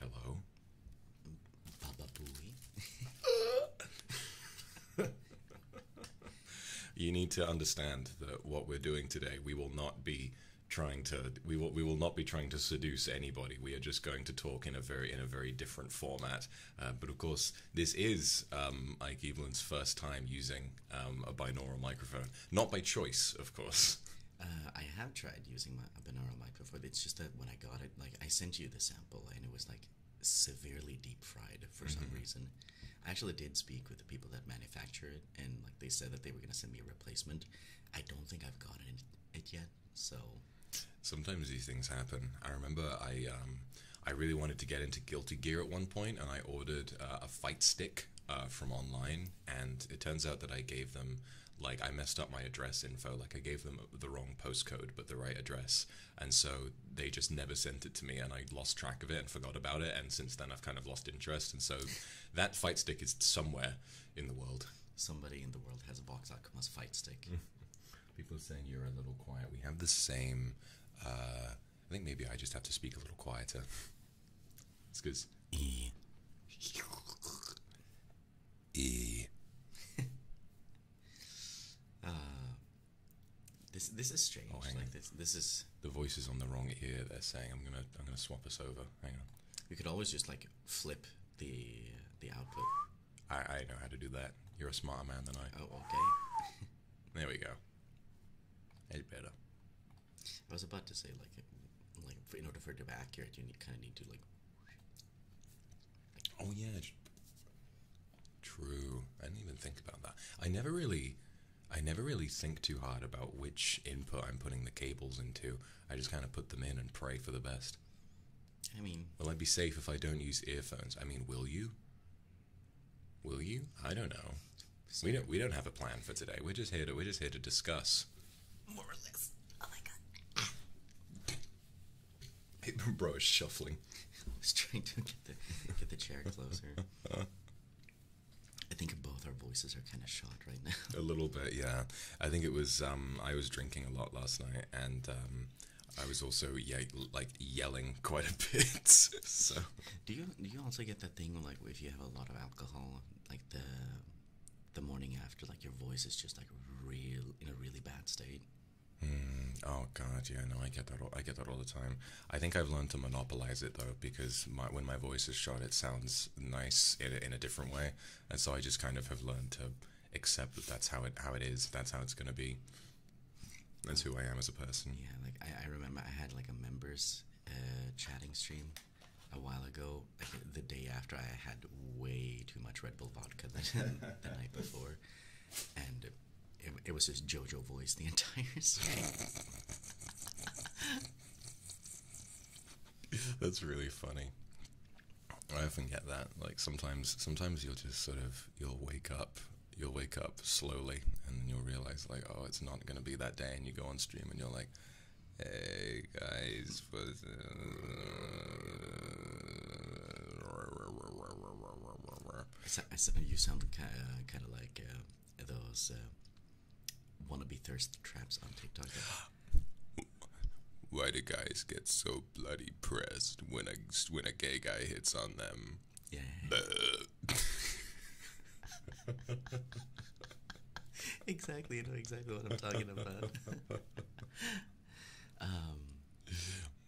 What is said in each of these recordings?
Hello? Baba Booey. you need to understand that what we're doing today, we will not be trying to we will we will not be trying to seduce anybody. We are just going to talk in a very in a very different format. Uh, but of course, this is um, Ike Evelyn's first time using um, a binaural microphone, not by choice, of course. Uh, I have tried using my, binaural microphone. It's just that when I got it, like I sent you the sample and it was like severely deep fried for some mm-hmm. reason. I actually did speak with the people that manufacture it and like they said that they were gonna send me a replacement. I don't think I've gotten it, yet, so sometimes these things happen. I remember I um I really wanted to get into Guilty Gear at one point and I ordered uh, a fight stick uh, from online and it turns out that I gave them like I messed up my address info, like I gave them the wrong postcode but the right address, and so they just never sent it to me, and I lost track of it and forgot about it, and since then I've kind of lost interest, and so that fight stick is somewhere in the world. Somebody in the world has a box Akuma's fight stick. People are saying you're a little quiet. We have the same. Uh, I think maybe I just have to speak a little quieter. it's because. E. Uh, this this is strange. Oh, like this this is the voice is on the wrong ear. They're saying I'm gonna I'm gonna swap us over. Hang on. We could always just like flip the the output. I I know how to do that. You're a smarter man than I. Oh okay. there we go. It's better. I was about to say like like in order for it to be accurate, you kind of need to like Oh yeah, true. I didn't even think about that. I never really, I never really think too hard about which input I'm putting the cables into. I just kind of put them in and pray for the best. I mean, will I be safe if I don't use earphones? I mean, will you? Will you? I don't know. We don't. We don't have a plan for today. We're just here to. We're just here to discuss. More or less. Oh my god. Bro is shuffling. I was trying to get the get the chair closer. I think both our voices are kind of shot right now. A little bit, yeah. I think it was. Um, I was drinking a lot last night, and um, I was also yeah, like yelling quite a bit. so do you do you also get that thing like if you have a lot of alcohol, like the the morning after, like your voice is just like real in a really bad state. Mm, oh god, yeah, no, I get that. I get that all the time. I think I've learned to monopolize it though, because when my voice is shot, it sounds nice in a, different way, and so I just kind of have learned to accept that that's how it how it is. That's how it's gonna be. That's who I am as a person. Yeah, like I, remember I had like a members uh, chatting stream a while ago, like the day after I had way too much Red Bull vodka the night before, and it, was just JoJo voice the entire time. That's really funny. I often get that. Like sometimes, sometimes you'll just sort of you'll wake up, you'll wake up slowly, and you'll realize like, oh, it's not gonna be that day, and you go on stream and you're like, hey guys, you sound uh, kind of, like uh, those uh, wannabe thirst traps on TikTok. Why do guys get so bloody pressed when a when a gay guy hits on them? Yeah. exactly, you know exactly what I'm talking about. um,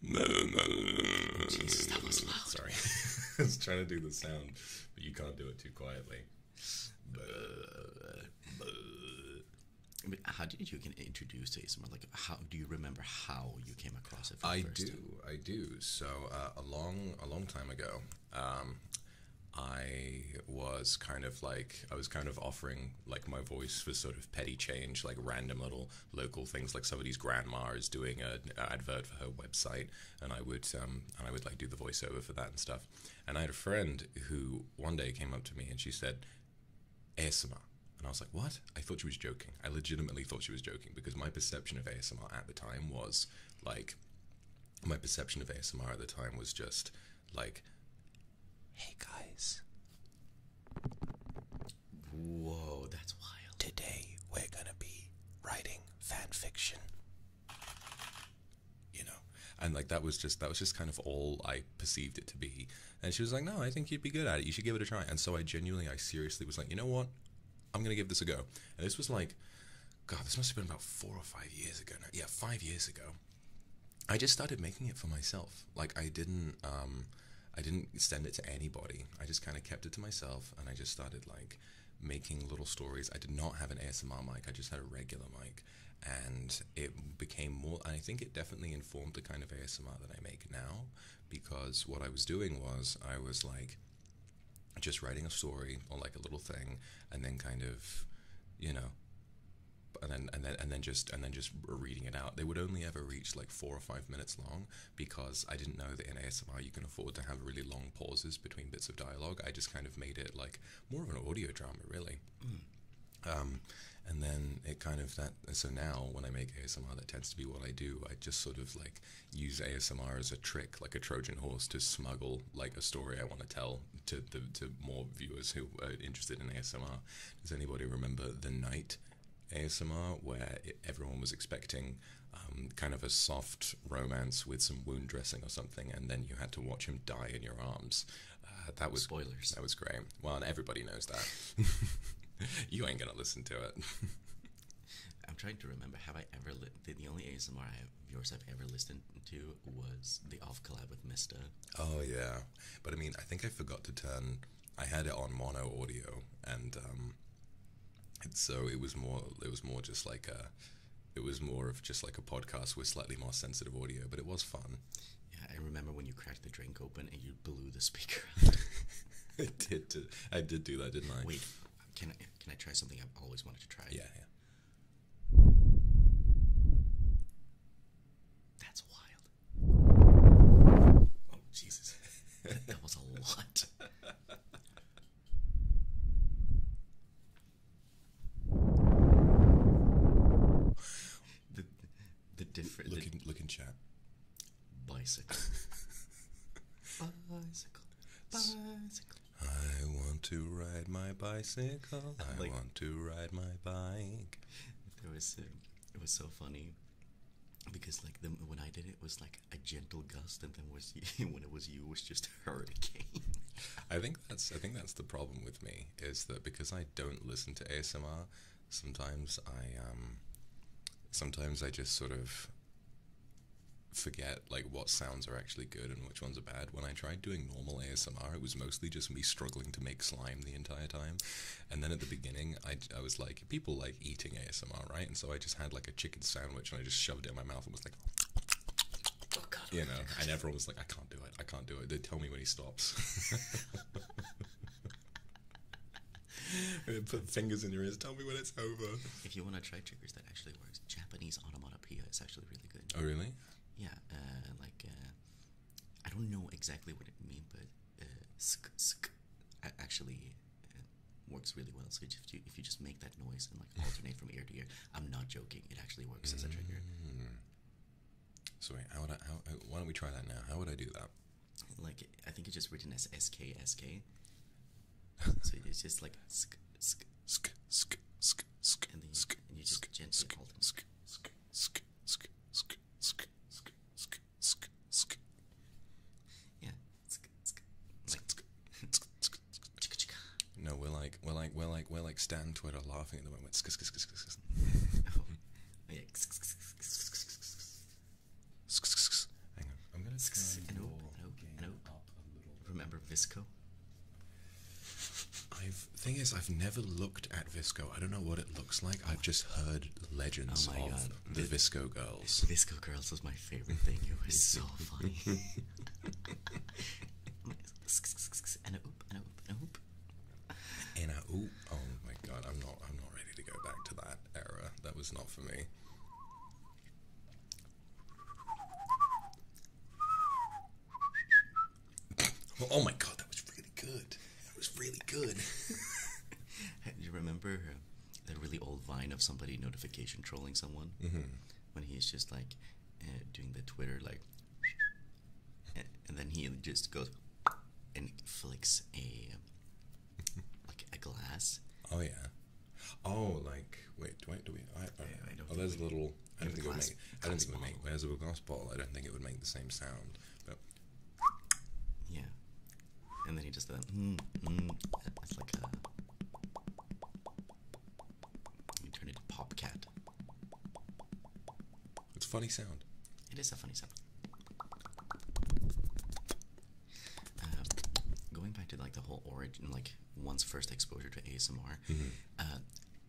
no, no, no, Jesus, that was loud. Sorry. I was trying to do the sound, but you can't do it too quietly. But how did you get introduced to ASMR? Like, how do you remember how you came across it? I do, I do. So uh, a long, a long time ago, um, I was kind of like I was kind of offering like my voice for sort of petty change, like random little local things. Like somebody's grandma is doing an advert for her website, and I would um, and I would like do the voiceover for that and stuff. And I had a friend who one day came up to me and she said, "ASMR." And I was like, what? I thought she was joking. I legitimately thought she was joking because my perception of ASMR at the time was like, my perception of ASMR at the time was just like Hey guys. Whoa, that's wild. Today we're gonna be writing fan fiction. You know, and like that was just that was just kind of all I perceived it to be. And she was like, "No, I think you'd be good at it. You should give it a try." And so I genuinely, I seriously was like, "You know what? I'm gonna give this a go." And this was like, God, this must have been about four or five years ago. Now. Yeah, five years ago. I just started making it for myself. Like I didn't um I didn't send it to anybody. I just kind of kept it to myself and I just started like making little stories. I did not have an ASMR mic. I just had a regular mic and it became more I think it definitely informed the kind of ASMR that I make now because what I was doing was I was like just writing a story or like a little thing and then kind of you know and then and then and then just and then just reading it out. They would only ever reach like four or five minutes long because I didn't know that in ASMR you can afford to have really long pauses between bits of dialogue. I just kind of made it like more of an audio drama, really. Hmm. Um, and then it kind of that. So now when I make ASMR, that tends to be what I do. I just sort of like use ASMR as a trick, like a Trojan horse, to smuggle like a story I want to tell to the to more viewers who are interested in ASMR. Does anybody remember the night ASMR where everyone was expecting um, kind of a soft romance with some wound dressing or something, and then you had to watch him die in your arms? Uh, that was spoilers. That was great. Well, everybody knows that. you ain't gonna listen to it. I'm trying to remember. Have I ever li- the, only ASMR I have, yours I've ever listened to was the off collab with Mister? Oh yeah, but I mean, I think I forgot to turn I had it on mono audio, um, and so it was more it was more just like a it was more of just like a podcast with slightly more sensitive audio, but it was fun. Yeah, I remember when you cracked the drink open and you blew the speaker. I did. Do, I did do that, didn't I? Wait, can I can I try something I've always wanted to try? Yeah, yeah. That's wild. Oh, Jesus. that was a lot. the, the different. looking look chat. Bicycle. bicycle. Bicycle. I want to ride my bicycle. I want to ride my bike. There was. Uh, it was so funny because like the when I did it, was like a gentle gust, and then was when it was you it was just a hurricane. I think that's I think that's the problem with me is that because I don't listen to ASMR, sometimes I um sometimes I just sort of forget like what sounds are actually good and which ones are bad. When I tried doing normal ASMR, it was mostly just me struggling to make slime the entire time. And then at the beginning, I, I was like, people like eating ASMR, right? And so I just had like a chicken sandwich and I just shoved it in my mouth and was like, oh, you know, and everyone was like, I can't do it. I can't do it. They tell me when he stops. Put fingers in your ears. Tell me when it's over. If you want to try triggers, that actually works. Japanese onomatopoeia It's actually really good. Oh, really? Yeah. Uh, like, uh, I don't know exactly what it means, but uh, sk sk actually uh, works really well. So if you if you just make that noise and like alternate from ear to ear, I'm not joking. It actually works as a trigger. Mm -hmm. So wait, how would I? How, why don't we try that now? How would I do that? Like I think it's just written as S K S K. So it's just like sk sk sk sk sk sk, and then you, sk, and you just sk, gently sk, alternate. Sk, sk, sk, sk, sk, sk, sk, sk, sk, sk. Yeah. Sk, sk, like, sk, sk, sk, sk. No, we're like we're like we're like we're like Stan Twitter laughing at the moment. Sk, sk, sk, sk, sk. oh. oh, yeah. Sk, sk, sk, sk, sk, sk, sk. Sk, sk, sk. Hang on. I'm gonna sk, sk, and open, and open, and open. up a little. Remember Visco? I've thing is I've never looked at Visco. I don't know what it looks like. I've just heard legends oh of the v Visco Girls. Visco Girls was my favorite thing. It was so funny. and a oop, and a oop, oop. And a oop. Oh my God, I'm not. I'm not ready to go back to that era. That was not for me. Oh my god, that was really good. It was really good. you remember that really old vine of somebody notification trolling someone mm-hmm. when he's just like eh, doing the Twitter like, and, then he just goes and flicks a like a glass. Oh yeah. Oh, like wait, do I do we? I, don't. Oh, there's a little. I don't think it would make. I don't think it would glass ball, I don't think it would make the same sound. But yeah. And then he just that. Hmm, hmm. It's like a. You turn into pop cat. It's funny sound. It is a funny sound. Uh, going back to like the whole origin, like one's first exposure to ASMR. Mm-hmm. Uh,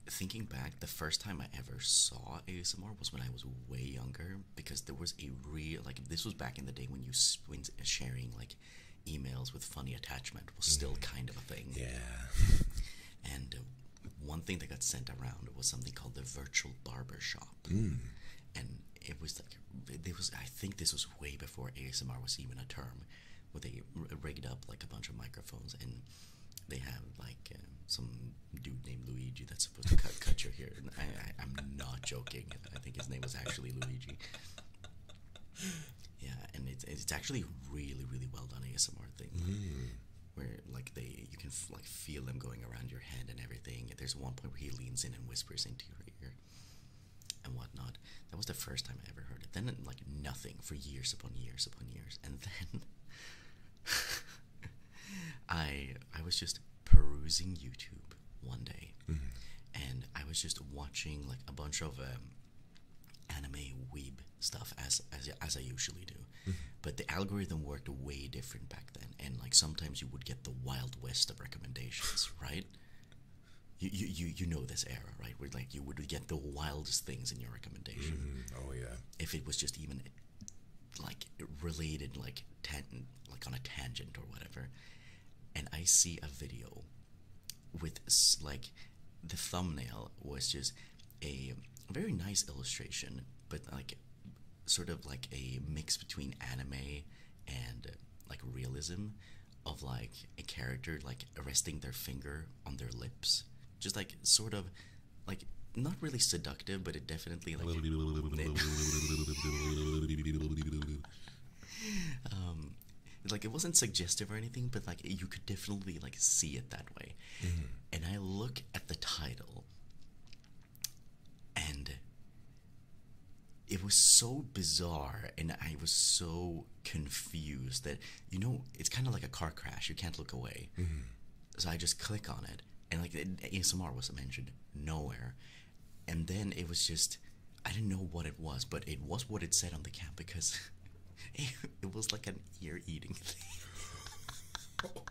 thinking back, the first time I ever saw ASMR was when I was way younger, because there was a real like this was back in the day when you when sharing like emails with funny attachment was mm-hmm. still kind of a thing. Yeah. And uh, one thing that got sent around was something called the virtual barber shop. Mm. And it was like it was I think this was way before ASMR was even a term where they rigged up like a bunch of microphones and they have like uh, some dude named Luigi that's supposed to cut cut your hair. I, am not joking. I think his name was actually Luigi. Yeah, and it's it's actually really really well done ASMR thing. Mm. Where like they you can like feel them going around your head and everything. There's one point where he leans in and whispers into your ear and whatnot. That was the first time I ever heard it. Then like nothing for years upon years upon years, and then I I was just perusing YouTube one day, mm-hmm. and I was just watching like a bunch of um, anime weeb stuff as as I usually do, mm-hmm. but the algorithm worked way different back then, and like sometimes you would get the wild west of recommendations, right? You, you you you know this era, right? Where like you would get the wildest things in your recommendation. Mm-hmm. Oh yeah. If it was just even like related like tan like on a tangent or whatever and i see a video with like the thumbnail was just a very nice illustration but like sort of like a mix between anime and like realism of like a character like resting their finger on their lips just like sort of like not really seductive, but it definitely like um, like it wasn't suggestive or anything, but like you could definitely like see it that way. Mm-hmm. And I look at the title, and it was so bizarre, and I was so confused that you know it's kind of like a car crash. You can't look away. Mm-hmm. So I just click on it, and like ASMR was mentioned nowhere, and then it was just I didn't know what it was, but it was what it said on the cap because it, it was like an ear eating thing,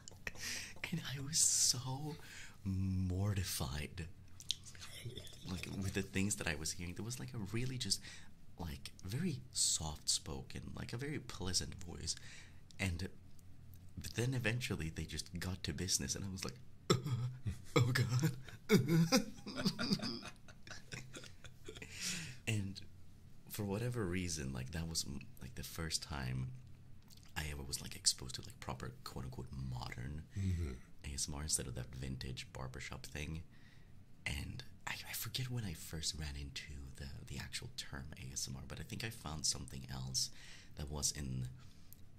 and I was so mortified, like with the things that I was hearing. There was like a really just like very soft spoken, like a very pleasant voice, and but then eventually they just got to business, and I was like, "Oh God!" and for whatever reason, like that was mm, like the first time I ever was like exposed to like proper quote unquote modern mm-hmm. ASMR instead of that vintage barbershop thing. And I, I forget when I first ran into the the actual term ASMR, but I think I found something else that was in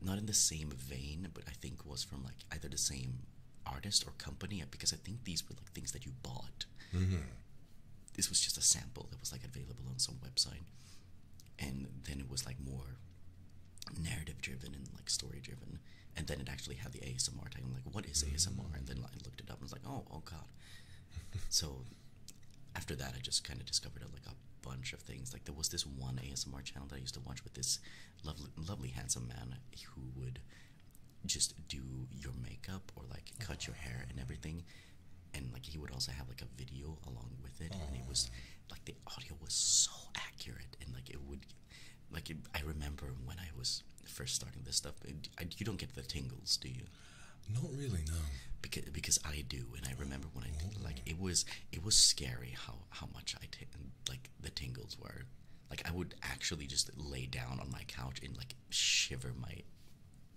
not in the same vein, but I think was from like either the same artist or company because I think these were like things that you bought. Mm-hmm. This was just a sample that was like available on some website, and then it was like more narrative driven and like story driven. And then it actually had the ASMR tag. I'm like, what is ASMR? Mm-hmm. And then I looked it up and was like, oh, oh god. so after that, I just kind of discovered like a bunch of things. Like there was this one ASMR channel that I used to watch with this lovely, lovely handsome man who would just do your makeup or like cut your hair and everything, and like he would also have like a video along with it, and it was like the audio was so accurate and like it would, like I remember when I was first starting this stuff. Uh, you don't get the tingles, do you? Not really, no. Because because I do, and I remember when I did, oh. like it was it was scary how how much I like the tingles were. Like I would actually just lay down on my couch and like shiver my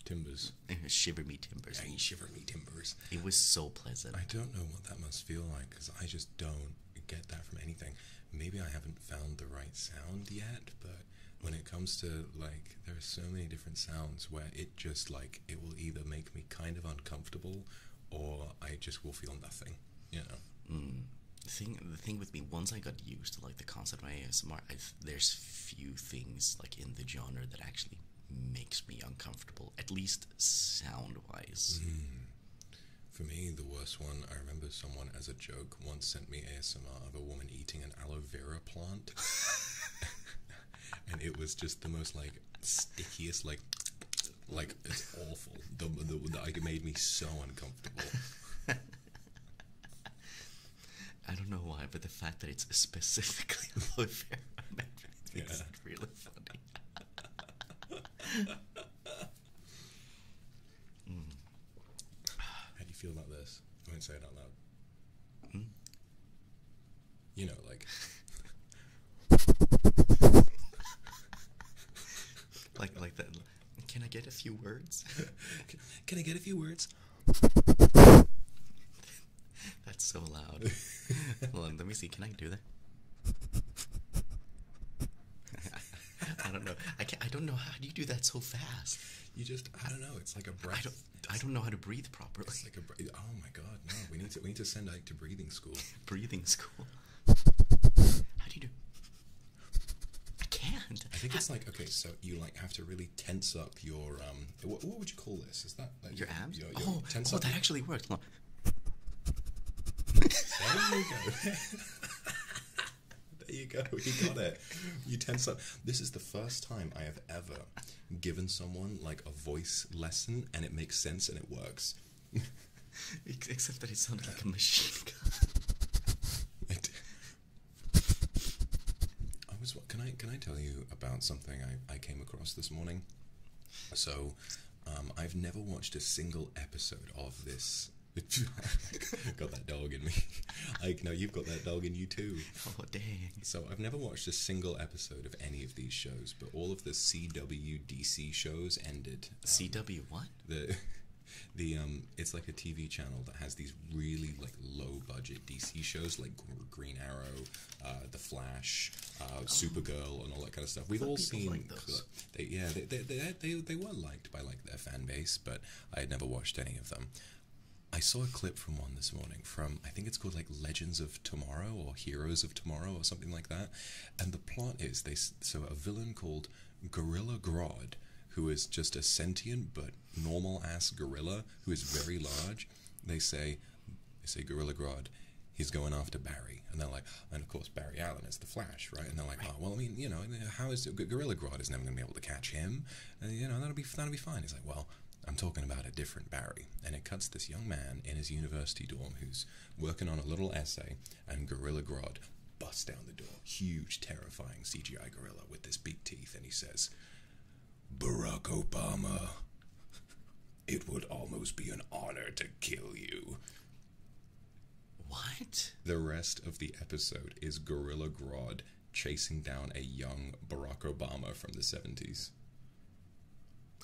timbers, shiver me timbers. shiver me timbers. It was so pleasant. I don't know what that must feel like because I just don't get that from anything. Maybe I haven't found the right sound yet, but when it comes to like there are so many different sounds where it just like it will either make me kind of uncomfortable, or I just will feel nothing. You know. Hmm. The thing, the thing with me, once I got used to like the concept of ASMR, i there's few things like in the genre that actually makes me uncomfortable, at least sound-wise. Hmm. For me, the worst one, I remember someone as a joke once sent me ASMR of a woman eating an aloe vera plant. and it was just the most like stickiest like like it's awful. The, the, like it made me so uncomfortable. I don't know why, but the fact that it's specifically aloe vera yeah. really funny. How do you feel about this? I won't say it out loud. Hmm? You know, like. like like that. Can I get a few words? can, I get a few words? That's so loud. Hold on, let me see. Can I do that? I don't know. I can I don't know how you do that so fast. You just I don't know. It's like a breath. I don't know how to breathe properly. oh my god, no! We need to we need to send Ike to breathing school. breathing school. How do you do? I can't. I think it's like okay, so you like have to really tense up your um. What, would you call this? Is that your abs? Your, your oh, oh, that actually works. Look. There you go. there you go. You got it. You tense up. This is the first time I have ever given someone like a voice lesson and it makes sense and it works. Except that it sounded like a machine gun. I was. Can I? Can I tell you about something I, I came across this morning? So, um, I've never watched a single episode of this. got that dog in me. Like, no, you've got that dog in you too. Oh dang! So I've never watched a single episode of any these shows, but all of the CW DC shows ended. Um, CW what? The the um it's like a TV channel that has these really like low budget DC shows like Green Arrow, uh, The Flash, uh, oh. Supergirl, and all that kind of stuff. We've all seen yeah they, they they, they they were liked by like their fan base, but I had never watched any of them. I saw a clip from one this morning from I think it's called like Legends of Tomorrow or Heroes of Tomorrow or something like that. And the plot is they so a villain called Gorilla Grodd, who is just a sentient but normal ass gorilla who is very large. They say they say Gorilla Grodd, he's going after Barry, and they're like, and of course Barry Allen is the Flash, right? And they're like, oh well, I mean, you know, how is Gorilla Grodd is never going to be able to catch him, and uh, you know that'll be that'll be fine. He's like, well, I'm talking about a different Barry, and it cuts this young man in his university dorm who's working on a little essay, and Gorilla Grodd busts down the door, huge, terrifying CGI gorilla with this big teeth, and he says, Barack Obama, it would almost be an honor to kill you. What? The rest of the episode is Gorilla Grodd chasing down a young Barack Obama from the 70s.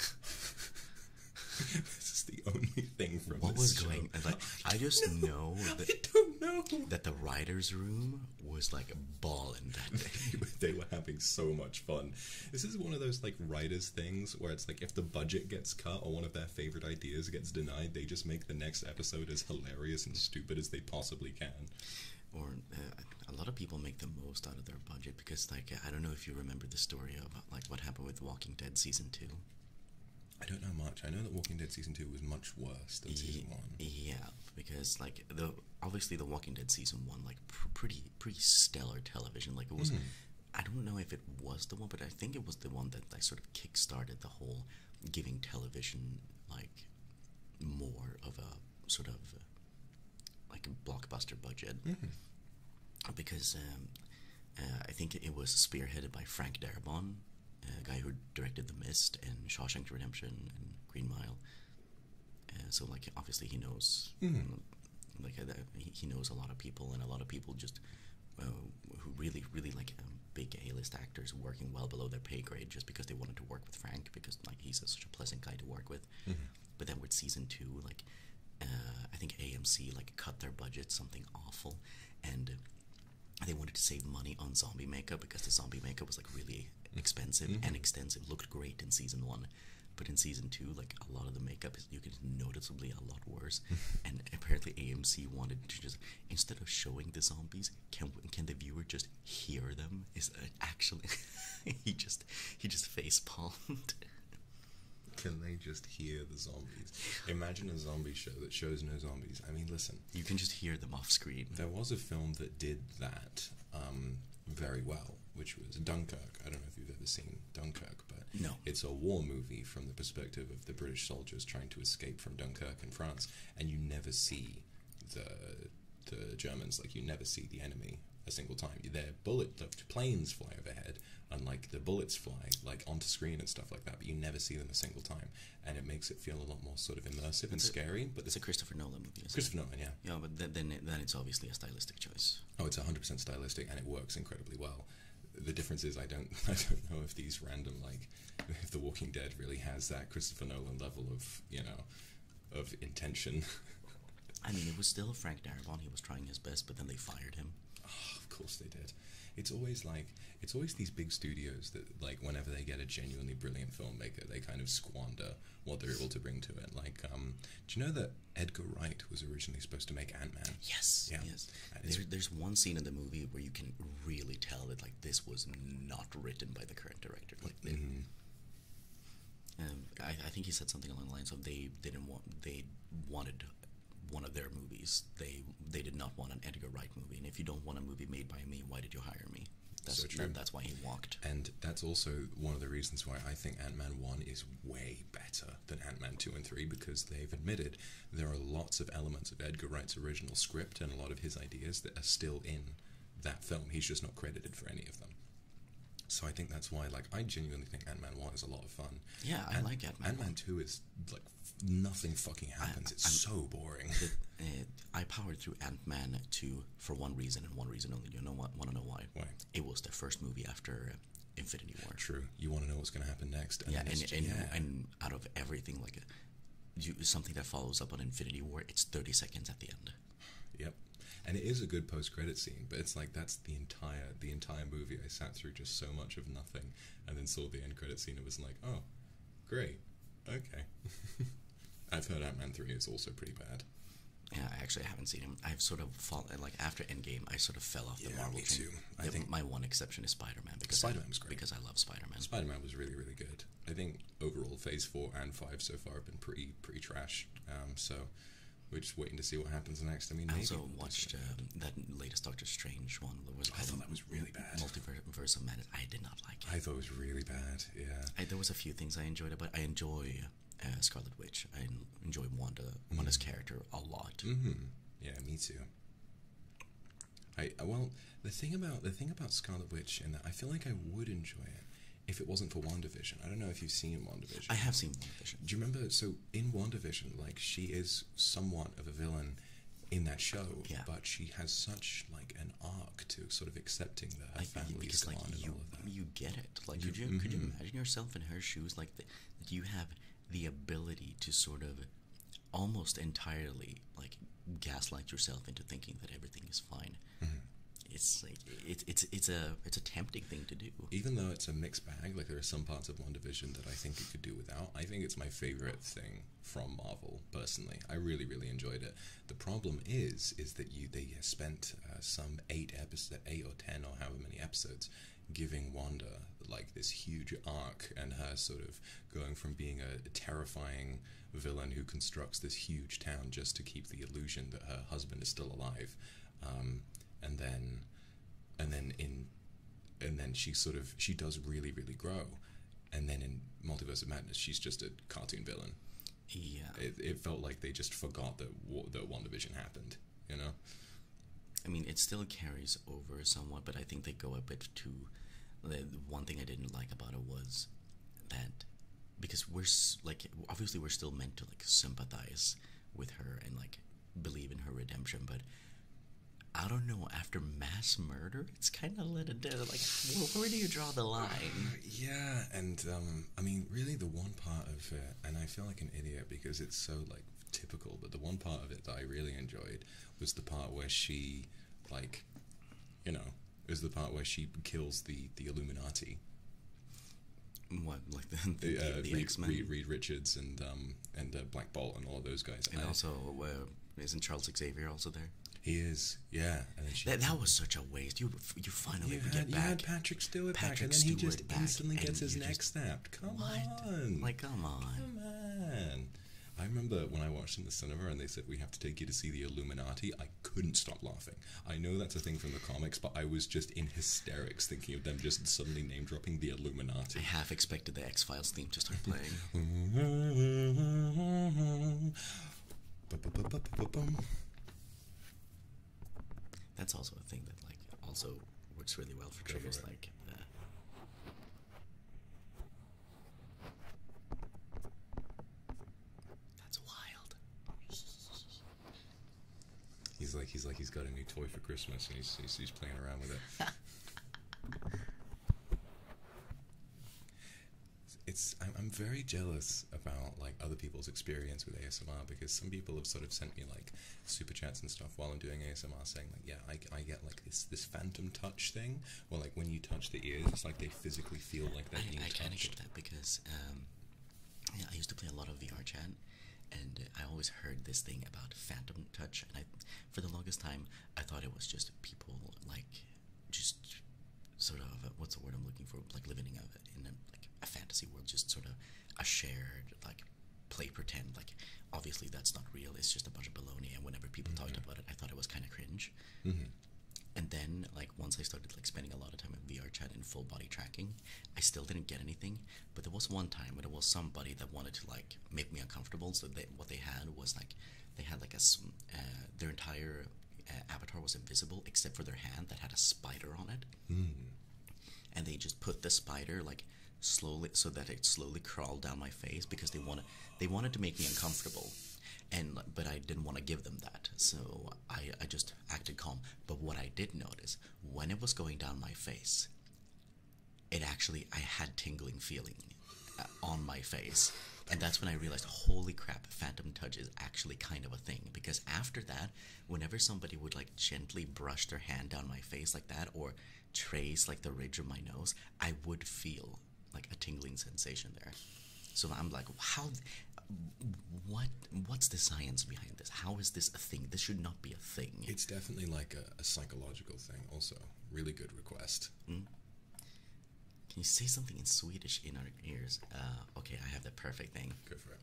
this is the only thing from what this was show. going like I, I just know, that the writers' room was like balling that day. they were having so much fun. This is one of those like writers things where it's like if the budget gets cut or one of their favorite ideas gets denied, they just make the next episode as hilarious and stupid as they possibly can. Or uh, a lot of people make the most out of their budget because like I don't know if you remember the story about like what happened with Walking Dead season two. I don't know much. I know that Walking Dead season two was much worse than season yeah, one. Yeah, because like the obviously the Walking Dead season one like pretty pretty stellar television. Like it was, hmm. I don't know if it was the one, but I think it was the one that like sort of kickstarted the whole giving television like more of a sort of like a blockbuster budget mm-hmm. because um, uh, I think it was spearheaded by Frank Darabont, a guy who directed The Mist and Shawshank Redemption and Green Mile. Uh, so like obviously he knows mm-hmm. like uh, he knows a lot of people and a lot of people just uh, who really really like um, big A-list actors working well below their pay grade just because they wanted to work with Frank because like he's such a pleasant guy to work with Mm-hmm. But then with season two, like uh, I think AMC like cut their budget something awful, and they wanted to save money on zombie makeup because the zombie makeup was like really mm-hmm. expensive and mm-hmm. extensive. Looked great in season one, but in season two, like a lot of the makeup is you can noticeably a lot worse. and apparently AMC wanted to just instead of showing the zombies, can can the viewer just hear them? Is uh, actually he just he just face palmed. Can they just hear the zombies? Imagine a zombie show that shows no zombies. I mean, listen. You can just hear them off screen. There was a film that did that um, very well, which was Dunkirk. I don't know if you've ever seen Dunkirk, but no. it's a war movie from the perspective of the British soldiers trying to escape from Dunkirk in France, and you never see the Germans. Like you never see the enemy a single time. their bullet the planes fly overhead, and like the bullets fly like onto screen and stuff like that. But you never see them a single time, and it makes it feel a lot more sort of immersive and scary. But it's a Christopher Nolan movie. Christopher Nolan, yeah. Yeah, but then then, it's obviously a stylistic choice. Oh, it's hundred percent stylistic, and it works incredibly well. The difference is I don't I don't know if these random like if The Walking Dead really has that Christopher Nolan level of you know of intention. I mean, it was still Frank Darabont. He was trying his best, but then they fired him. Ah, of course they did. It's always like it's always these big studios that like whenever they get a genuinely brilliant filmmaker, they kind of squander what they're able to bring to it. Like, um, do you know that Edgar Wright was originally supposed to make Ant Man? Yes. Yeah. There's, there's one scene in the movie where you can really tell that like this was not written by the current director. Like. Um, I, think he said something along the lines of they didn't want they wanted one of their movies. They they did not want an Edgar Wright movie, and if you don't want a movie made by me, why did you hire me? That's true. that's why he walked. And that's also one of the reasons why I think Ant Man one is way better than Ant Man two and three because they've admitted there are lots of elements of Edgar Wright's original script and a lot of his ideas that are still in that film. He's just not credited for any of them. So I think that's why, like, I genuinely think Ant Man One is a lot of fun. Yeah, I like Ant Man. Ant Man Two is like nothing fucking happens. it's so boring. Uh, I powered through Ant Man Two for one reason and one reason only. You know what? Want to know why? Why? It was the first movie after Infinity War. True. You want to know what's going to happen next? And yeah, and, out of everything, like something that follows up on Infinity War, it's 30 seconds at the end. Yep. And it is a good post-credit scene, but it's like that's the entire the entire movie. I sat through just so much of nothing, and then saw the end credit scene. It was like, oh, great, okay. I've heard Ant Man three is also pretty bad. Yeah, I actually haven't seen him. I've sort of fallen like after Endgame, I sort of fell off the yeah, Marvel me Too. I think my one exception is Spider Man because Spider Man was great because I love Spider Man. Spider Man was really really good. I think overall Phase four and five so far have been pretty pretty trash. Um, so we're just waiting to see what happens next. I mean, I also watched um, that latest Doctor Strange one. That was I thought that was really bad. Multiverse of Madness. I did not like it. I thought it was really bad. Yeah. there was a few things I enjoyed about. I enjoy uh, Scarlet Witch. I enjoy Wanda, Wanda's mm-hmm. character a lot. Mm-hmm. Yeah, me too. I well, the thing about the thing about Scarlet Witch, and I feel like I would enjoy it, if it wasn't for WandaVision. I don't know if you've seen WandaVision. I have seen WandaVision. Do you remember? So in WandaVision, like she is somewhat of a villain in that show, but she has such like an arc to sort of accepting that her like, family because, like, you, You get it. Like, could you mm-hmm. imagine yourself in her shoes? Like, the, you have the ability to sort of almost entirely like gaslight yourself into thinking that everything is fine. Mm-hmm it's like it's it's it's a it's a tempting thing to do. Even though it's a mixed bag, like there are some parts of One Division that I think it could do without. I think it's my favorite thing from Marvel personally. I really really enjoyed it. The problem is is that you they spent uh, some eight episodes, eight or ten or however many episodes giving Wanda like this huge arc and her sort of going from being a terrifying villain who constructs this huge town just to keep the illusion that her husband is still alive. Um, and then and then in and then she sort of she does really really grow and then in multiverse of madness she's just a cartoon villain yeah it, it felt like they just forgot that that one division happened you know i mean it still carries over somewhat but i think they go a bit too the one thing i didn't like about it was that because we're like obviously we're still meant to like sympathize with her and like believe in her redemption, but I don't know. After mass murder, it's kind of let it down. Like, where do you draw the line? Uh, yeah, and um, I mean, really, the one part of it, and I feel like an idiot because it's so like typical. But the one part of it that I really enjoyed was the part where she, like, you know, it was the part where she kills the the Illuminati. What like the, the, uh, the, the uh, Reed, X Men? Reed, Richards and um and uh, Black Bolt and all those guys. And also, uh, isn't Charles Xavier also there? He is, yeah. that, that was such a waste. You you finally get back. You had Patrick Stewart Patrick back, and then he just instantly gets his neck snapped. Come on, like come on, come on. I remember when I watched in the cinema and they said we have to take you to see the Illuminati. I couldn't stop laughing. I know that's a thing from the comics, but I was just in hysterics thinking of them just suddenly name dropping the Illuminati. I half expected the X Files theme to start playing. That's also a thing that like also works really well for triggers like uh, that's wild. He's like he's like he's got a new toy for Christmas and he's he's, playing around with it. it's I'm, I'm very jealous about like other people's experience with ASMR because some people have sort of sent me like super chats and stuff while I'm doing ASMR saying like yeah I, I get like this this phantom touch thing or like when you touch the ears it's like they physically feel like they're being touched. I kind of get that because um, yeah, I used to play a lot of VR chat, and I always heard this thing about phantom touch, and I, for the longest time, I thought it was just people like, just sort of what's the word I'm looking for, like living in a, in like a fantasy world, just sort of a shared like play pretend. Like obviously that's not real; it's just a bunch of baloney. And whenever people talked mm-hmm. about it, I thought it was kind of cringe. Mm-hmm. And then, like once I started like spending a lot of time in VR chat and full body tracking, I still didn't get anything, but there was one time when there was somebody that wanted to like make me uncomfortable. So what they had was like they had like a uh, their entire uh, avatar was invisible except for their hand that had a spider on it, hmm. and they just put the spider like slowly so that it slowly crawled down my face because they wanted they wanted to make me uncomfortable. And but I didn't want to give them that, so I just acted calm. But what I did notice when it was going down my face, it actually I had tingling feeling uh, on my face, and that's when I realized, holy crap, phantom touch is actually kind of a thing. Because after that, whenever somebody would like gently brush their hand down my face like that, or trace like the ridge of my nose, I would feel like a tingling sensation there. So I'm like, how? What? What's the science behind this? How is this a thing? This should not be a thing. It's definitely like a, psychological thing, also. Really good request. Mm. Can you say something in Swedish in our ears? Uh, okay, I have the perfect thing. Good for it.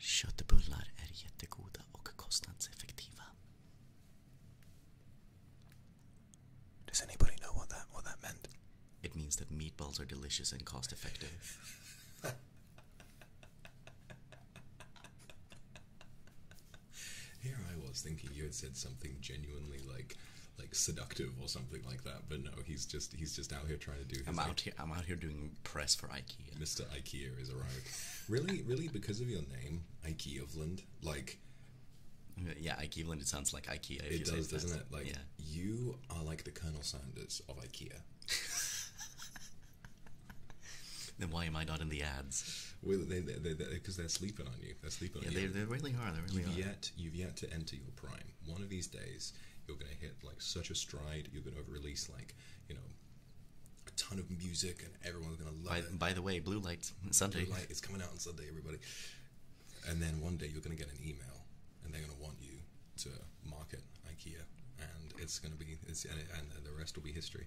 Köttbullar är jättegoda och kostnadseffektiva. Does anybody know what that what that meant? It means that meatballs are delicious and cost effective. Here I was thinking you had said something genuinely like, like seductive or something like that, but no, he's just he's just out here trying to do. His I'm out here. I'm out here doing press for IKEA. Mr. IKEA is arrived. really, really, because of your name, IKEA IKEAVland, like. Yeah, IKEA IKEAVland. It sounds like IKEA. It does, doesn't it? Like yeah. you are like the Colonel Sanders of IKEA then why am I not in the ads? because they, are sleeping on you. They're sleeping yeah, on they, you. they are. They really you you've yet to enter your prime. One of these days, you're going to hit like such a stride. You're going to release like you know a ton of music, and everyone's going to love it. By the way, Blue Light Sunday. Blue Light is coming out on Sunday, everybody. And then one day you're going to get an email, and they're going to want you to market IKEA, and it's going to be and, the rest will be history.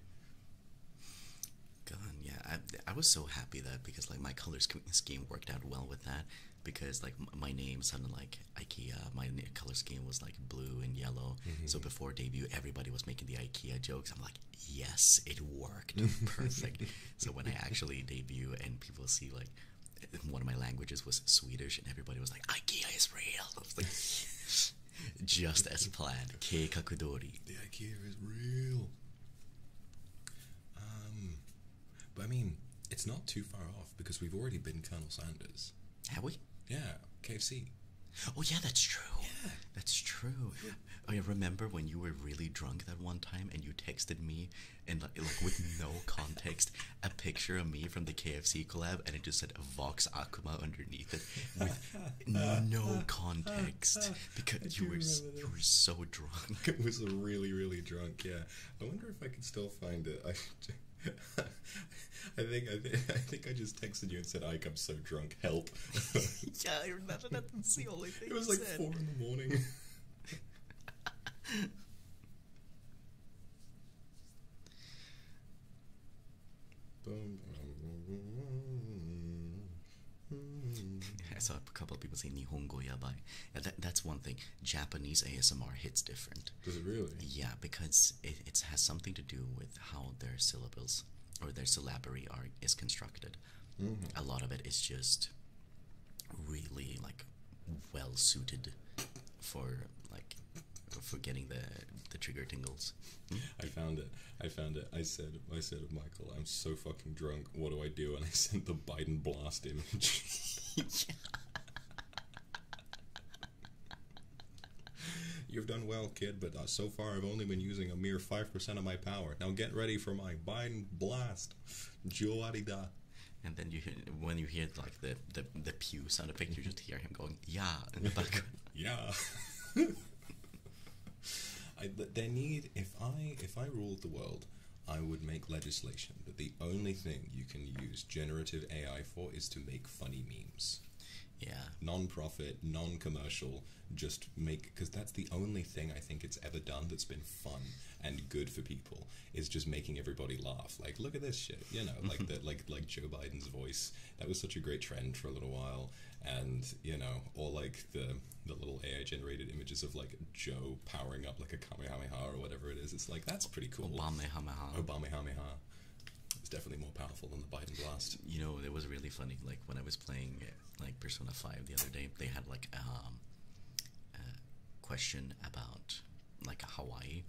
God, yeah, I, was so happy that because like my color scheme worked out well with that because like my name sounded like IKEA, my color scheme was like blue and yellow. So mm-hmm. before debut, everybody was making the IKEA jokes. I'm like, yes, it worked, perfect. so when I actually debut and people see like one of my languages was Swedish, and everybody was like, IKEA is real. just as planned. K kakudori. The IKEA is real. Um, but I mean, it's not too far off because we've already been Colonel Sanders. Have we? Yeah, KFC. Oh yeah, that's true. Yeah, that's true. I mean, remember when you were really drunk that one time and you texted me and like with no context a picture of me from the KFC collab, and it just said Vox Akuma underneath it with no context because you were you were so drunk. It was really really drunk. Yeah, I wonder if I can still find it. I, think I, th I think I just texted you and said, "Ike, I'm so drunk, help." yeah, I remember That's the only thing. It was like four in the morning. I saw a couple of people saying Nihongo Yabai. that's one thing. Japanese ASMR hits different. Does it really? Yeah, because it, has something to do with how their syllables or their syllabary are is constructed. Mm-hmm. A lot of it is just really like well suited for like Forgetting the the trigger tingles. I found it. I found it. I said I said Michael, I'm so fucking drunk. What do I do? And I sent the Biden blast image. You've done well, kid, but uh, so far I've only been using a mere 5% of my power. Now get ready for my Biden blast. Joarida. And then you hear, when you hear like the, the, the pew sound effect, you just hear him going going yeah the yeah. I, they need if I if I ruled the world, I would make legislation that the only thing you can use generative AI for is to make funny memes. Yeah. Non-profit, non-commercial, just make because that's the only thing I think it's ever done that's been fun and good for people is just making everybody laugh. Like, look at this shit, you know, like the like like Joe Biden's voice. That was such a great trend for a little while, and you know, or like the the little AI generated images of like Joe powering up like a kamehameha or whatever it is. It's like that's pretty cool. Obamahameha. Obamahameha. It's definitely more powerful than the Biden blast. You know, it was really funny. Like when I was playing like Persona Five the other day, they had like um, a question about like Hawaii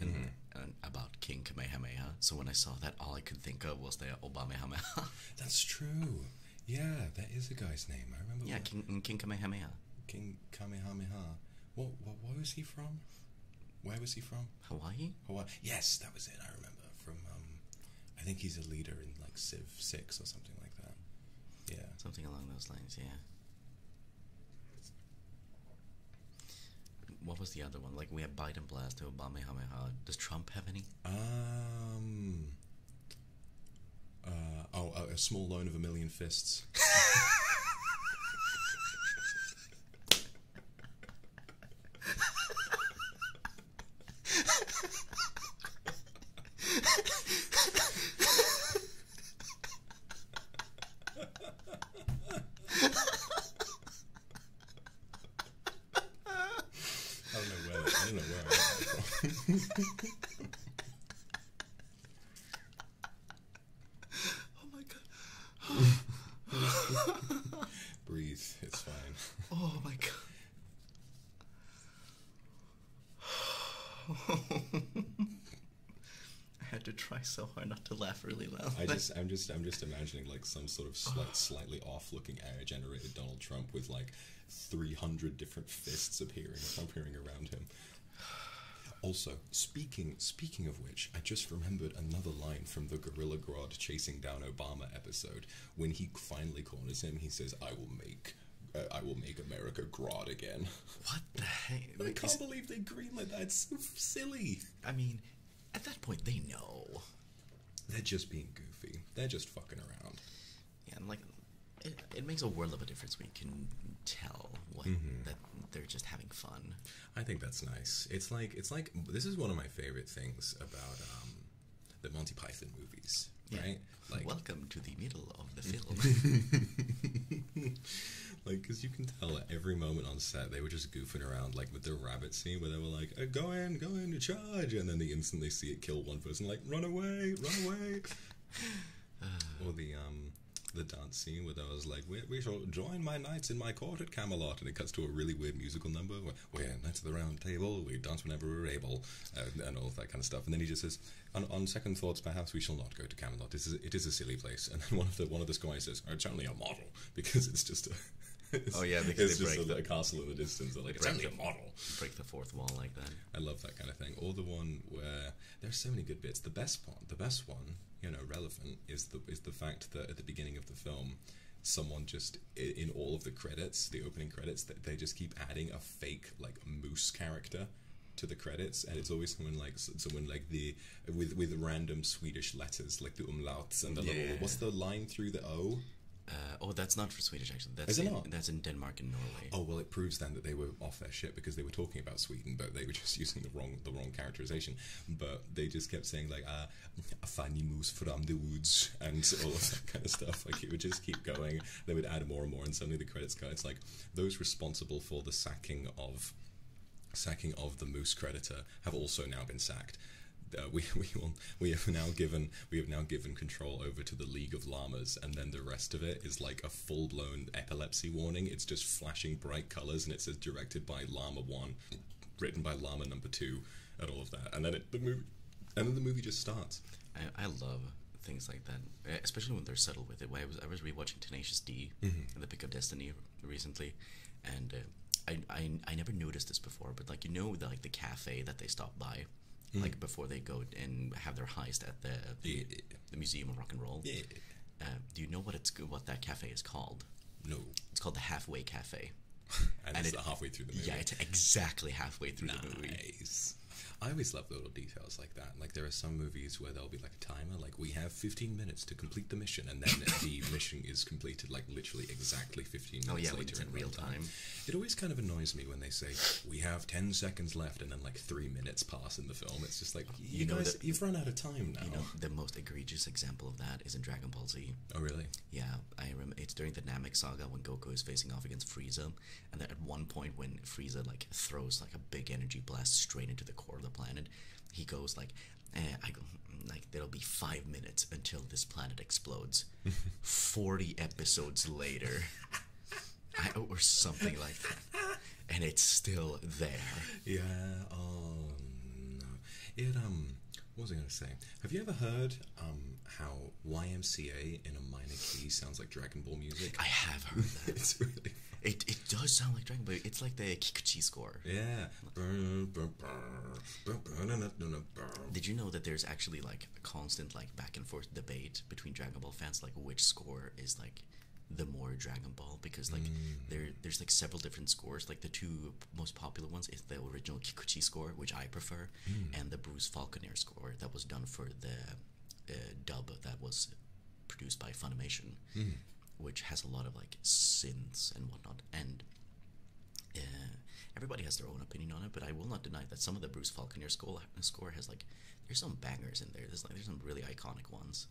mm-hmm. and, about King Kamehameha. So when I saw that, all I could think of was the Obamehameha. That's true. Yeah, that is the guy's name. I remember. Yeah, King, King Kamehameha. King Kamehameha. What, what, what was he from? Where was he from? Hawaii? Hawaii. Yes, that was it. I remember from. Um, I think he's a leader in like Civ Six or something like that. Yeah. Something along those lines. Yeah. What was the other one? Like we have Biden blast, Obamahameha. Does Trump have any? Um. Uh, oh, a small loan of a million fists. I don't know where I don't know where I got that from. oh my god. Breathe, it's fine. Oh my god. I had to try so hard not to laugh really loud. I just, I'm just, I'm just imagining like some sort of slight, slightly off-looking AI-generated Donald Trump with like 300 different fists appearing, appearing around him. Also, speaking, speaking of which, I just remembered another line from the Gorilla Grodd chasing down Obama episode. When he finally corners him, he says, "I will make." Uh, I will make America Grodd again. What the heck? I can't believe they greenlit that. It's so silly. I mean, at that point, they know. They're just being goofy. They're just fucking around. Yeah, and like, it, makes a world of a difference when you can tell what mm-hmm. that they're just having fun. I think that's nice. It's like it's like this is one of my favorite things about um, the Monty Python movies, right? Like, welcome to the middle of the film. like, because you can tell every moment on set they were just goofing around, like with the rabbit scene where they were like, uh, "Go in, go in, charge!" and then the instant they see it kill one person, like, "Run away, run away!" or the um, the dance scene where I was like, we, shall join my knights in my court at Camelot, and it cuts to a really weird musical number where we're knights of the round table, we dance whenever we're able, and all that kind of stuff. And then he just says, on, second thoughts, perhaps we shall not go to Camelot. It is, a silly place. And then one of the one of the squires says, oh, it's only a model. because it's just a. oh yeah, because it's just a, the, castle in the distance. Like, it's only a model. Break the fourth wall like that. I love that kind of thing. Or the one where there's so many good bits. The best part, the best one, you know, relevant is the is the fact that at the beginning of the film, someone just in all of the credits, the opening credits, that they just keep adding a fake like moose character to the credits, and it's always someone like someone like the with with random Swedish letters like the umlauts and the little, what's the line through the O? Uh, oh, that's not for Swedish actually. That's in, not? That's in Denmark and Norway. Oh well, it proves then that they were off their shit because they were talking about Sweden, but they were just using the wrong the wrong characterization. But they just kept saying like uh, "a funny moose from the woods" and all that kind of stuff. Like it would just keep going. They would add more and more, and suddenly the credits go. It's like those responsible for the sacking of sacking of the Moose creditor have also now been sacked. Uh, we we have now given we have now given control over to the League of Llamas, and then the rest of it is like a full blown epilepsy warning. It's just flashing bright colors, and it says directed by Llama One, written by Llama Number Two, and all of that. And then it, the movie, and then the movie just starts. I, love things like that, especially when they're subtle with it. I was I was rewatching Tenacious D mm-hmm. The Pick of Destiny recently, and uh, I, I I never noticed this before, but like you know the, like the cafe that they stop by, mm. like before they go and have their heist at the the, Museum of Rock and Roll. Um, do you know what it's what that cafe is called? No. It's called the Halfway Cafe. and, it's halfway through the movie. Yeah, it's exactly halfway through the movie. I always love the little details like that. Like there are some movies where they'll be like a timer, like we have 15 minutes to complete the mission, and then the mission is completed like literally exactly 15 minutes oh, yeah, later in real time. It always kind of annoys me when they say we have 10 seconds left, and then like three minutes pass in the film. It's just like you, know guys, you've run out of time now. You know, the most egregious example of that is in Dragon Ball Z. Oh really? Yeah, I remember. It's during the Namek saga when Goku is facing off against Frieza, and then at one point when Frieza like throws like a big energy blast straight into the core of the planet, he goes like and eh, I like there'll be five minutes until this planet explodes. Forty episodes later, or something like that, and it's still there. Yeah. Oh no. It um. What was I going to say? Have you ever heard um, how YMCA in a minor key sounds like Dragon Ball music? I have heard that. It it does sound like Dragon Ball. It's like the Kikuchi score. Yeah, did you know that there's actually like a constant like back and forth debate between Dragon Ball fans like which score is like the more Dragon Ball because like mm. there there's like several different scores. Like the two most popular ones is the original Kikuchi score, which I prefer, mm. and the Bruce Falconer score that was done for the uh, dub that was produced by Funimation. Hmm. which has a lot of like synths and whatnot, and uh, everybody has their own opinion on it. But I will not deny that some of the Bruce Falconer score has like there's some bangers in there. There's like there's some really iconic ones.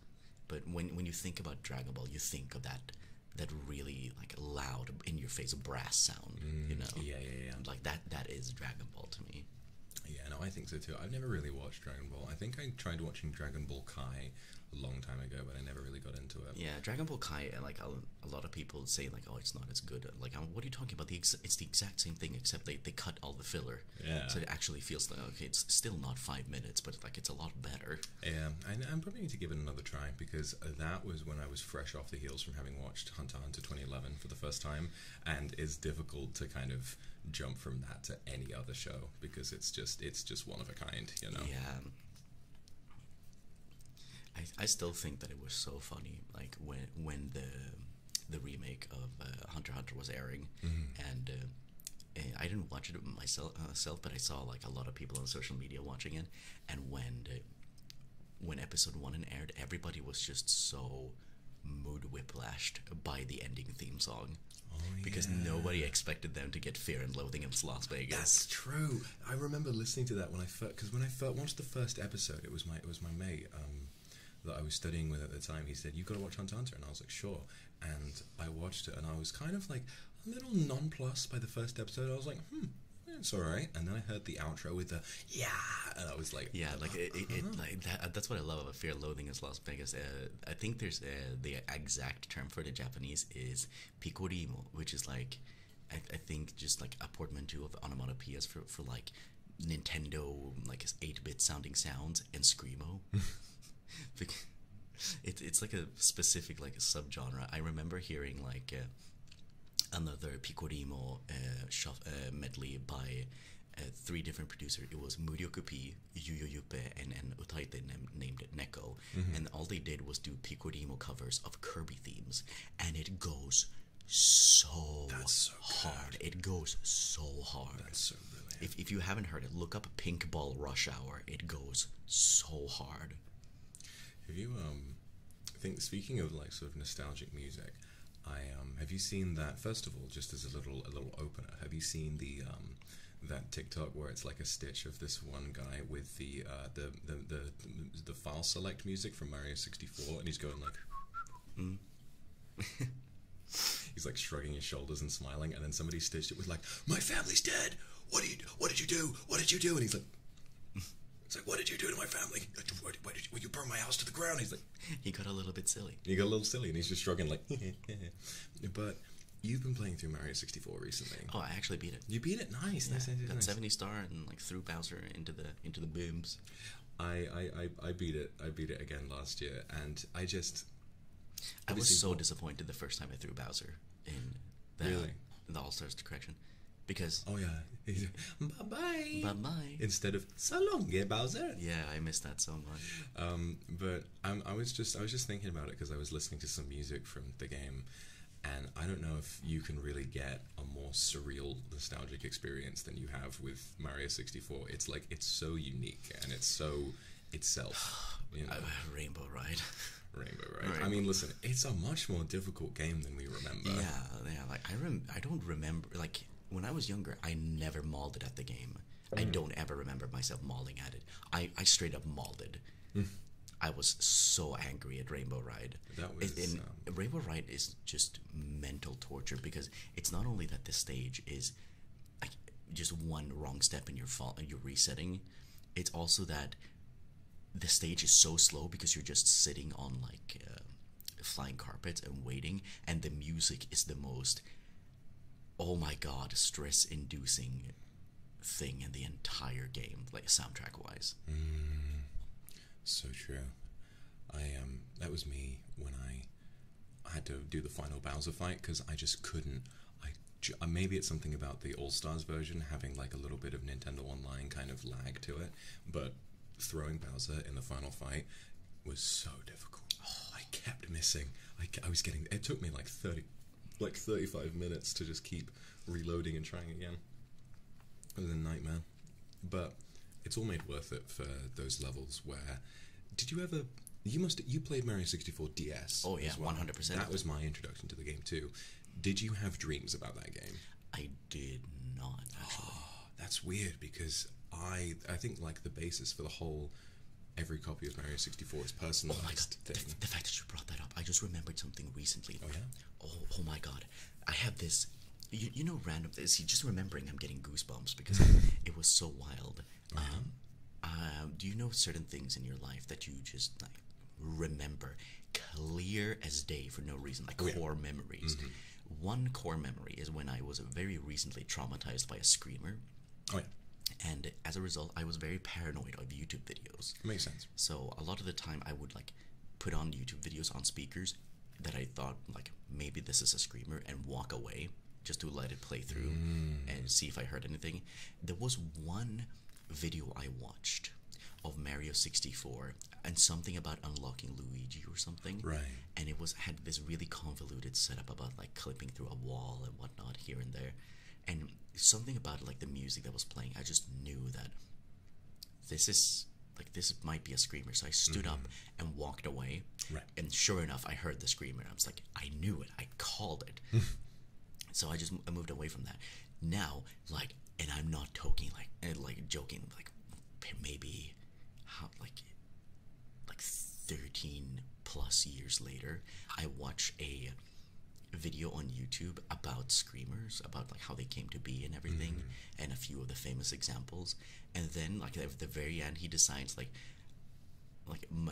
But when when you think about Dragon Ball, you think of that that really like loud in your face brass sound, you mm, know? Yeah, yeah, yeah. Like that that is Dragon Ball to me. Yeah, no, I think so too. I've never really watched Dragon Ball. I think I tried watching Dragon Ball Kai a long time ago, but I never really got into it. Yeah, Dragon Ball Kai, uh, like a, lot of people say, like, oh, it's not as good. Uh, like, um, what are you talking about? The it's the exact same thing, except they, they cut all the filler. Yeah. So it actually feels like okay, it's still not five minutes, but like it's a lot better. Yeah, I, am probably need to give it another try because uh, that was when I was fresh off the heels from having watched Hunter Hunter 2011 for the first time, and it's difficult to kind of jump from that to any other show because it's just it's just one of a kind, you know. Yeah. I, I still think that it was so funny, like when when the the remake of uh, Hunter Hunter was airing, mm-hmm. uh, and I didn't watch it myself, uh, but I saw like a lot of people on social media watching it, and when the, when episode one and aired, everybody was just so mood whiplashed by the ending theme song because oh, nobody expected them to get Fear and Loathing in Las Vegas. That's true. I remember listening to that when I first because when I first watched the first episode, it was my it was my mate um, that I was studying with at the time. He said, "You've got to watch Hunter Hunter," and I was like, "Sure." And I watched it, and I was kind of like a little nonplussed by the first episode. I was like, "Hmm." it's all right. And then I heard the outro with the yeah, and I was like, yeah, like it, uh-huh. That's what I love about Fear and Loathing in Las Vegas. Uh, I think there's uh, the exact term for the Japanese is picorimo, which is like, I, I think just like a portmanteau of onomatopoeias for, for like Nintendo, like 8 bit sounding sounds, and screamo. it, it's like a specific like a sub genre. I remember hearing like uh, another picorimo uh, shuff, uh, medley by uh, three different producers. It was Kupi, Yu Yuyoyupe, and, and Utaite named it Neko. Mm-hmm. and all they did was do Picodimo covers of Kirby themes, and it goes so, hard. It goes so hard. If you haven't heard it, look up Pink Ball Rush Hour. It goes so hard. Have you um, I think speaking of like sort of nostalgic music, I um, have you seen that first of all? Just as a little a little opener, have you seen the um, that TikTok where it's like a stitch of this one guy with uh, the the, the, the file select music from Mario 64, and he's going like, mm. he's like shrugging his shoulders and smiling, and then somebody stitched it with like, "My family's dead. What did you What did you do? What did you do?" And he's like. It's like, what did you do to my family? Why did you, well, you burn my house to the ground? He's like, he got a little bit silly. He got a little silly, and he's just shrugging like, but You've been playing through Mario 64 recently. Oh, I actually beat it. You beat it, nice. Yeah, nice, got 70 star and like threw Bowser into the into the booms. I, I, I, beat it. I beat it again last year, and I just. I was so disappointed the first time I threw Bowser in the, really? in the All Stars correction, because oh yeah, bye bye bye bye instead of so long, yeah, Bowser. Yeah, I missed that so much. Um, but I was just I was just thinking about it because I was listening to some music from the game, and I don't know if you can really get a more surreal, nostalgic experience than you have with Mario 64. It's like it's so unique and it's so itself. You know? Uh, Rainbow Ride. Rainbow Ride. I mean, listen, it's a much more difficult game than we remember. Yeah, yeah. Like I rem- I don't remember. Like when I was younger, I never mauled it at the game. I mm. don't ever remember myself mauling at it. I, I straight up mauled it. I was so angry at Rainbow Ride. Um, Rainbow Ride is just mental torture because it's not only that the stage is just one wrong step and you're fall you're resetting. It's also that the stage is so slow because you're just sitting on like uh, flying carpet and waiting, and the music is the most oh my god stress inducing thing in the entire game, like soundtrack wise. Mm, so true. I um, that was me when I had to do the final Bowser fight because I just couldn't. I uh, maybe it's something about the All Stars version having like a little bit of Nintendo Online kind of lag to it, but throwing Bowser in the final fight was so difficult. Oh, I kept missing. I, I was getting. It took me like 30, like 35 minutes to just keep reloading and trying again. It was a nightmare. But it's all made worth it for those levels where. Did you ever. You must. You played Mario 64 DS. Oh, yeah, 100%. That was my introduction to the game, too. Did you have dreams about that game? I did not, Oh, that's weird because I, I think, like, the basis for the whole. Every copy of Mario 64 is personalized. Oh the, fact that you brought that up, I just remembered something recently. Oh yeah. Oh, oh my God, I have this. You, you know, random. See, just remembering, I'm getting goosebumps because it was so wild. Uh-huh. um, uh, do you know certain things in your life that you just like remember clear as day for no reason, like oh, core memories? Mm-hmm. One core memory is when I was very recently traumatized by a screamer. Oh yeah. And as a result, I was very paranoid of YouTube videos. Makes sense. So a lot of the time, I would like put on YouTube videos on speakers that I thought like maybe this is a screamer and walk away just to let it play through mm. and see if I heard anything. There was one video I watched of Mario 64 and something about unlocking Luigi or something. Right. And it was had this really convoluted setup about like clipping through a wall and whatnot here and there and something about like the music that was playing i just knew that this is like this might be a screamer so i stood up mm-hmm. and walked away and sure enough i heard the screamer i was like i knew it i called it so i just moved away from that now like and i'm not talking like and, eh, like joking like maybe how like like 13 plus years later i watch a video on YouTube about screamers, about like how they came to be and everything, mm-hmm. and a few of the famous examples. And then like at the very end, he decides like like um,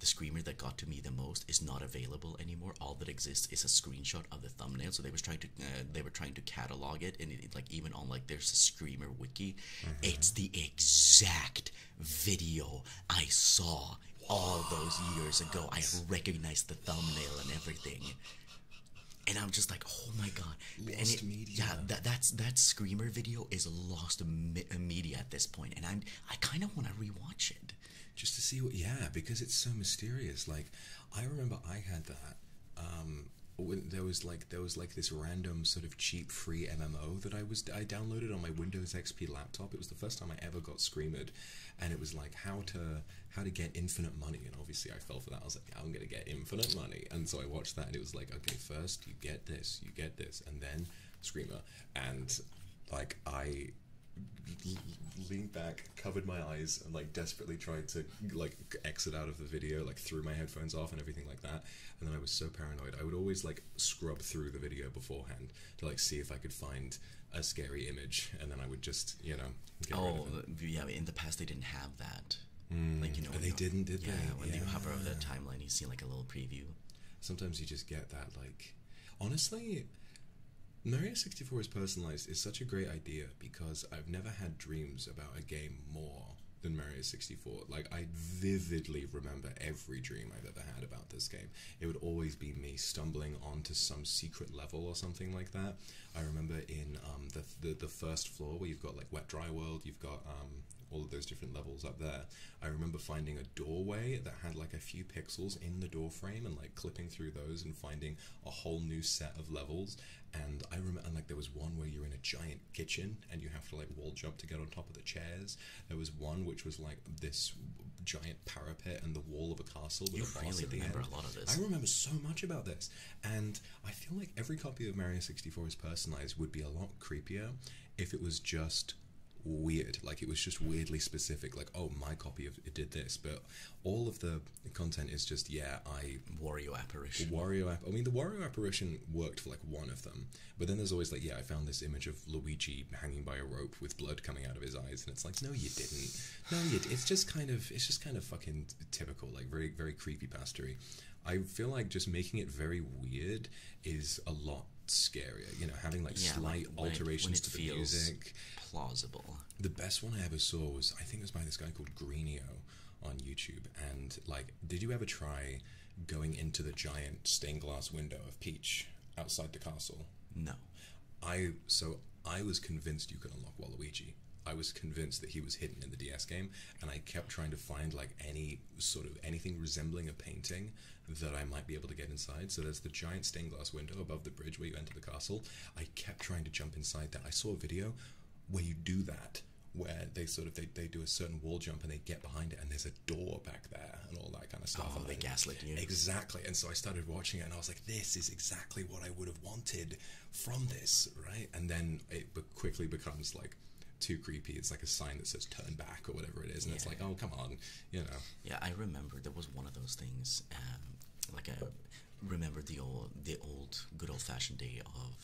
the screamer that got to me the most is not available anymore. All that exists is a screenshot of the thumbnail. So they was trying to uh, they were trying to catalog it, and like even on like there's a screamer wiki. Mm-hmm. It's the exact video I saw all those years ago. I recognized the thumbnail and everything. And I'm just like, oh my god! Lost media. Yeah, that that screamer video is lost me media at this point, and I'm I kind of want to rewatch it, just to see what. Yeah, because it's so mysterious. Like, I remember I had that. Um, there was like there was like this random sort of cheap free MMO that I was I downloaded on my Windows XP laptop. It was the first time I ever got screamed, and it was like how to how to get infinite money and obviously i fell for that i was like i'm gonna get infinite money and so i watched that and it was like okay first you get this you get this and then screamer and like i leaned back covered my eyes and like desperately tried to like exit out of the video like threw my headphones off and everything like that and then i was so paranoid i would always like scrub through the video beforehand to like see if I could find a scary image, and then I would just you know. oh yeah, in the past they didn't have that. Hmm. Like you know, they didn't, did yeah, When you hover over the timeline, you see like a little preview. Sometimes you just get that. Like, honestly, Mario sixty four is personalized is such a great idea because I've never had dreams about a game more than Mario 64. Like, I vividly remember every dream I've ever had about this game it would always be me stumbling onto some secret level or something like that. I remember in um, the, the first floor where you've got like Wet Dry World, you've got um, all of those different levels up there. I remember finding a doorway that had like a few pixels in the door frame and like clipping through those and finding a whole new set of levels. And I remember, like there was one where you're in a giant kitchen and you have to like wall jump to get on top of the chairs. There was one which was like this giant parapet and the wall of a castle with you a boss really remember a lot of this. I remember so much about this, and I feel like every copy of Mario sixty four is personalized would be a lot creepier if it was just weird like it was just weirdly specific like oh my copy of it did this but all of the content is just yeah i wario apparition wario app. i mean the wario apparition worked for like one of them but then there's always like yeah i found this image of luigi hanging by a rope with blood coming out of his eyes, and it's like, no, you didn't. No, It's just kind of, it's just kind of fucking typical, like very, very creepy pastery. I feel like just making it very weird is a lot scarier. You know, having like slight alterations to the music, plausible. The best one I ever saw was I think it was by this guy called Greenio on YouTube. And like, did you ever try going into the giant stained glass window of Peach outside the castle? No. I so I was convinced you could unlock Waluigi. I was convinced that he was hidden in the DS game, and I kept trying to find like any sort of anything resembling a painting that I might be able to get inside. So there's the giant stained glass window above the bridge where you enter the castle. I kept trying to jump inside that. I saw a video where you do that, where they sort of they, they do a certain wall jump and they get behind it, and there's a door back there and all that that kind of stuff. Oh, exactly. And so I started watching it and I was like, this is exactly what I would have wanted from this, right? And then it quickly becomes like too creepy. It's like a sign that says turn back or whatever it is. And it's like, oh, come on, you know. Yeah, I remember there was one of those things. Um, like, I remember the old, the old good old fashioned day of.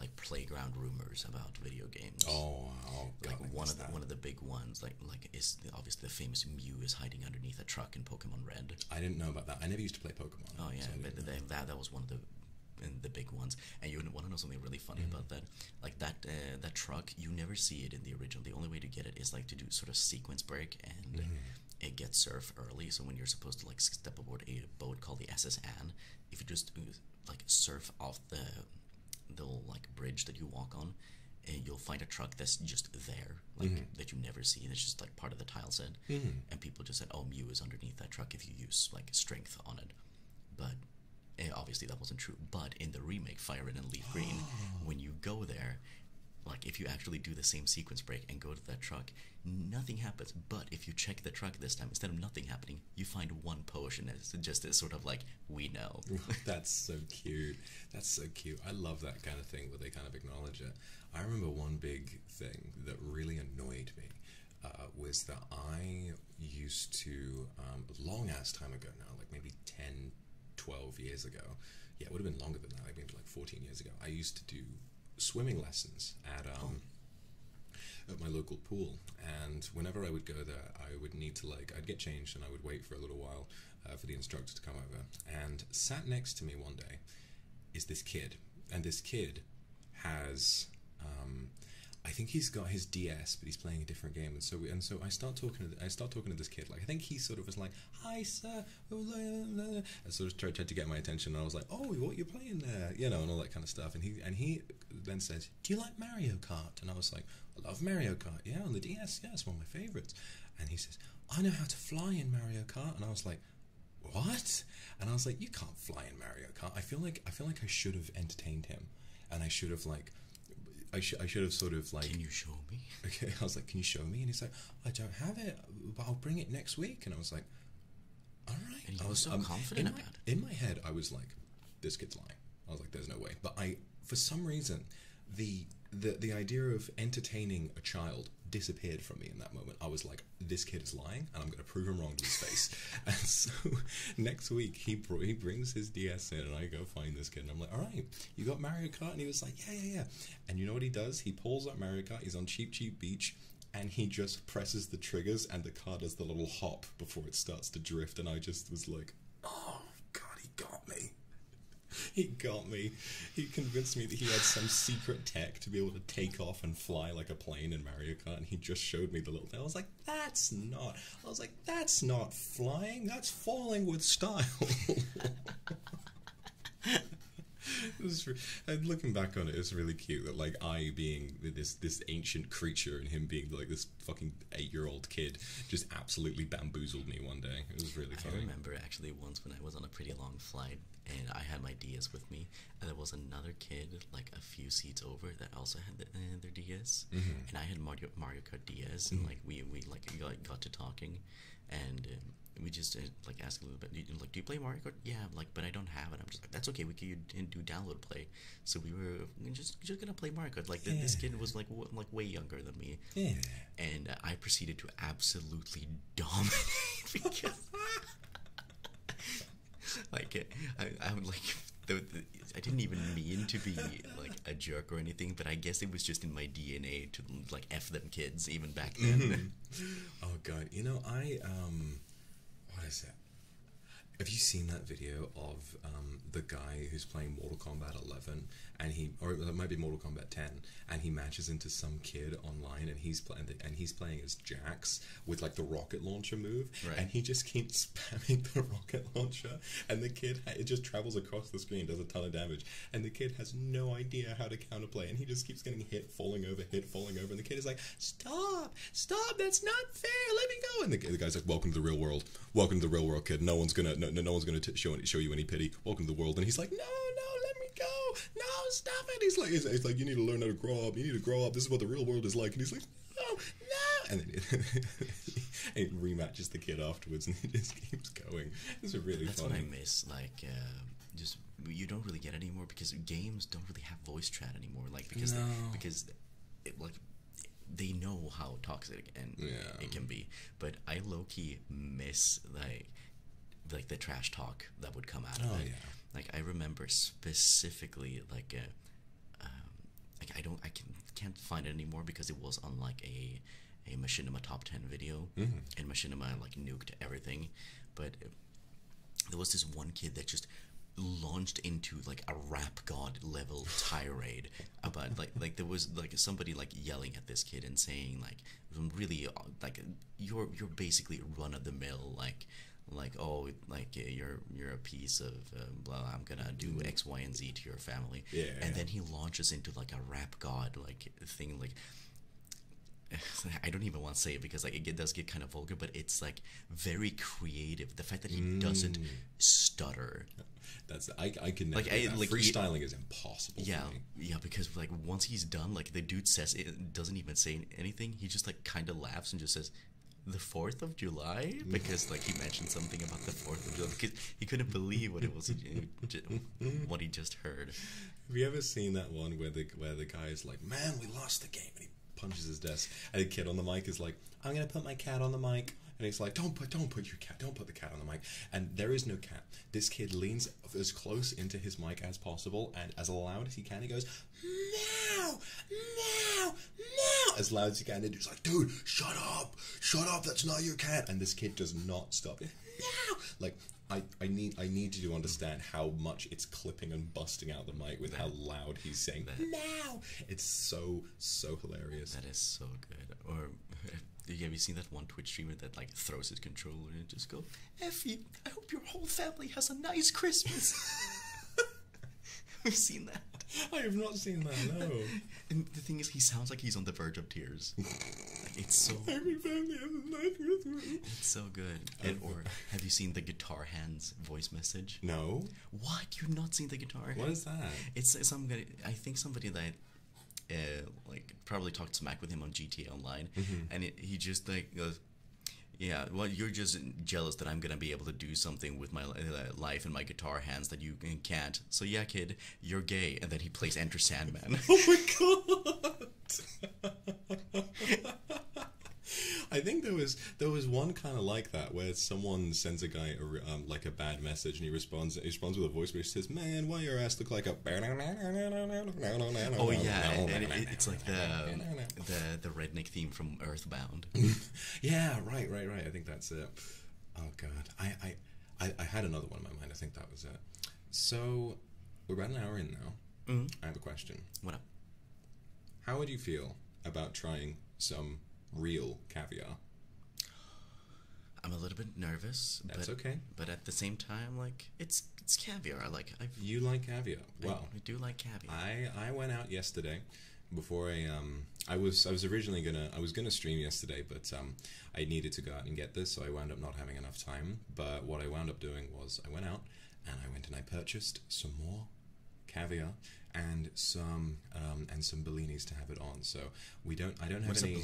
like playground rumors about video games. Oh, oh like one of the, one of the big ones. Like like is obviously the famous Mew is hiding underneath a truck in Pokemon Red. I didn't know about that. I never used to play Pokemon. Oh yeah, that that was one of the the big ones. And you want to know something really funny about mm-hmm. that? Like that uh, that truck, you never see it in the original. The only way to get it is like to do sort of sequence break and. Mm It gets surf early, so when you're supposed to like step aboard a boat called the SSN, if you just like surf off the the like bridge that you walk on, eh, you'll find a truck that's just there like mm-hmm. that you never see. it's just like part of the tile set, mm-hmm. and people just said, "Oh, Mew is underneath that truck if you use like strength on it," but obviously that wasn't true. But in the remake, Fire Red and Leaf Green, when you go there, like if you actually do the same sequence break and go to that truck, nothing happens. But if you check the truck this time, instead of nothing happening, you find one potion. It's just this sort of like we know. That's so cute. That's so cute. I love that kind of thing where they kind of acknowledge it. I remember one big thing that really annoyed me uh, was that I used to, um, long ass time ago now, like maybe 10, 12 years ago. Yeah, it would have been longer than that, like maybe like 14 years ago. I used to do swimming lessons at. Um, oh. at my local pool and whenever i would go there i would need to like i'd get changed and i would wait for a little while uh, for the instructor to come over. And sat next to me one day is this kid, and this kid has. Um, I think he's got his DS, but he's playing a different game, and so and so I start talking. To, I start talking to this kid. Like I think he sort of was like, "Hi, sir," and sort of tried, to get my attention. And I was like, "Oh, what you playing there?" You know, and all that kind of stuff. And he and he then says, "Do you like Mario Kart?" And I was like, "I love Mario Kart. Yeah, on the DS. Yeah, it's one of my favorites." And he says, I know how to fly in Mario Kart, and I was like, what? And I was like, you can't fly in Mario Kart. I feel like I feel like I should have entertained him, and I should have like. I, sh- I should have sort of like. Can you show me? Okay, I was like, can you show me? And he's like, I don't have it, but I'll bring it next week. And I was like, all right. I was so um, confident about In my head, I was like, this kid's lying. I was like, there's no way. But I, for some reason, the the the idea of entertaining a child disappeared from me in that moment. I was like, this kid is lying, and I'm going to prove him wrong to his face. and so next week he he brings his DS in, and I go find this kid, and I'm like, all right, you got Mario Kart, and he was like, yeah, yeah, yeah. And you know what he does? He pulls up Mario Kart. He's on Cheap Cheap Beach. And he just presses the triggers, and the car does the little hop before it starts to drift. And I just was like, "Oh God, he got me! he got me. He convinced me that he had some secret tech to be able to take off and fly like a plane in Mario Kart, and he just showed me the little thing. I was like, that's not. I was like, that's not flying. That's falling with style. was, and looking back on it, it's really cute that like I being this this ancient creature and him being like this fucking eight year old kid just absolutely bamboozled me one day. It was really funny. I remember actually once when I was on a pretty long flight and I had my DS with me, and there was another kid like a few seats over that also had the, uh, their DS, mm-hmm. and I had Mario Mario Kart DS, and mm-hmm. like we we like got, got to talking, and. Um, we just uh, like asked a little bit. Like, do you play Mario Kart? Yeah, like, but I don't have it. I'm just like, that's okay. We can do download play. So we were just just gonna play Mario Kart. Like this kid was like like way younger than me. And I proceeded to absolutely dumb. like I, I'm like I didn't even mean to be like a jerk or anything, but I guess it was just in my DNA to like f them kids even back then. Mm-hmm. Oh god, you know I um, what is it? Have you seen that video of um, the guy who's playing Mortal Kombat 11 and he, or it might be Mortal Kombat Ten, and he matches into some kid online, and he's playing, and he's playing as Jax with like the rocket launcher move, and he just keeps spamming the rocket launcher, and the kid it just travels across the screen, does a ton of damage, and the kid has no idea how to counterplay, and he just keeps getting hit, falling over, hit, falling over, and the kid is like, "Stop, stop, that's not fair, let me go," and the, guy's like, "Welcome to the real world, welcome to the real world, kid. No one's gonna, no, no one's gonna show show you any pity welcome to the world. And he's like, no, no, let me go. No, stop it. He's like, he's, like, you need to learn how to grow up. You need to grow up. This is what the real world is like. And he's like, no, no. And then it, rematches the kid afterwards, and it just keeps going. It's really That's funny. what I miss. Like, uh, just you don't really get it anymore because games don't really have voice chat anymore. Like because they, because like they know how toxic and it can be but I low miss like like the trash talk that would come out of oh, it. Like I remember specifically like a, um, I don't I can not find it anymore because it was on like a a machinima top 10 video mm -hmm. and machinima like nuked everything but there was this one kid that just launched into like a rap god level tirade about like like there was like somebody like yelling at this kid and saying like some really uh, like you're you're basically run of the mill like like oh like uh, you're you're a piece of uh, blah I'm gonna do mm-hmm. X Y and Z to your family yeah and then he launches into like a rap god like thing like I don't even want to say it because like it does get kind of vulgar, but it's like very creative. The fact that he doesn't mm. stutter. That's I I can like, I, like freestyling is impossible. Yeah, yeah, because like once he's done, like the dude says it doesn't even say anything. He just like kind of laughs and just says, "The Fourth of July," because like he mentioned something about the Fourth of July because he couldn't believe what it was, what he just heard. Have you ever seen that one where the where the guy is like, "Man, we lost the game," and he punches his desk, and the kid on the mic is like, "I'm gonna put my cat on the mic." and he's like, "Don't put, don't put your cat, don't put the cat on the mic." And there is no cat. This kid leans as close into his mic as possible and as loud as he can. He goes, "Meow, meow, meow," as loud as he can. And he's like, "Dude, shut up, shut up. That's not your cat." And this kid does not stop. Meow, like. I, I need I need you to understand how much it's clipping and busting out the mic with how loud he's saying that, meow. It's so so hilarious. That is so good. Or have you seen that one Twitch streamer that like throws his controller and just go, Effie, I hope your whole family has a nice Christmas. We've seen that. I have not seen that, no. and the thing is, he sounds like he's on the verge of tears. it's so. Every family has a nice Christmas. It's so good. And, or have you seen the Guitar Hands voice message? No. What? You've not seen the Guitar Hands? What is that? It's, it's some guy. I think somebody that uh, like probably talked smack with him on GTA Online, mm-hmm. and he just like "Yeah, well, you're just jealous that I'm gonna be able to do something with my uh, life and my guitar hands that you can't." So yeah, kid, you're gay, and then he plays Enter Sandman. oh my god. I think there was there was one kind of like that where someone sends a guy a, um, like a bad message and he responds he responds with a voice he says, "Man, why your ass look like a Oh yeah, it's like the the the redneck theme from Earthbound. yeah, right, right, right. I think that's it. Oh god, I I I, had another one in my mind. I think that was it. So we're about an hour in now. Mm-hmm. I have a question. What How would you feel about trying some real caviar? I'm a little bit nervous. That's but, okay. But at the same time, like it's it's caviar. Like I you like caviar. Well, I, do like caviar. I I went out yesterday before I um I was I was originally gonna I was gonna stream yesterday, but um I needed to go out and get this, so I wound up not having enough time. But what I wound up doing was I went out and I went and I purchased some more caviar and some um, and some bellinis to have it on. So we don't I don't have any.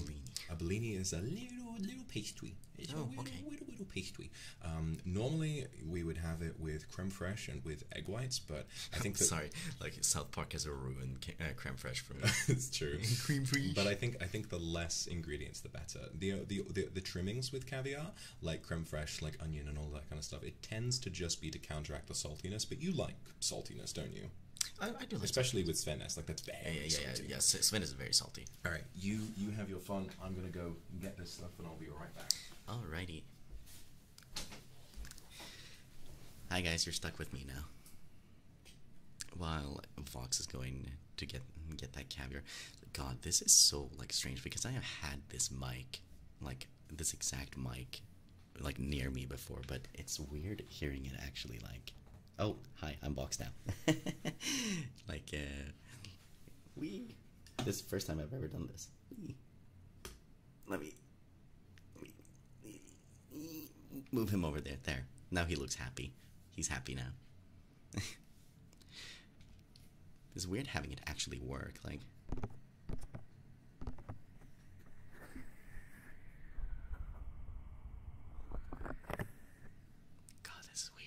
A Bellini is a little little pastry oh, okay. Um, normally, we would have it with creme fraiche and with egg whites, but I think sorry, like South Park has a ruined uh, creme fraiche for me. it's true, creme fraiche. But I think I think the less ingredients, the better. The, the the the trimmings with caviar, like creme fraiche, like onion and all that kind of stuff, it tends to just be to counteract the saltiness. But you like saltiness, don't you? I, do especially with Sven like that's very yeah yeah yeah, yeah. Sven is very salty. All right, you you have your fun. I'm gonna go get this stuff, and I'll be right back. Alrighty. Hi guys, you're stuck with me now. While Vox is going to get get that caviar, God, this is so like strange because I have had this mic, like this exact mic, like near me before, but it's weird hearing it actually like Oh, hi, I'm boxed now. like, uh, we. This is the first time I've ever done this. Wee. Let me. Move him over there. There. Now he looks happy. He's happy now. it's weird having it actually work. Like. God, this is weird.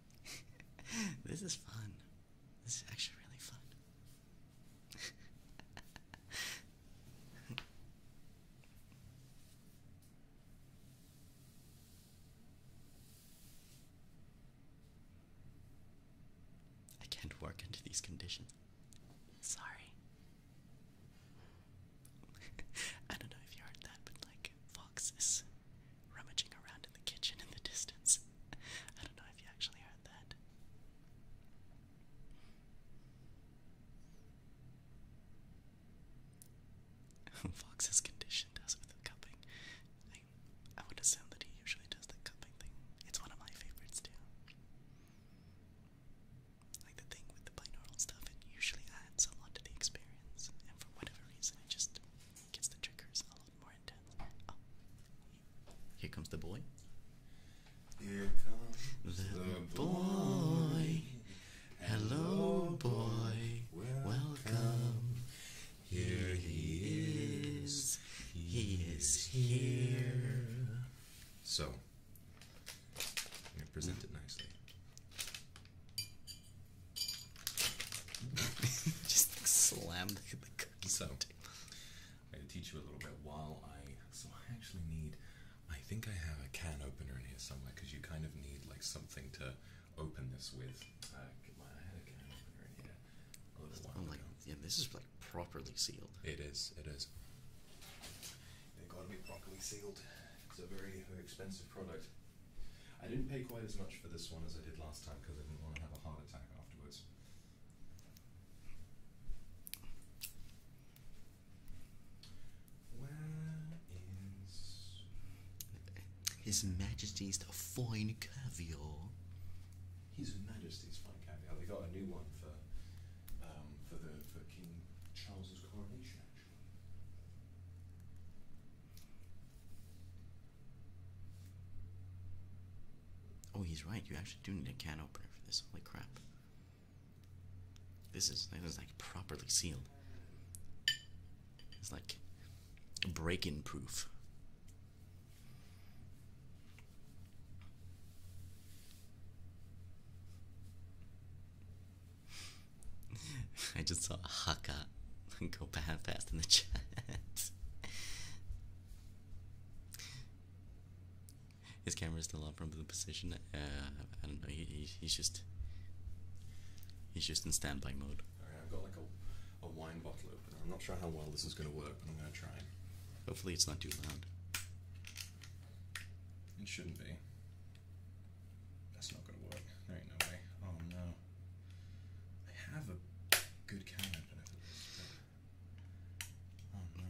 this is fun. This is actually really fun. I can't work under these conditions. Sorry. I don't know if you heard that, but like foxes rummaging around in the kitchen in the distance. I don't know if you actually heard that. Fox has conditioned us with the cupping. I, I would assume that he usually does the cupping thing. It's one of my favorites too. Like the thing with the binaural stuff, it usually adds a lot to the experience. Oh. Here comes the boy. Here comes the, boy. Hello, boy. Welcome. Welcome. Here he is. He is here. So, I'm going to present it nicely. Just slam the, the cookies. I'm going to teach you a little bit while I. So, I actually need. I think I have a can opener in here somewhere because you kind of need like something to open this with. Uh, I had a can opener in here a little while I'm like, Yeah, this is like properly sealed. It is. It is. They've got to be properly sealed. It's a very, very expensive product. I didn't pay quite as much for this one as I did last time because I didn't want to have a heart attack afterwards. Where is His Majesty's Fine Caviar? His Majesty's Fine Caviar. They got a new one for um, for the for King Charles's coronation. Oh, he's right. You actually do need a can opener for this. Holy crap! This is this is like properly sealed. It's like break-in proof. I just saw Haka go past in the chat. His camera is still up from the position. Uh, I don't know. he's just he's just in standby mode. Alright, I've got like a a wine bottle opener. I'm not sure how well this is gonna work, but I'm gonna try. Hopefully, it's not too loud. It shouldn't be. That's not gonna work. no way. Oh no. I have a good can Oh no.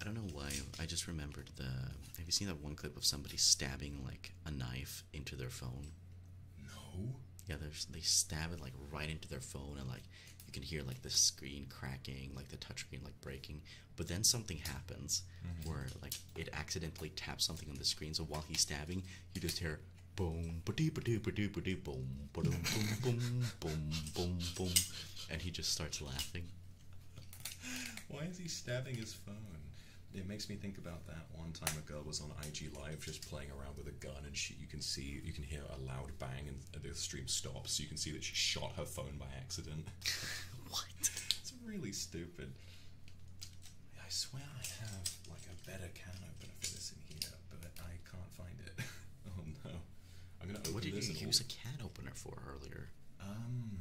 I don't know why. I just remembered the. Have you seen that one clip of somebody stabbing like a knife into their phone? No. Yeah, they stab it like right into their phone and like you can hear like the screen cracking, like the touchscreen like breaking. But then something happens mm-hmm. where like it accidentally taps something on the screen. So while he's stabbing, you just hear boom, ba-doo, ba-doo, boom, ba boom, boom, boom, boom, boom, and he just starts laughing. Why is he stabbing his phone? It makes me think about that one time a girl was on IG Live just playing around with a gun, and she, you can see, you can hear a loud bang, and the stream stops. So you can see that she shot her phone by accident. what? It's really stupid. I swear I have like a better can opener for this in here, but I can't find it. oh no. I'm gonna open What did you use a can opener for earlier? Um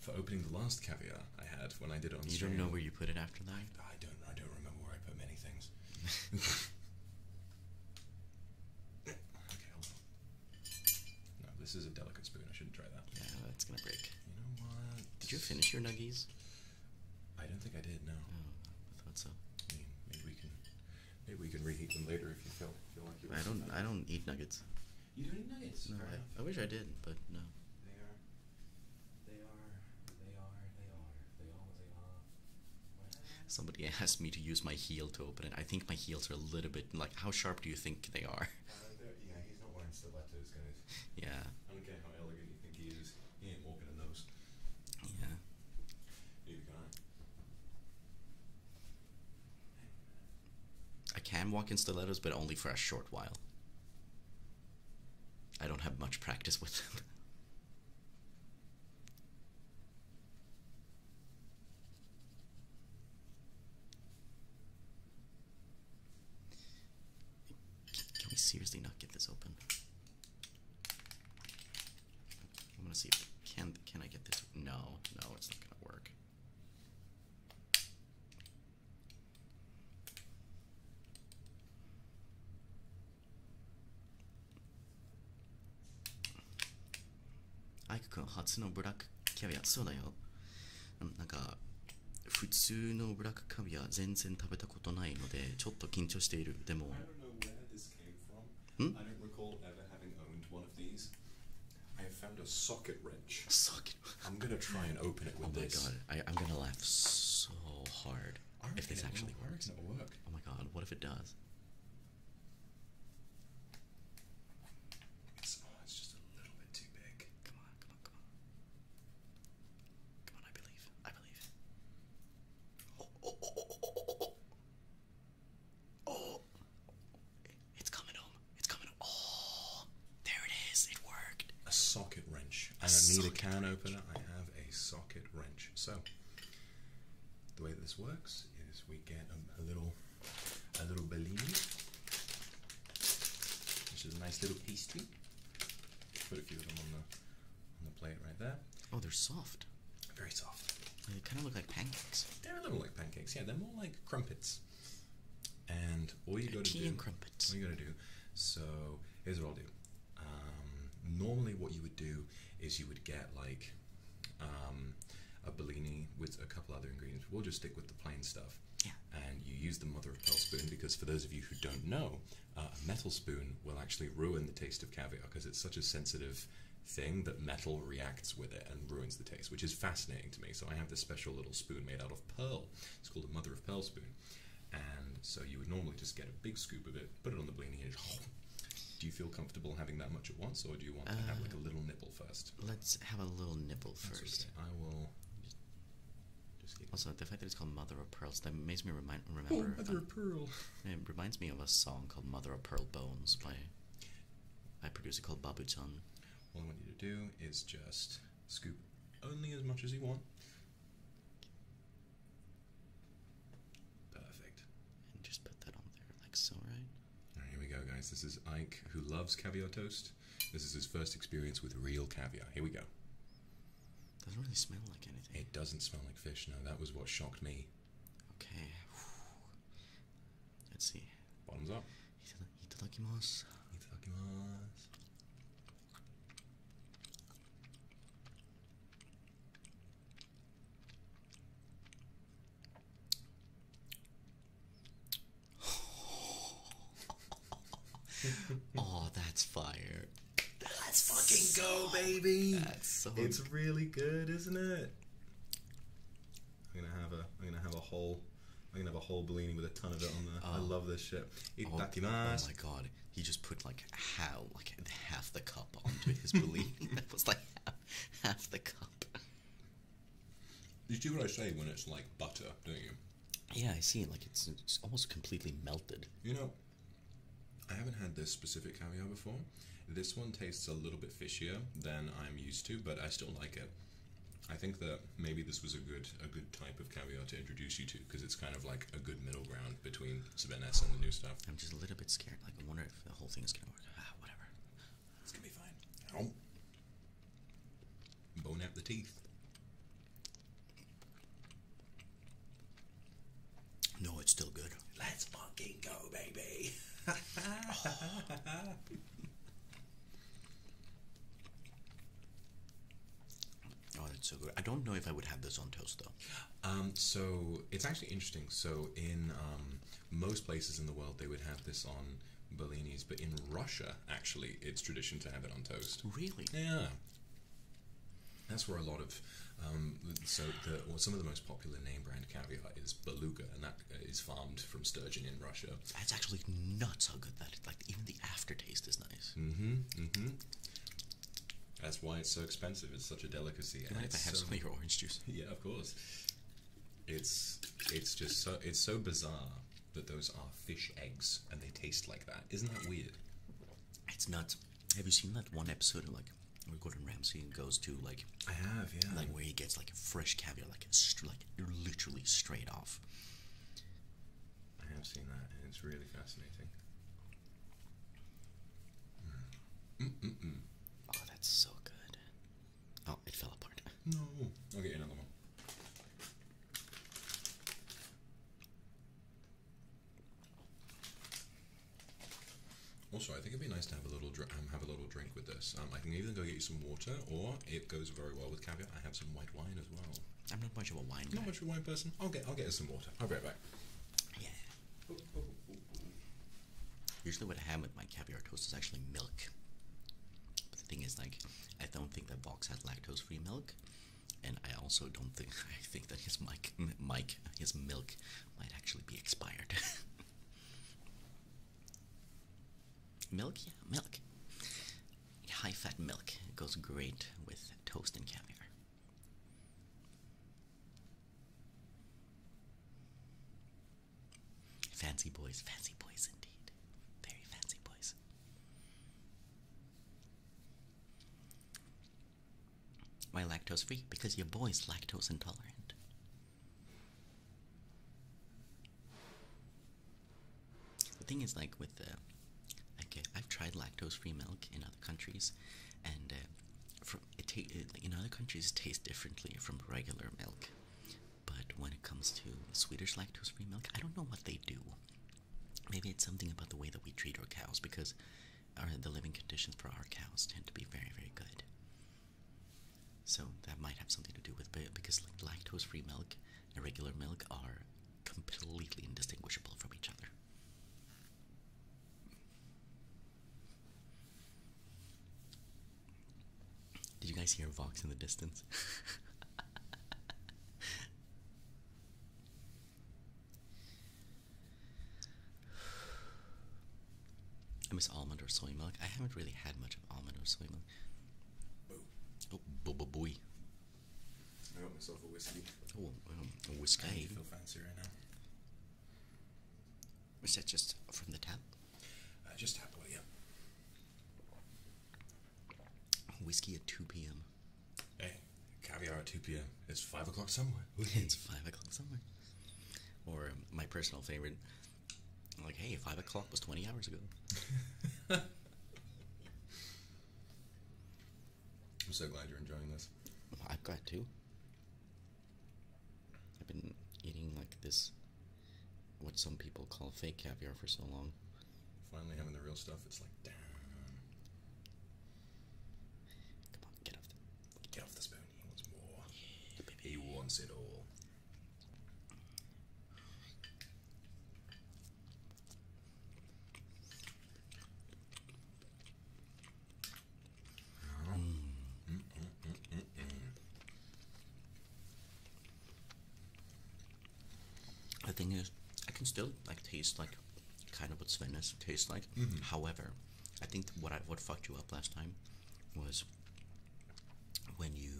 for opening the last caviar I had when I did it on You don't know where you put it after that? I don't I don't remember where I put many things. okay, hold on. No, this is a delicate spoon, I shouldn't try that. Yeah, that's gonna break. You know what? Did you finish your nuggies? I don't think I did. No. Oh, I thought so. maybe we can, maybe we can reheat them later if you feel feel like you. I don't. I don't eat nuggets. You don't eat nuggets. I, wish I did, but no. They are. They are. They are. They are. They are. They are. Somebody asked me to use my heel to open it. I think my heels are a little bit like. How sharp do you think they are? yeah, he's not wearing stilettos, guys. Yeah. I don't care how elegant you think he is. He ain't walking in those. Yeah. Neither can I. I can walk in stilettos, but only for a short while. I don't have much practice with them. Can we seriously not get this open? I'm gonna see if can can I get this? No, no, it's not gonna work. Aiko-kun, Hatsuno Burak Caveat Soda yo. なんか普通のブラックカビは全然食べたことないのでちょっと緊張しているでもん I found a socket wrench. A socket. I'm gonna try and open it with oh this. Oh my god! I, I'm gonna laugh so hard if this actually will, works. It'll work. Oh my god! What if it does? It's, oh, it's just a little bit too big. Come on! Come on! Come on! Come on, I believe. I believe. Oh, oh, oh, oh, oh, oh, oh. it's coming home. It's coming Oh, there it is. It worked. A socket wrench. I don't need a can opener. I have a socket wrench. So, the way that this works is we get a, little, a little Bellini, which is a nice little pastry. Put a few of them on the on the plate right there. Oh, they're soft. Very soft. They kind of look like pancakes. They're a little like pancakes. Yeah, they're more like crumpets. And all you got to do. crumpets. All you got to do. So here's what I'll do. Um, normally, what you would do is you would get like um, a Bellini with a couple other ingredients. We'll just stick with the plain stuff. Yeah. And you use the mother of pearl spoon because, for those of you who don't know, uh, a metal spoon will actually ruin the taste of caviar because it's such a sensitive thing that metal reacts with it and ruins the taste, which is fascinating to me. So I have this special little spoon made out of pearl. It's called a mother of pearl spoon. And so you would normally just get a big scoop of it, put it on the blini, and do you feel comfortable having that much at once, or do you want to have like a little nipple first? Let's have a little nipple first. I will also, the fact that it's called Mother of Pearls that makes me remind remember. Oh, Mother of Pearl. It reminds me of a song called Mother of Pearl Bones by a producer called Babu Babuton. All I want you to do is just scoop only as much as you want. Perfect. And just put that on there like so, right? All right, here we go, guys. This is Ike who loves caviar toast. This is his first experience with real caviar. Here we go. Doesn't really smell like anything. It doesn't smell like fish. No, that was what shocked me. Okay. Let's see. Bottoms up. Itadakimasu. oh, that's fire. Let's fucking so, go, baby. That's so It's really good, isn't it? I'm gonna have a I'm gonna have a whole I'm gonna have a whole blini with a ton of it on there. I oh. love this shit. Oh, oh my god. He just put like how like half the cup onto his blini. that was like half, the cup. You do what I say when it's like butter, don't you? Yeah, I see. Like it's, almost completely melted. You know, I haven't had this specific caviar before. This one tastes a little bit fishier than I'm used to, but I still like it. I think that maybe this was a good a good type of caviar to introduce you to because it's kind of like a good middle ground between Sveness and the new stuff. I'm just a little bit scared. Like I wonder if the whole thing is gonna work. Ah, whatever. It's gonna be fine. Ow bone out the teeth. No, it's still good. Let's fucking go, baby. oh, that's so good. I don't know if I would have this on toast though. Um, so it's actually interesting. So in um, most places in the world, they would have this on bellinis, but in Russia, actually, it's tradition to have it on toast. Really? Yeah. That's where a lot of um, so the, some of the most popular name brand caviar is Beluga, and that uh, is farmed from sturgeon in Russia. That's actually nuts how good that is. Like even the aftertaste is nice. Mm-hmm. Mm-hmm. That's why it's so expensive. It's such a delicacy. You I have some of your orange juice? Yeah, of course. It's it's just so it's so bizarre that those are fish eggs and they taste like that. Isn't that weird? It's nuts. Have you seen that one episode of like where Gordon Ramsay goes to like I have, yeah. Like where he gets like fresh caviar, like it's like you're literally straight off. I have seen that, and it's really fascinating. Hmm. Mm, mm, mm. Oh, that's so good. Oh, it fell apart. No, I'll get another one. Also, I think it'd be nice to have a little um, have a little drink with this. Um, I can even go get you some water, or it goes very well with caviar. I have some white wine as well. I'm not much of a wine. Not much of a wine person. I'll get I'll get us some water. I'll be right back. Yeah. Usually, what I have with my caviar toast is actually milk. But the thing is, like, I don't think that box had lactose-free milk, and I also don't think I think that his mic, mic his milk might actually be expired. milk, yeah, milk. High fat milk it goes great with toast and caviar. Fancy boys, fancy boys indeed. Very fancy boys. Why lactose free? Because your boy's lactose intolerant. The thing is, like with the, uh, uh, I've tried lactose-free milk in other countries, and uh, from it in other countries it tastes differently from regular milk. But when it comes to Swedish lactose-free milk, I don't know what they do. Maybe it's something about the way that we treat our cows because the living conditions for our cows tend to be very, very good. So that might have something to do with it because like lactose-free milk and regular milk are completely indistinguishable from each other. Did you guys hear a Vox in the distance? I miss almond or soy milk. I haven't really had much of almond or soy milk. Boo. Oh, boo boo booey. I got myself a whiskey. Oh, um, a whiskey. I feel fancy right now. Is that just from the tap? Uh, just tap water, yeah. Whiskey at 2 p.m. Hey, caviar at 2 p.m. It's 5 o'clock somewhere. it's 5 o'clock somewhere. Or um, my personal favorite, like, hey, 5 o'clock was 20 hours ago. I'm so glad you're enjoying this. I've got to. I've been eating like this, what some people call fake caviar for so long finally having the real stuff, it's like, damn. Come on, get off the, get off the spoon. He wants more. He wants it all. Mm. Mm, mm, the thing is, I can still like taste like kind of what Svennis tastes like. Mm-hmm. However, I think what I what fucked you up last time was when you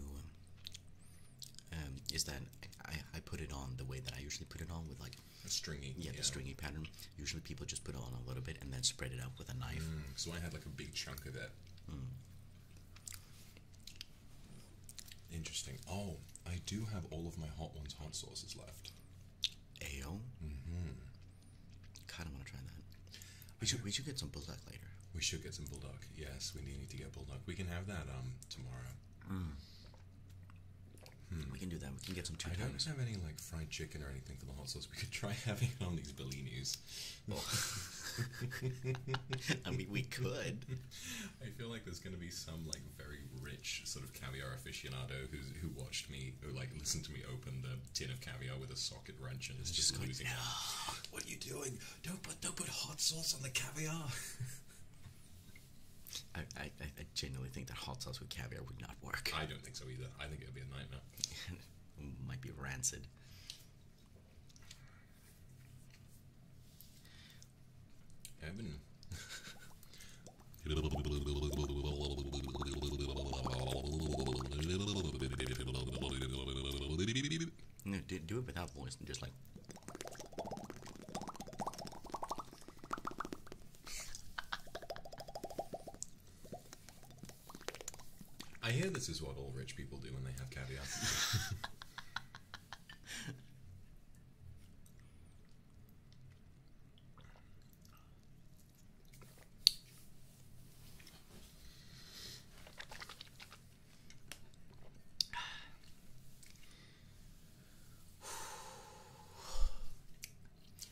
um, is that I, I put it on the way that I usually put it on with like a stringy yeah, stringy pattern. Usually people just put it on a little bit and then spread it out with a knife. Mm, so I had like a big chunk of it. Mm. Interesting. Oh, I do have all of my hot ones hot sauces left. Ale. Mm-hmm. Kind of want to try that. We should we should get some bulldog later. We should get some bulldog. Yes, we need to get bulldog. We can have that um tomorrow. Mm. Hmm. We can do that. We can get some I don't have any like fried chicken or anything for the hot sauce. We could try having on these bellinis. Oh. I mean, we could. I feel like there's going to be some like very rich sort of caviar aficionado who's who watched me who like listened to me open the tin of caviar with a socket wrench and is just, just ah, what are you doing? Don't put don't put hot sauce on the caviar. I, I genuinely think that hot sauce with caviar would not work. I don't think so either. I think it would be a nightmare. it might be rancid do it without voice and just like. I hear this is what all rich people do when they have caviar.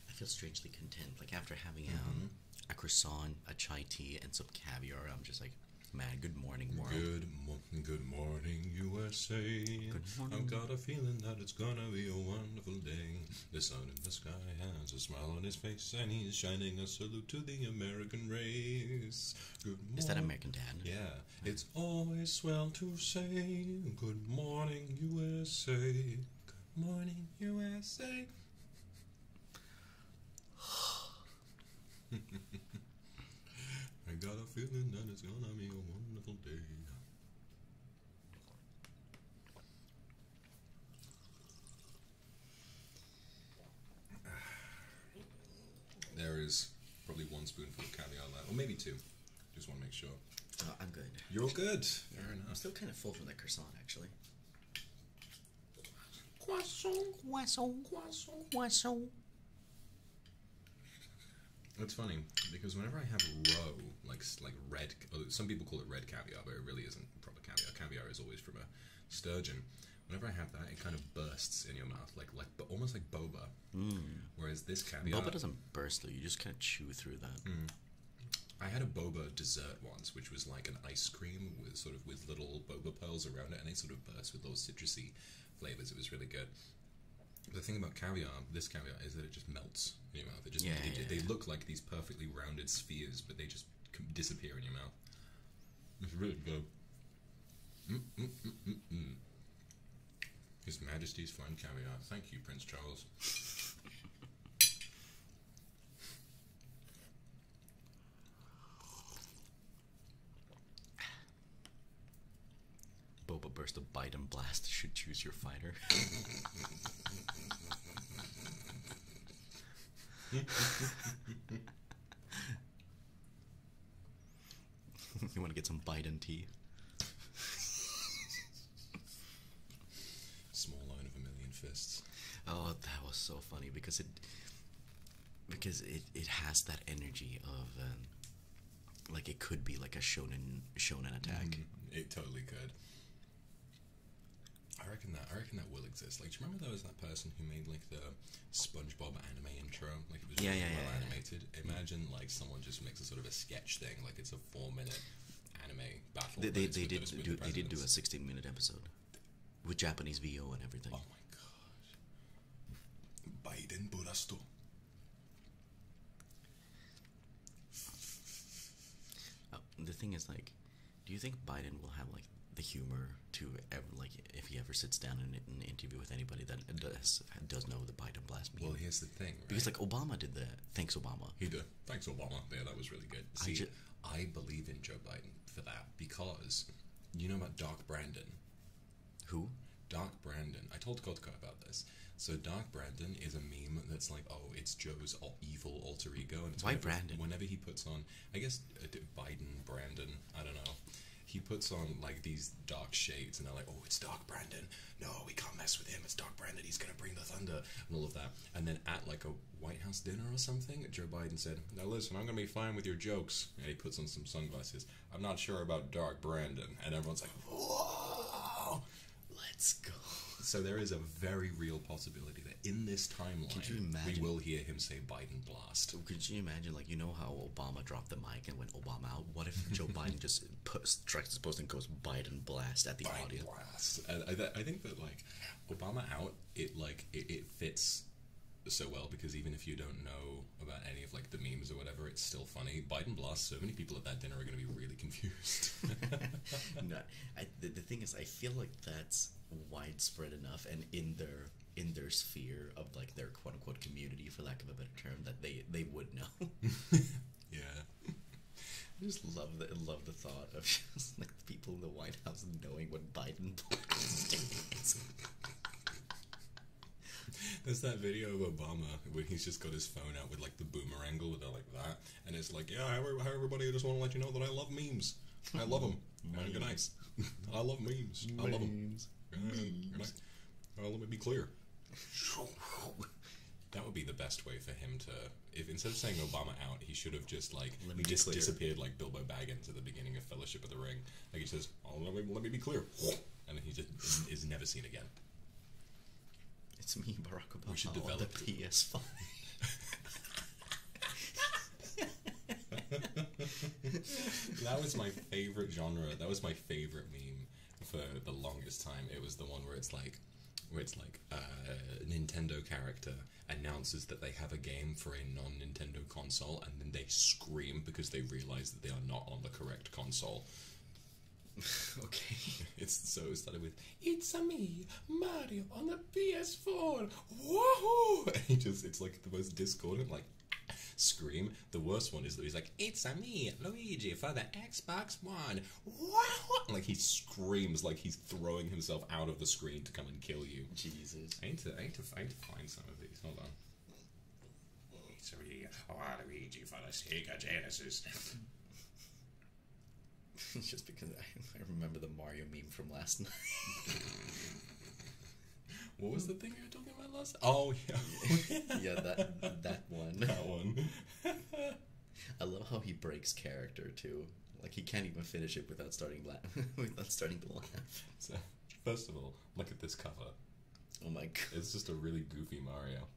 I feel strangely content. Like after having mm a croissant, a chai tea, and some caviar, I'm just like, man, good morning, world. Good morning. Good morning, USA. Good morning. I've got a feeling that it's gonna be a wonderful day. The sun in the sky has a smile on his face, and he's shining a salute to the American race. Good morning. Is that American Dad? Yeah. It's always well to say, Good morning, USA. Good morning, USA. I got a feeling that it's gonna be a wonderful day. There is probably one spoonful of caviar left, or maybe two. Just want to make sure. Oh, I'm good. You're good. I'm still kind of full from that croissant, actually. Croissant, croissant, croissant, croissant. It's funny because whenever I have roe, like like red, oh, some people call it red caviar, but it really isn't proper caviar. Caviar is always from a sturgeon. Whenever I have that, it kind of bursts in your mouth, like like but almost like boba. Hmm. Whereas this caviar, doesn't burst though. You just kind of chew through that. Hmm. I had a boba dessert once, which was like an ice cream with sort of with little boba pearls around it, and they sort of burst with those citrusy flavors. It was really good the thing about caviar, this caviar, is that it just melts in your mouth. yeah, yeah, they look like these perfectly rounded spheres, but they just disappear in your mouth. It's really good. Mm, mm, mm, His Majesty's fine caviar. Thank you, Prince Charles. Boba burst of Biden blast should choose your fighter. you want to get some Biden tea? Small line of a million fists. Oh, that was so funny because it because it, it has that energy of um, like it could be like a shonen shonen attack. Mm-hmm. It totally could. I reckon that I reckon that will exist. Like, remember there was that person who made like the SpongeBob anime intro? Like it was yeah, really yeah, well animated. Imagine like someone just makes a sort of a sketch thing. Like it's a four minute anime battle. They they, did do, they did do a sixteen minute episode with Japanese VO and everything. Oh my god! Biden Burasto. Oh, the thing is, like, do you think Biden will have like the humor to ever, like, if he ever sits down in an interview with anybody that does does know the Biden blast Well, here's the thing, because like Obama did that. Thanks, Obama. He did. Thanks, Obama. Yeah, that was really good. I, ju I believe in Joe Biden for that because you know about Doc Brandon. Who? Doc Brandon. I told Kotka about this. So Doc Brandon is a meme that's like, oh, it's Joe's evil alter ego, and it's why Brandon? Whenever he puts on, I guess uh, Biden, Brandon, I don't know. He puts on like these dark shades, and they're like, oh, it's Doc Brandon. No, we can't mess with him. It's Doc Brandon. He's gonna bring the thunder and all of that. And then at like a White House dinner or something, Joe Biden said, now listen, I'm gonna be fine with your jokes, and he puts on some sunglasses. I'm not sure about Dark Brandon. And everyone's like, whoa, let's go. So there is a very real possibility that in this timeline, we will hear him say Biden blast. Could you imagine, like, you know how Obama dropped the mic and went Obama out? What if Joe Biden just posts, tracks his post and goes Biden blast at the audience? blast. I, think that, like, Obama out, it, like, it fits so well because even if you don't know about any of, like, the memes or whatever, it's still funny. Biden blasts so many people at that dinner are going to be really confused. no, the, thing is, I feel like that's widespread enough and in their in their sphere of like their quote unquote community, for lack of a better term, that they they would know. yeah. I just love the love the thought of just like people in the White House knowing what Biden is There's that video of Obama where he's just got his phone out with like the boomerang or like that, and it's like, yeah, hi, everybody, I just want to let you know that I love memes. I love them. memes. Good night. I love memes. memes. I love them. Good let me be clear. That would be the best way for him to. If instead of saying Obama out, he should have just like let me disappeared like Bilbo Baggins at the beginning of Fellowship of the Ring. Like he says, oh, let, me, let me be clear, and then he just is never seen again. It's me, Barack Obama. We should the PS5. that was my favorite genre. That was my favorite meme for the longest time. It was the one where it's like, where it's like a uh, Nintendo character announces that they have a game for a non-Nintendo console, and then they scream because they realize that they are not on the correct console. okay. It's so it started with "It's a me, Mario on the PS4." Woohoo! And he just it's like the most discordant like scream. The worst one is that he's like "It's a me, Luigi for the Xbox One." Wow! Like he screams like he's throwing himself out of the screen to come and kill you. Jesus. I need I need to find some of these. Hold on. It's a a Three, Waluigi for the got Genesis. Just because I, remember the Mario meme from last night. what was the thing you were talking about last? Oh yeah, yeah that that one. That one. I love how he breaks character too. Like he can't even finish it without starting la- without starting to laugh. So, first of all, look at this cover. Oh my god! It's just a really goofy Mario.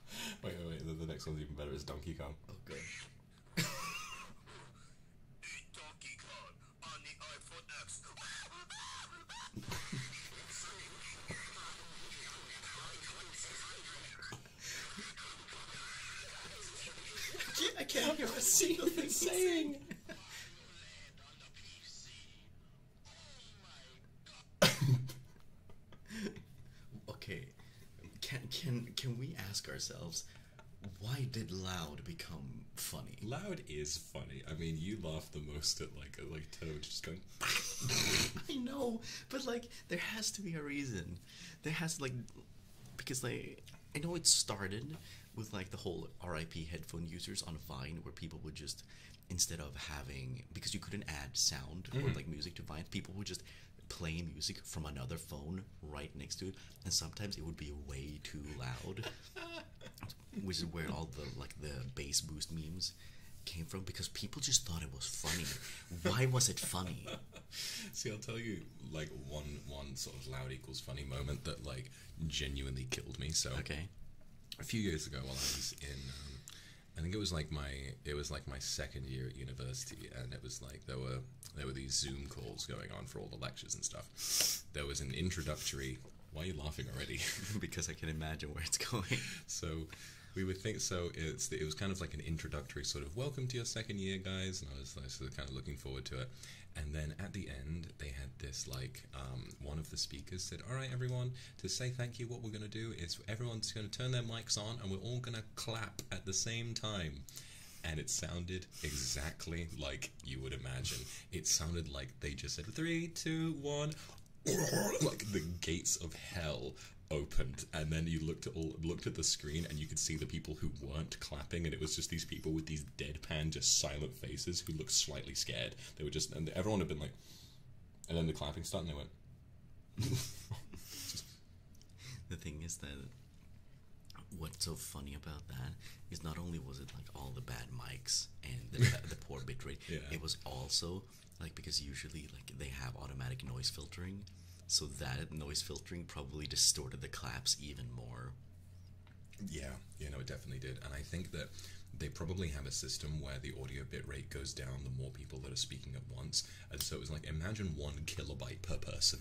wait, wait, The, next one's even better. It's Donkey Kong. Oh, I can't, I can't hear a single thing saying. okay, can can can we ask ourselves why did loud become funny? Loud is funny. I mean, you laugh the most at like a, like Toad just going. I know, but like there has to be a reason. There has like because like I know it started with like the whole RIP headphone users on Vine where people would just instead of having because you couldn't add sound or mm-hmm. like music to Vine, people would just play music from another phone right next to it, and sometimes it would be way too loud, which is where all the like the bass boost memes came from because people just thought it was funny. Why was it funny? See, I'll tell you like one one sort of loud equals funny moment that like genuinely killed me. So okay, a few years ago while I was in um, I think it was like my it was like my second year at university, and it was like there were there were these Zoom calls going on for all the lectures and stuff. There was an introductory. Why are you laughing already? because I can imagine where it's going. So we would think so. It's it was kind of like an introductory sort of welcome to your second year, guys, and I was, I kind of looking forward to it. And then at the end, they had this like um, one of the speakers said, "All right, everyone, to say thank you, what we're going to do is everyone's going to turn their mics on, and we're all going to clap at the same time. And it sounded exactly like you would imagine. It sounded like they just said three, two, one, like the gates of hell opened and then you looked at all looked at the screen and you could see the people who weren't clapping and it was just these people with these deadpan just silent faces who looked slightly scared they were just and everyone had been like and then the clapping started and they went the thing is that what's so funny about that is not only was it like all the bad mics and the, poor bit rate, it was also like because usually like they have automatic noise filtering, so that noise filtering probably distorted the claps even more. Yeah, you know it definitely did, and I think that they probably have a system where the audio bit rate goes down the more people that are speaking at once, and so it was like, imagine one kilobyte per person.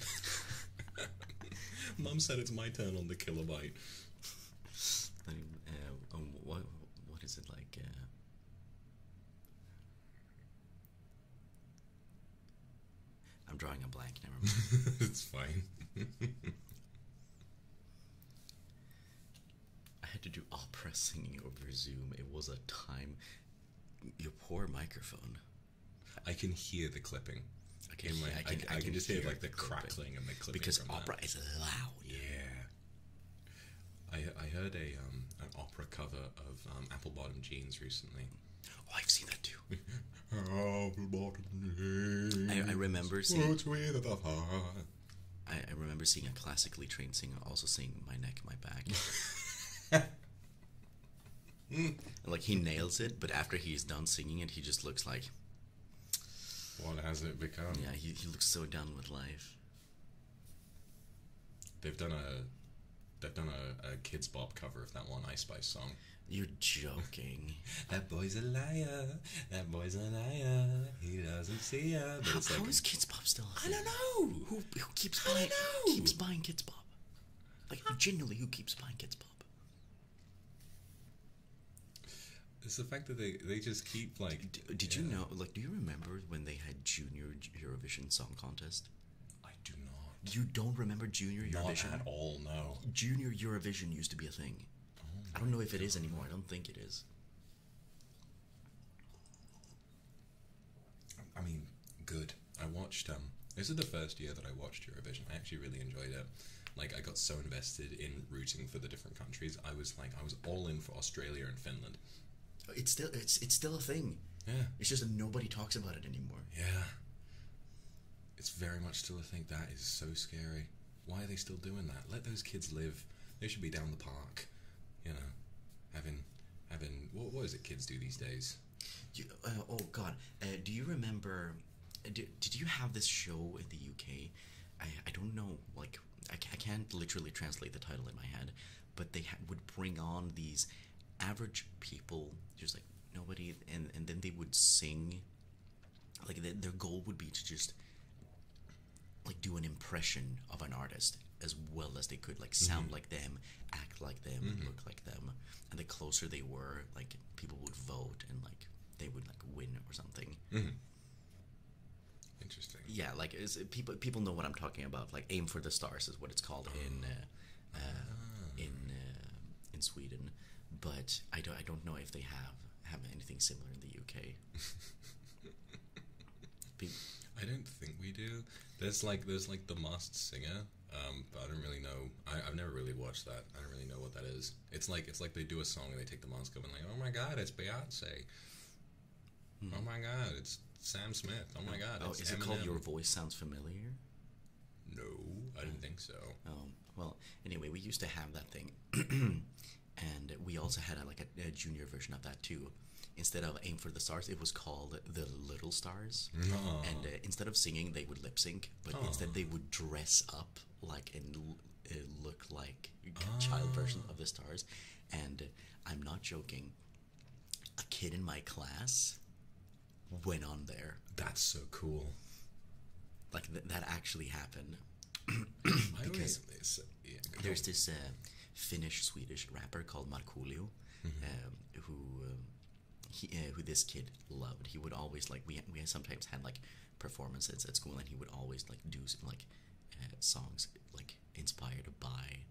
Mum said it's my turn on the kilobyte. Uh, um, what, what is it like? Uh, I'm drawing a blank, never mind. it's fine. I had to do opera singing over Zoom. It was a time your poor microphone. I can hear the clipping. I can, just hear, like the crackling and the clipping. Because opera is loud. Yeah. I I heard a um an opera cover of um, Apple Bottom Jeans recently. Oh, I've seen that too. Apple Bottom Jeans. I, remember seeing. I, remember seeing a classically trained singer also singing "My Neck, My Back." Hmm. like he nails it, but after he's done singing it, he just looks like. What has it become? Yeah, he, looks so done with life. They've done a, they've done a, kids Bob cover of that one Ice Spice song. You're joking. that boy's a liar. That boy's a liar. He doesn't see ya. But how, like, how is Kids Bob still? I don't know who keeps buying who keeps buying Kids pop. Like genuinely, who keeps buying Kids pop? It's the fact that they they just keep like. did you know? Like, do you remember when they had Junior Eurovision Song Contest? I do not. You don't remember Junior Eurovision at all? No. Junior Eurovision used to be a thing. Oh I don't know if it is anymore. I don't think it is. I mean, good. I watched. Um, this is the first year that I watched Eurovision. I actually really enjoyed it. Like, I got so invested in rooting for the different countries. I was like, I was all in for Australia and Finland. It's still, it's, it's still a thing. Yeah. It's just nobody talks about it anymore. Yeah. It's very much still a thing. That is so scary. Why are they still doing that? Let those kids live. They should be down the park, you know, having having what, what is it kids do these days? Uh, oh God, uh, do you remember? Uh, did, did you have this show in the UK? I, I don't know, like I, I can't literally translate the title in my head, but they would bring on these average people, just like nobody, and and then they would sing. Like their goal would be to just like do an impression of an artist as well as they could, like sound mm-hmm. like them, act like them, mm-hmm. look like them. And the closer they were, like people would vote and like they would like win or something. Mm-hmm. Interesting. Yeah, like people people know what I'm talking about. Like Aim for the Stars is what it's called oh. in uh, uh, ah. in uh, in Sweden, but I don't I don't know if they have have anything similar in the UK. I don't think we do. There's like there's like the Masked Singer, um, but I don't really know. I, have never really watched that. I don't really know what that is. It's like it's like they do a song and they take the mask off and like, oh my god, it's Beyonce. Hmm. Oh my god, it's Sam Smith. Oh my god, oh, is it called Your Voice Sounds Familiar? No, I didn't think so. Oh well, anyway, we used to have that thing, and we also had like a junior version of that too instead of aim for the stars it was called the little stars mm-hmm. and uh, instead of singing they would lip sync but oh. instead they would dress up like and uh, look like oh. child ah. version of the stars and uh, i'm not joking a kid in my class went on there that's so cool like that actually happened because always, yeah, there's this uh, Finnish Swedish rapper called Markoolio, mm-hmm. um, who um, uh, who this kid loved. He would always like we we sometimes had like performances at school, and he would always like do like uh, songs like inspired by.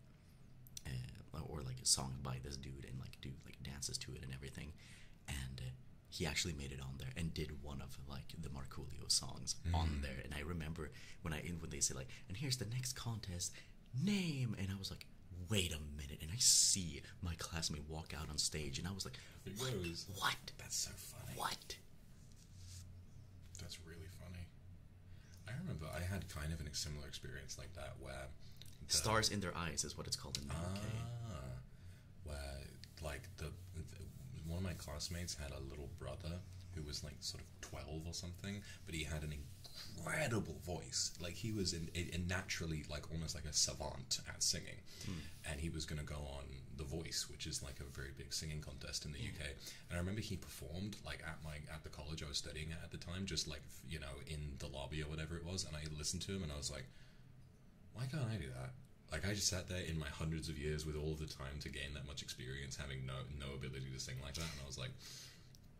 Uh, or like a song by this dude and like do like dances to it and everything and he actually made it on there and did one of like the Marculio songs on mm. there. And I remember when I when they say like, and here's the next contest name and I was like wait a minute and I see my classmate walk out on stage and I was like what? what that's so funny what that's really funny I remember I had kind of a similar experience like that where stars in their eyes is what it's called in the UK ah, where like the one of my classmates had a little brother who was like sort of 12 or something, but he had an incredible voice. Like he was in, naturally like almost like a savant at singing, hmm. and he was going to go on The Voice, which is like a very big singing contest in the hmm. UK. And I remember he performed like at my at the college I was studying at at the time, just like you know in the lobby or whatever it was. And I listened to him and I was like, why can't I do that? Like I just sat there in my hundreds of years with all the time to gain that much experience, having no no ability to sing like that, and I was like,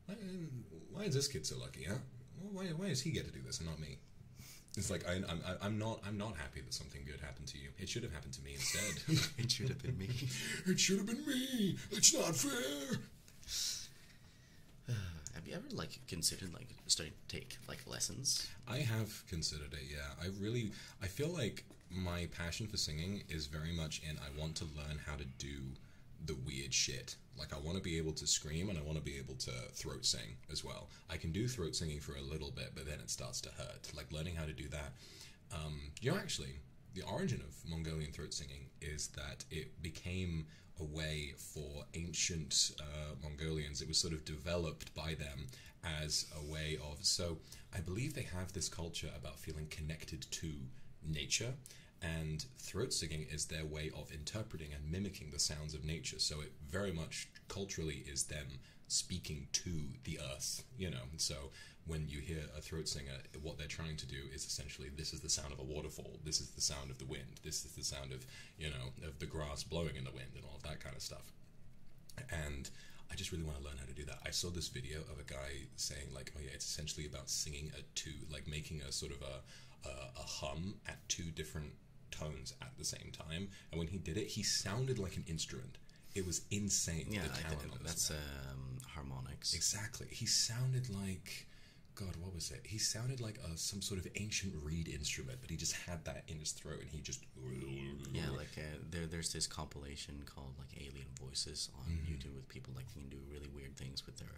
um, why, is this kid so lucky, huh? Why, why does he get to do this and not me? It's like I, am I'm not I'm not happy that something good happened to you. It should have happened to me instead. it should have been me. It should have been me. It's not fair. have you ever like considered like starting to take like lessons? I have considered it. Yeah, I really I feel like my passion for singing is very much in I want to learn how to do the weird shit like I want to be able to scream and I want to be able to throat sing as well. I can do throat singing for a little bit, but then it starts to hurt. Like learning how to do that. Um, you know, actually, the origin of Mongolian throat singing is that it became a way for ancient uh, Mongolians. It was sort of developed by them as a way of. So I believe they have this culture about feeling connected to nature and throat singing is their way of interpreting and mimicking the sounds of nature. So it very much culturally is them speaking to the earth, you know. So when you hear a throat singer, what they're trying to do is essentially this is the sound of a waterfall, this is the sound of the wind, this is the sound of, you know, of the grass blowing in the wind and all of that kind of stuff. And I just really want to learn how to do that. I saw this video of a guy saying like, oh yeah, it's essentially about singing a. To like making a sort of a, a, hum at two different tones at the same time. And when he did it, he sounded like an instrument. It was insane. Yeah, that's um, harmonics. Exactly. He sounded like, God, what was it? He sounded like a, some sort of ancient reed instrument, but he just had that in his throat, and he just. Yeah, like uh, there's this compilation called like Alien Voices on mm-hmm. YouTube with people like can do really weird things with their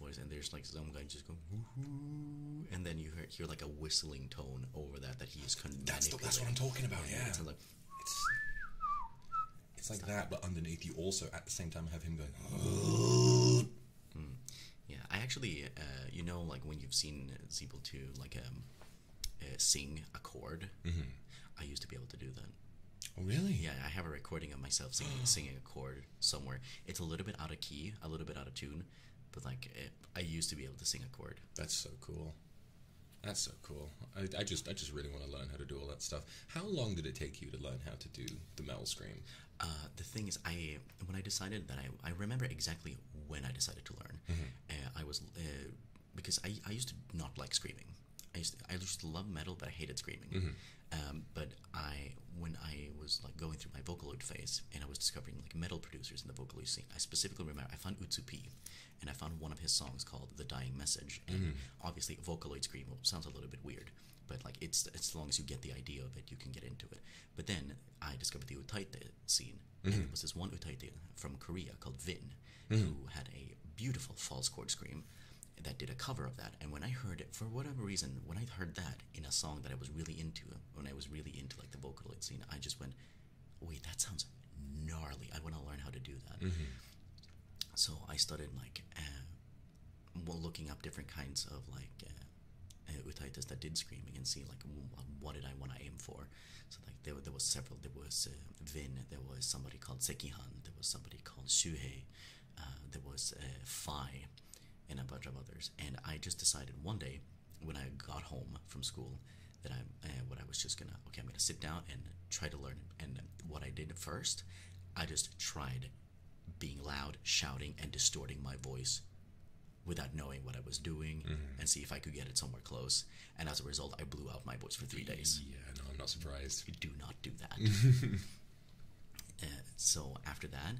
voice, and there's like some guy just going, Woo-hoo, and then you hear, like a whistling tone over that that he is condemning. That's, that's what I'm talking about. Yeah, it's like that, but underneath you also at the same time have him going. Oh. Mm. Yeah, I actually, uh, you know, like when you've seen Zebul to like um, uh, sing a chord. Mm-hmm. I used to be able to do that. Oh, really? Yeah, I have a recording of myself singing a chord somewhere. It's a little bit out of key, a little bit out of tune, but like I used to be able to sing a chord. That's so cool. That's so cool. I, just I just really want to learn how to do all that stuff. How long did it take you to learn how to do the metal scream? Uh, the thing is, I when I decided that I I remember exactly when I decided to learn. Mm-hmm. Uh, I was uh, because I I used to not like screaming. I used I used to love metal, but I hated screaming. Mm-hmm. Um, but I, when I was like going through my Vocaloid phase, and I was discovering like metal producers in the Vocaloid scene, I specifically remember I found Utsupi, and I found one of his songs called "The Dying Message." And mm-hmm. obviously, Vocaloid scream sounds a little bit weird, but like it's as long as you get the idea of it, you can get into it. But then I discovered the Utaite scene, and mm-hmm. there was this one Utaite from Korea called Vin, who had a beautiful false chord scream that did a cover of that. And when I heard it, for whatever reason, when I heard that in a song that I was really into, when I was really into like the Vocaloid scene, I just went, wait, that sounds gnarly. I want to learn how to do that. Mm-hmm. So I started like uh, looking up different kinds of like uh, uh that did screaming and see like what did I want to aim for. So like there, there was several. There was uh, Vin. There was somebody called Sekihan. There was somebody called Shuhei. Uh, there was a fi, and a bunch of others. And I just decided one day when I got home from school that I eh, what I was just gonna okay I'm gonna sit down and try to learn. And what I did first, I just tried being loud, shouting, and distorting my voice without knowing what I was doing mm-hmm. and see if I could get it somewhere close. And as a result, I blew out my voice for three days. Yeah, no, I'm not surprised. Do not do that. so after that,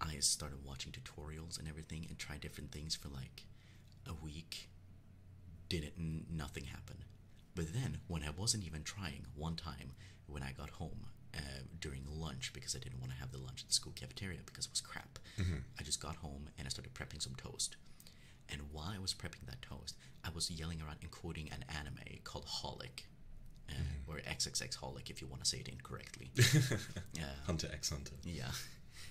I started watching tutorials and everything and tried different things for like a week. Didn't nothing happen. But then when I wasn't even trying, one time when I got home uh, during lunch because I didn't want to have the lunch at the school cafeteria because it was crap, mm-hmm. I just got home and I started prepping some toast. And while I was prepping that toast, I was yelling around encoding an anime called Holic or X X Holic if you want to say it incorrectly. Hunter X Hunter. Yeah.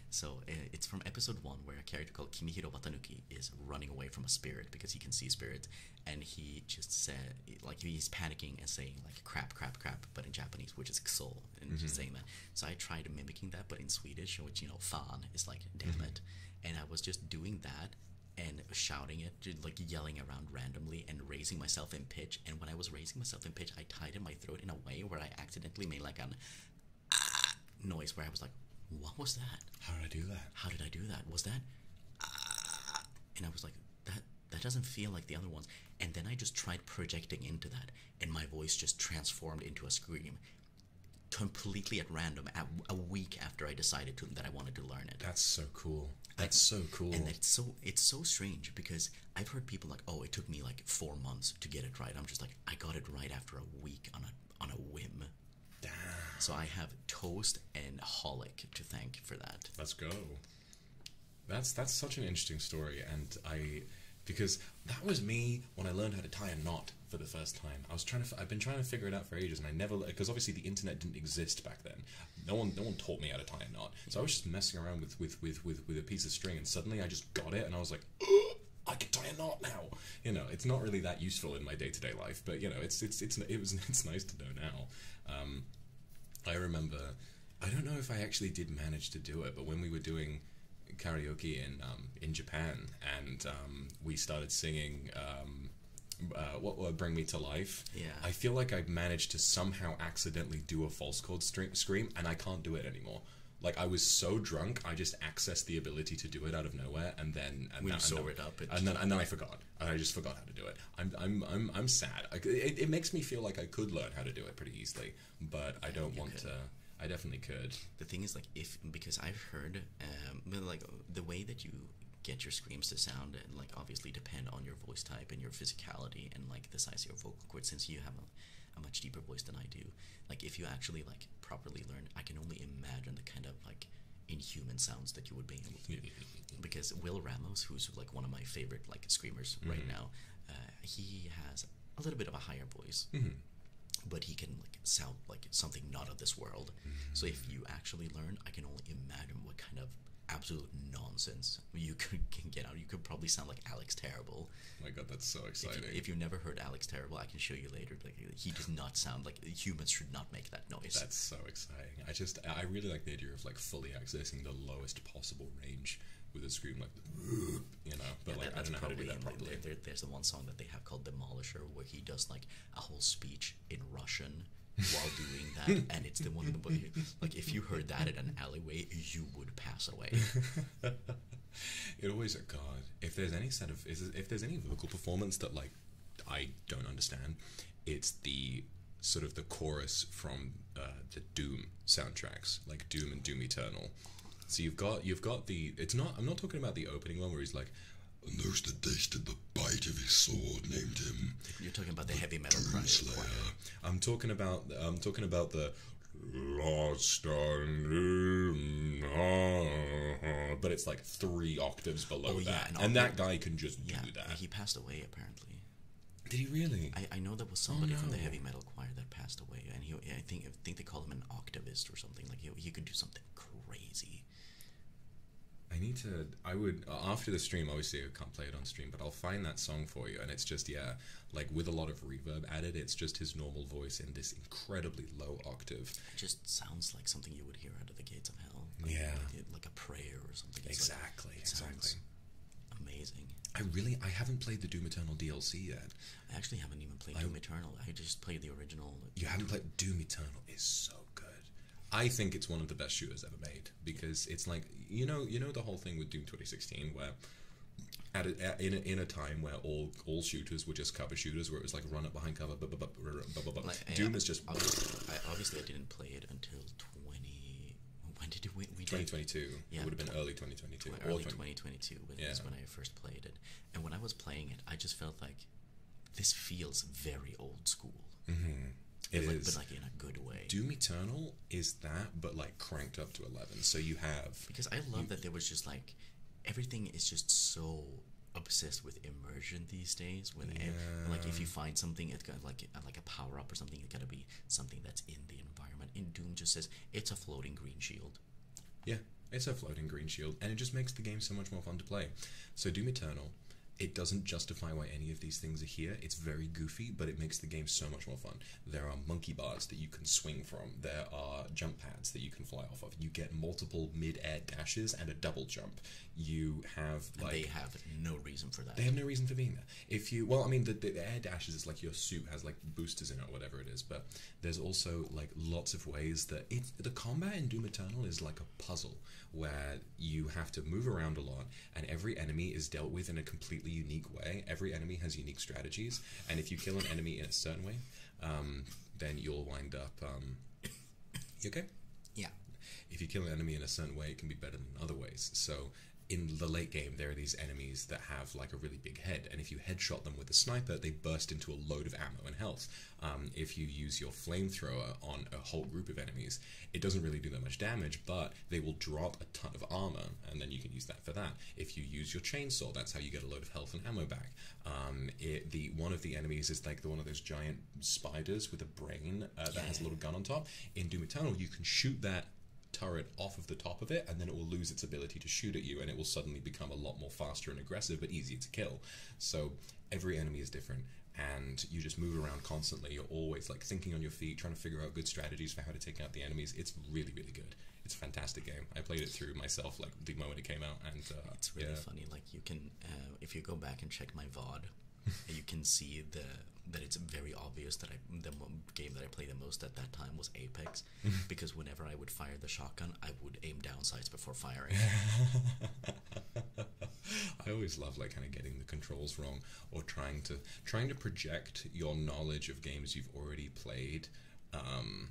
So uh, it's from episode one where a character called Kimihiro Watanuki is running away from a spirit because he can see spirits, and he just said like he's panicking and saying like crap, crap, crap, but in Japanese, which is soul, and just mm-hmm. saying that. So I tried mimicking that, but in Swedish, which you know fan is like damn mm-hmm. it, and I was just doing that and shouting it, like yelling around randomly and raising myself in pitch. And when I was raising myself in pitch, I tied in my throat in a way where I accidentally made like a ah, noise where I was like, What was that? How did I do that? How did I do that? Was that ah, And I was like, That that doesn't feel like the other ones. And then I just tried projecting into that, and my voice just transformed into a scream completely at random at, a week after I decided that I wanted to learn it. That's so cool. That's so cool. And it's so it's so strange because I've heard people like, oh, it took me like four months to get it right. I'm just like, I got it right after a week on a on a whim. Damn. So I have toast and holic to thank for that. Let's go. That's that's such an interesting story, and I because that was me when I learned how to tie a knot for the first time. I was trying to, I've been trying to figure it out for ages, and I never, because obviously the internet didn't exist back then no one no one taught me how to tie a knot. So I was just messing around with with with with, with a piece of string, and suddenly I just got it, and I was like. I can tie a knot now. You know, it's not really that useful in my day to day life, but you know, it's it's it's it was it's nice to know now. Um, I remember, I don't know if I actually did manage to do it, but when we were doing karaoke in um, in Japan, and um, we started singing uh, what will bring me to life? Yeah. I feel like I've managed to somehow accidentally do a false chord scream, and I can't do it anymore. Like I was so drunk, I just accessed the ability to do it out of nowhere, and then and saw it up, and then and then I forgot, and I just forgot how to do it. I'm I'm I'm I'm sad. it, it makes me feel like I could learn how to do it pretty easily, but I don't want to. I definitely could. The thing is, like, if because I've heard, um, like the way that you get your screams to sound and like obviously depend on your voice type and your physicality and like the size of your vocal cords since you have a, much deeper voice than I do. Like if you actually like properly learn, I can only imagine the kind of like inhuman sounds that you would be able to do. because Will Ramos, who's like one of my favorite like screamers right mm-hmm. now, uh, he has a little bit of a higher voice. Mm-hmm. but he can like sound like something not of this world. Mm-hmm. So if you actually learn, I can only imagine what kind of absolute nonsense you can get out. You could probably sound like Alex Terrible. Oh my God, that's so exciting! If, you, have never heard Alex Terrible, I can show you later. he does not sound like humans should not make that noise. That's so exciting. I just I really like the idea of like fully accessing the lowest possible range with a scream like you know. But yeah, like that, I don't know how to do that properly. there's the one song that they have called Demolisher, where he does like a whole speech in Russian while doing that, and it's the one the nobody like. If you heard that in an alleyway, you would pass away. it always, oh God, if there's any set of if there's any vocal performance that like I don't understand, it's the sort of the chorus from uh, the Doom soundtracks, like Doom and Doom Eternal. So you've got you've got the it's not I'm not talking about the opening one where he's like there's the taste in the bite of his sword named him. You're talking about the, heavy metal Doomslayer. I'm talking about I'm talking about the Lost on ah. but it's like three octaves below oh, that, and, that guy can just do that. He passed away apparently. Did he really? I, know there was somebody from the oh, heavy metal choir that passed away, and he I think I think they call him an octivist or something. Like he could do something crazy. I need to. I would uh, after the stream. Obviously, I can't play it on stream, but I'll find that song for you. And it's just yeah, like with a lot of reverb added. It's just his normal voice in this incredibly low octave. It just sounds like something you would hear under the gates of hell. yeah, like, a prayer or something. exactly. exactly. Amazing. I really. I haven't played the Doom Eternal DLC yet. I actually haven't even played Doom Eternal. I just played the original. You haven't played Doom Eternal. Is so good. I think it's one of the best shooters ever made because it's like you know you know the whole thing with Doom 2016 where at, a, in, a, in a time where all all shooters were just cover shooters where it was like run up behind cover bu- Doom is just obviously, I, didn't play it until 20 when did we, we 2022 yeah, it would have been early 2022 20, early 2022 was when I first played it and when I was playing it I just felt like this feels very old school mm-hmm. It is, like, but like in a good way. Doom Eternal is that, but like cranked up to eleven. So you have because I love that there was just like everything is just so obsessed with immersion these days. When yeah. like if you find something, it's got like like a power up or something. It's got to be something that's in the environment. And Doom just says it's a floating green shield. Yeah, it's a floating green shield, and it just makes the game so much more fun to play. So Doom Eternal it doesn't justify why any of these things are here. It's very goofy, but it makes the game so much more fun. There are monkey bars that you can swing from, there are jump pads that you can fly off of. You get multiple mid air dashes and a double jump. You have they have no reason for that. They have no reason for being there. If you. Well, I mean, the, the air dashes is like your suit has like boosters in it or whatever it is, but there's also like lots of ways that. the combat in Doom Eternal is like a puzzle where you have to move around a lot and every enemy is dealt with in a completely unique way. Every enemy has unique strategies, and if you kill an enemy in a certain way, um, then you'll wind up. Um, okay? Yeah. If you kill an enemy in a certain way, it can be better than other ways. So in the late game, there are these enemies that have like a really big head, and if you headshot them with a sniper, they burst into a load of ammo and health. Um, if you use your flamethrower on a whole group of enemies, it doesn't really do that much damage, but they will drop a ton of armor, and then you can use that for that. If you use your chainsaw, that's how you get a load of health and ammo back. Um, the one of the enemies is like the one of those giant spiders with a brain uh, that has a little gun on top. In Doom Eternal, you can shoot that turret off of the top of it, and then it will lose its ability to shoot at you, and it will suddenly become a lot more faster and aggressive, but easier to kill. So every enemy is different and you just move around constantly. You're always like thinking on your feet, trying to figure out good strategies for how to take out the enemies. It's really, really good. It's a fantastic game. I played it through myself like the moment it came out, and uh, it's really funny. Like you can, uh, if you go back and check my VOD, you can see the that it's very obvious that I the game that I played the most at that time was Apex, because whenever I would fire the shotgun, I would aim down sights before firing. I always love like kind of getting the controls wrong or trying to trying to project your knowledge of games you've already played, um,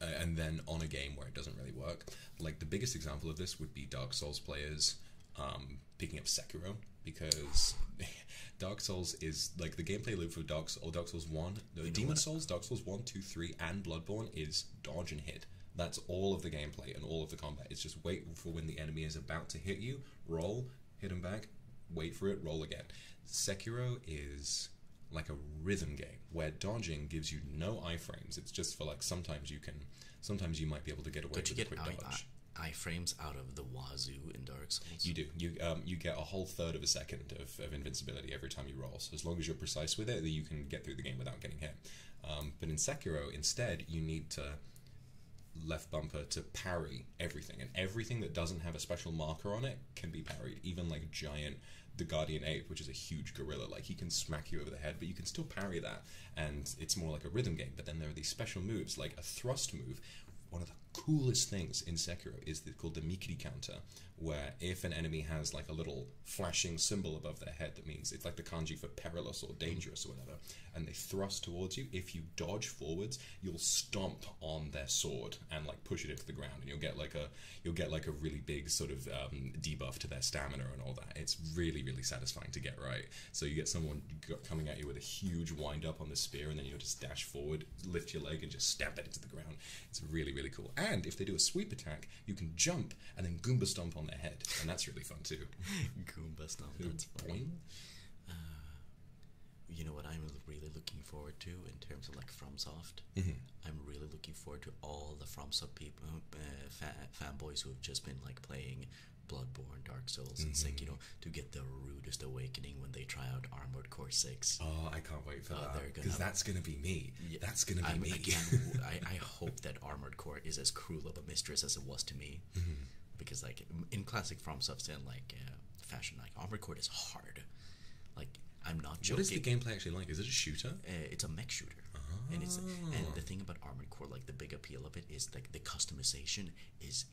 and then on a game where it doesn't really work. Like the biggest example of this would be Dark Souls players um, picking up Sekiro because Dark Souls is like the gameplay loop for Dark Souls, Dark Souls 1, Demon Souls, Dark Souls 1, 2, 3, and Bloodborne is dodge and hit. That's all of the gameplay and all of the combat. It's just wait for when the enemy is about to hit you, roll, hit them back, wait for it, roll again. Sekiro is like a rhythm game where dodging gives you no iframes. It's just for like sometimes you can, sometimes you might be able to get away Don't with you get I, dodge. iframes out of the wazoo in Dark Souls. You do. You um, you get a whole third of a second of, invincibility every time you roll. So as long as you're precise with it, you can get through the game without getting hit. Um, but in Sekiro, instead, you need to left bumper to parry everything, and everything that doesn't have a special marker on it can be parried. Even like giant the guardian ape, which is a huge gorilla, like he can smack you over the head, but you can still parry that, and it's more like a rhythm game. But then there are these special moves, like a thrust move. One of the coolest things in Sekiro is called the Mikiri counter, where if an enemy has like a little flashing symbol above their head, that means it's like the kanji for perilous or dangerous or whatever and they thrust towards you, if you dodge forwards, you'll stomp on their sword and like push it into the ground, and you'll get like a you'll get like a really big sort of um, debuff to their stamina and all that. It's really really satisfying to get right. So you get someone coming at you with a huge wind up on the spear, and then you just dash forward, lift your leg, and just stamp it into the ground. It's really really cool. And if they do a sweep attack, you can jump and then Goomba stomp on their head, and that's really fun too. Goomba now that's fine. Uh, you know what I'm really looking forward to in terms of like FromSoft? Mm I'm really looking forward to all the FromSoft people, uh, fanboys who have just been like playing Bloodborne, Dark Souls, mm and Sekiro like, you mm-hmm. know, to get the rudest awakening when they try out Armored Core 6. Oh, I can't wait for uh, that. Because that's going to be me. that's going to be me. again, I hope that Armored Core is as cruel of a mistress as it was to me. Mm-hmm. because like in classic from substance like uh, fashion like Armored Core is hard like i'm not joking what is the gameplay actually like is it a shooter uh, it's a mech shooter and it's and the ah. thing about Armored Core, like the big appeal of it, is like the customization is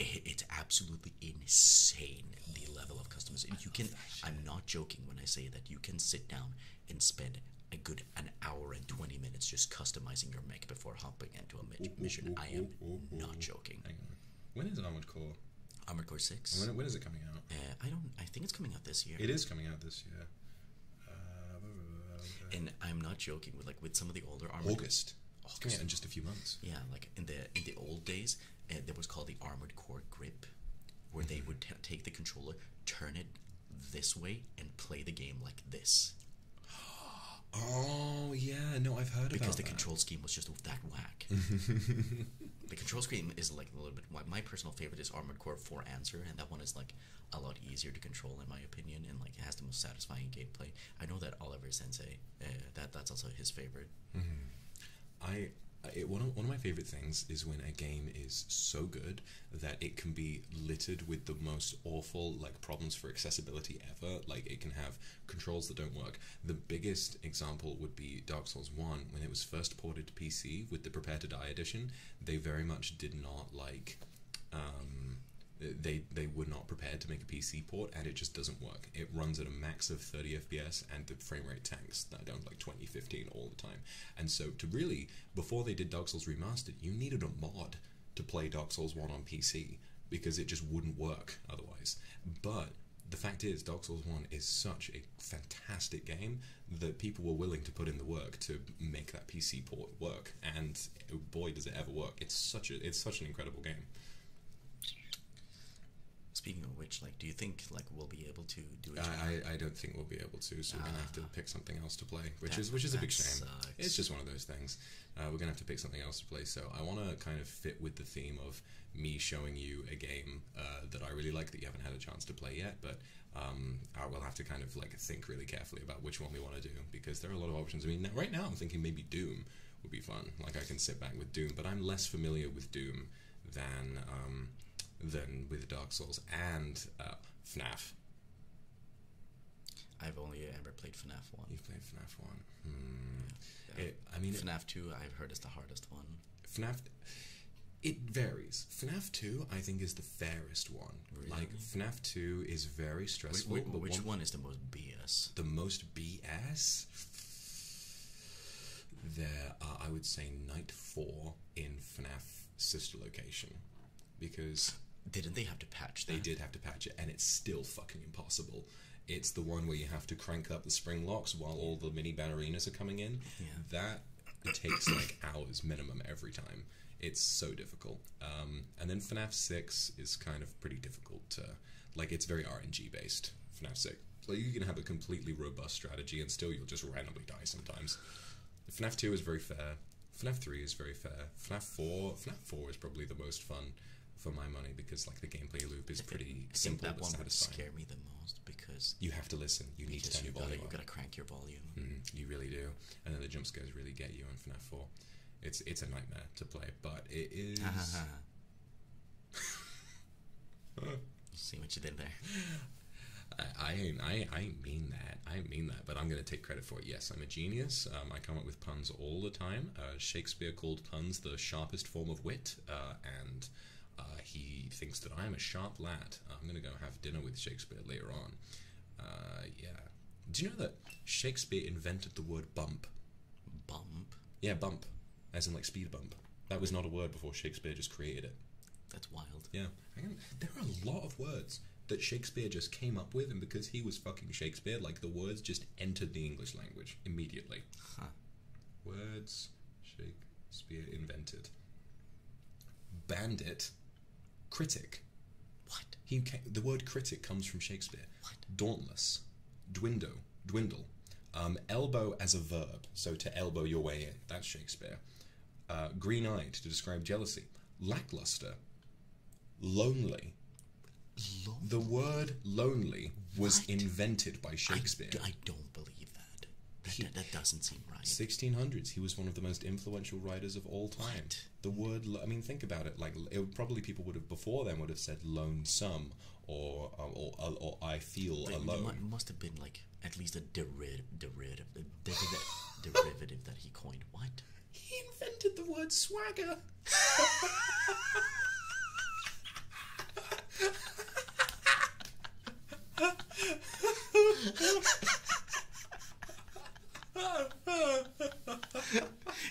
it's absolutely insane the oh, level of customization. you can, I'm not joking when I say that you can sit down and spend a good an hour and 20 minutes just customizing your mic before hopping into a mission. I am not joking. When is Armored Core? Armored Core 6. when is it coming out? Uh, I don't. I think it's coming out this year. It is coming out this year. Uh, and I'm not joking with like with some of the older Armored August. August. in just a few months. Yeah, like in the in the old days, uh, there was called the Armored Core Grip, where they mm-hmm. would take the controller, turn it this way and play the game like this. Oh yeah, no, I've heard because the control scheme was just that whack. the control scheme is like a little bit. My personal favorite is Armored Core Four Answer, and that one is like a lot easier to control in my opinion, and like it has the most satisfying gameplay. I know that Oliver Sensei, uh, that that's also his favorite. Mm-hmm. I one of, one of my favorite things is when a game is so good that it can be littered with the most awful like problems for accessibility ever. Like it can have controls that don't work. The biggest example would be Dark Souls 1 when it was first ported to PC with the Prepare to Die edition, they very much did not like um, they they were not prepared to make a PC port and it just doesn't work. It runs at a max of 30 FPS and the frame rate tanks down like 2015 all the time. And so to really before they did Dark Souls Remastered, you needed a mod to play Dark Souls 1 on PC because it just wouldn't work otherwise. But the fact is, Dark Souls 1 is such a fantastic game that people were willing to put in the work to make that PC port work, and boy, does it ever work! It's such a it's such an incredible game. Speaking of which, like, do you think like we'll be able to do it? I, I, don't think we'll be able to, so we're gonna have to ah. pick something else to play, which is which is a big shame it's just one of those things. Uh, we're gonna have to pick something else to play. So I want to kind of fit with the theme of me showing you a game uh, that I really like that you haven't had a chance to play yet, but um, I will have to kind of like think really carefully about which one we want to do because there are a lot of options. I mean, right now I'm thinking maybe Doom would be fun. Like I can sit back with Doom, but I'm less familiar with Doom than um, than with Dark Souls and FNAF. Uh, I've only ever played FNAF 1. You've played FNAF 1. Hmm. I mean, FNAF 2, I've heard, is the hardest one. FNAF. It varies. FNAF 2, I think, is the fairest one. Like, FNAF 2 is very stressful. Wait, which one, is the most BS? The most BS? There I would say, Night 4 in FNAF sister location because didn't they have to patch They did have to patch it, and it's still fucking impossible. It's the one where you have to crank up the spring locks while all the mini bannerinas are coming in. That takes like hours minimum every time. It's so difficult. Um, and then FNAF 6 is kind of pretty difficult to. Like, it's very RNG based, FNAF 6. Like, you can have a completely robust strategy and still you'll just randomly die sometimes. FNAF 2 is very fair. FNAF 3 is very fair. FNAF 4, FNAF 4 is probably the most fun for my money because like the gameplay loop is pretty I simple that one satisfying. Would scare me the most because you have to listen. You need to turn your volume. Gotta, gotta crank your volume. Mm-hmm. you really do. And then the jump scares really get you in FNAF 4. It's it's a nightmare to play, but it is. See what you did there. I, I I mean that I mean that, but I'm gonna take credit for it. Yes, I'm a genius. Um, I come up with puns all the time. Uh, Shakespeare called puns the sharpest form of wit, uh, and uh, he thinks that I am a sharp lad. I'm going to go have dinner with Shakespeare later on. yeah. Do you know that Shakespeare invented the word bump? Bump? Yeah, bump. As in, like, speed bump. That was not a word before Shakespeare just created it. That's wild. Yeah. there are a lot of words that Shakespeare just came up with, and because he was fucking Shakespeare, like the words just entered the English language immediately. Huh. Words Shakespeare invented. Bandit, critic. What? He the word critic comes from Shakespeare. What? Dauntless, dwindle, dwindle. Um, elbow as a verb, so to elbow your way in. That's Shakespeare. Uh, green-eyed to describe jealousy. Lackluster, lonely. The word lonely was invented by Shakespeare. I, don't believe that. That, doesn't seem right. 1600s. He was one of the most influential writers of all time. What? The word, I mean, think about it. Like, probably people would have before then would have said lonesome or um, or, uh, or, I feel alone. It must have been like at least a deri- derivative that he coined. What? He invented the word swagger.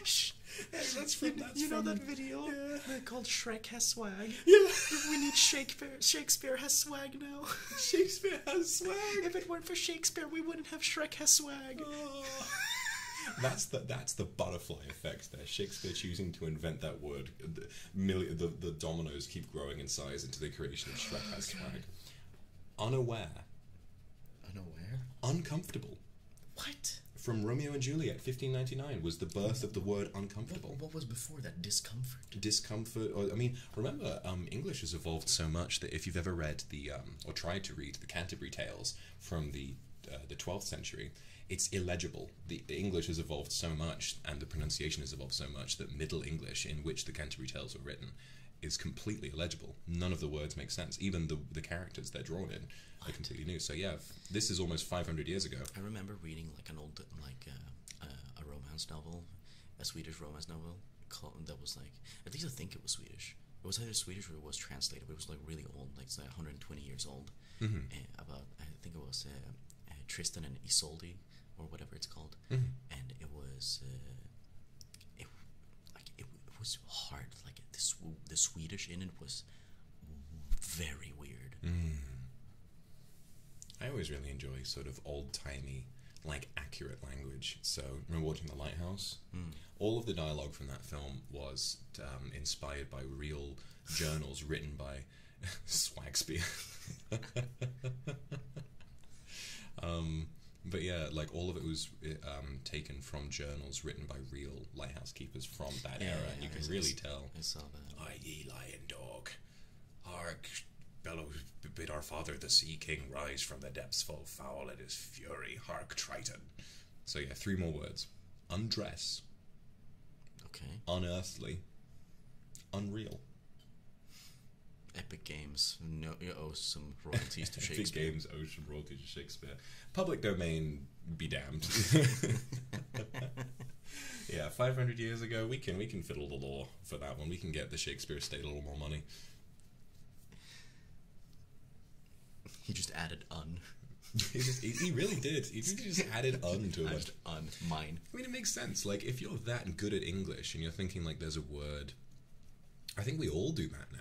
Shh. Hey, that's from, you, you know that video yeah. called Shrek has swag. Yeah. we need Shakespeare. Shakespeare has swag now. Shakespeare has swag. If it weren't for Shakespeare, we would. not have Shrek has swag. that's the that's the butterfly effect there. Shakespeare choosing to invent that word. The, the, the dominoes keep growing in size into the creation of Shrek has swag. Unaware. Unaware. Uncomfortable. What? From Romeo and Juliet, 1599, was the birth of the word uncomfortable. What, was before that? Discomfort. Discomfort. I mean, remember, um, English has evolved so much that if you've ever read the um, um, or tried to read the Canterbury Tales from the uh, the 12th century, it's illegible. The, English has evolved so much, and the pronunciation has evolved so much that Middle English, in which the Canterbury Tales were written, is completely illegible. None of the words make sense. Even the the characters they're drawn in are completely new. So yeah, this is almost 500 years ago. I remember reading like an old like uh, uh, a romance novel, a Swedish romance novel, that was like at least I think it was Swedish. It was either Swedish or it was translated, but it was like really old, like it's like 120 years old. Mm-hmm. Eh, about I think it was uh, uh, Tristan and Isolde or whatever it's called, mm-hmm. and it was uh, it like it, was hard. Like the Swedish in it was very weird. Mm-hmm. I always really enjoy sort of old timey, like accurate language. So remember watching The Lighthouse? Mm all of the dialogue from that film was um, inspired by real journals written by Swagspear. Um, but yeah, like all of it was um, taken from journals written by real lighthouse keepers from that era, you can really tell. I saw that. I lion dog, hark! bellow, bid our father the sea king rise from the depths full foul at his fury. Hark, Triton. So yeah, three more words: undress. Okay. Unearthly. Unreal. Epic Games no, owes some royalties to Shakespeare. Epic Games owes some royalties to Shakespeare. Public domain, be damned. yeah, 500 years ago, we can we can fiddle the law for that one. We can get the Shakespeare estate a little more money. He just added un. he, just, he, really did. He just added un to it. Un mine. I mean, it makes sense. Like if you're that good at English and you're thinking like there's a word, I think we all do that now.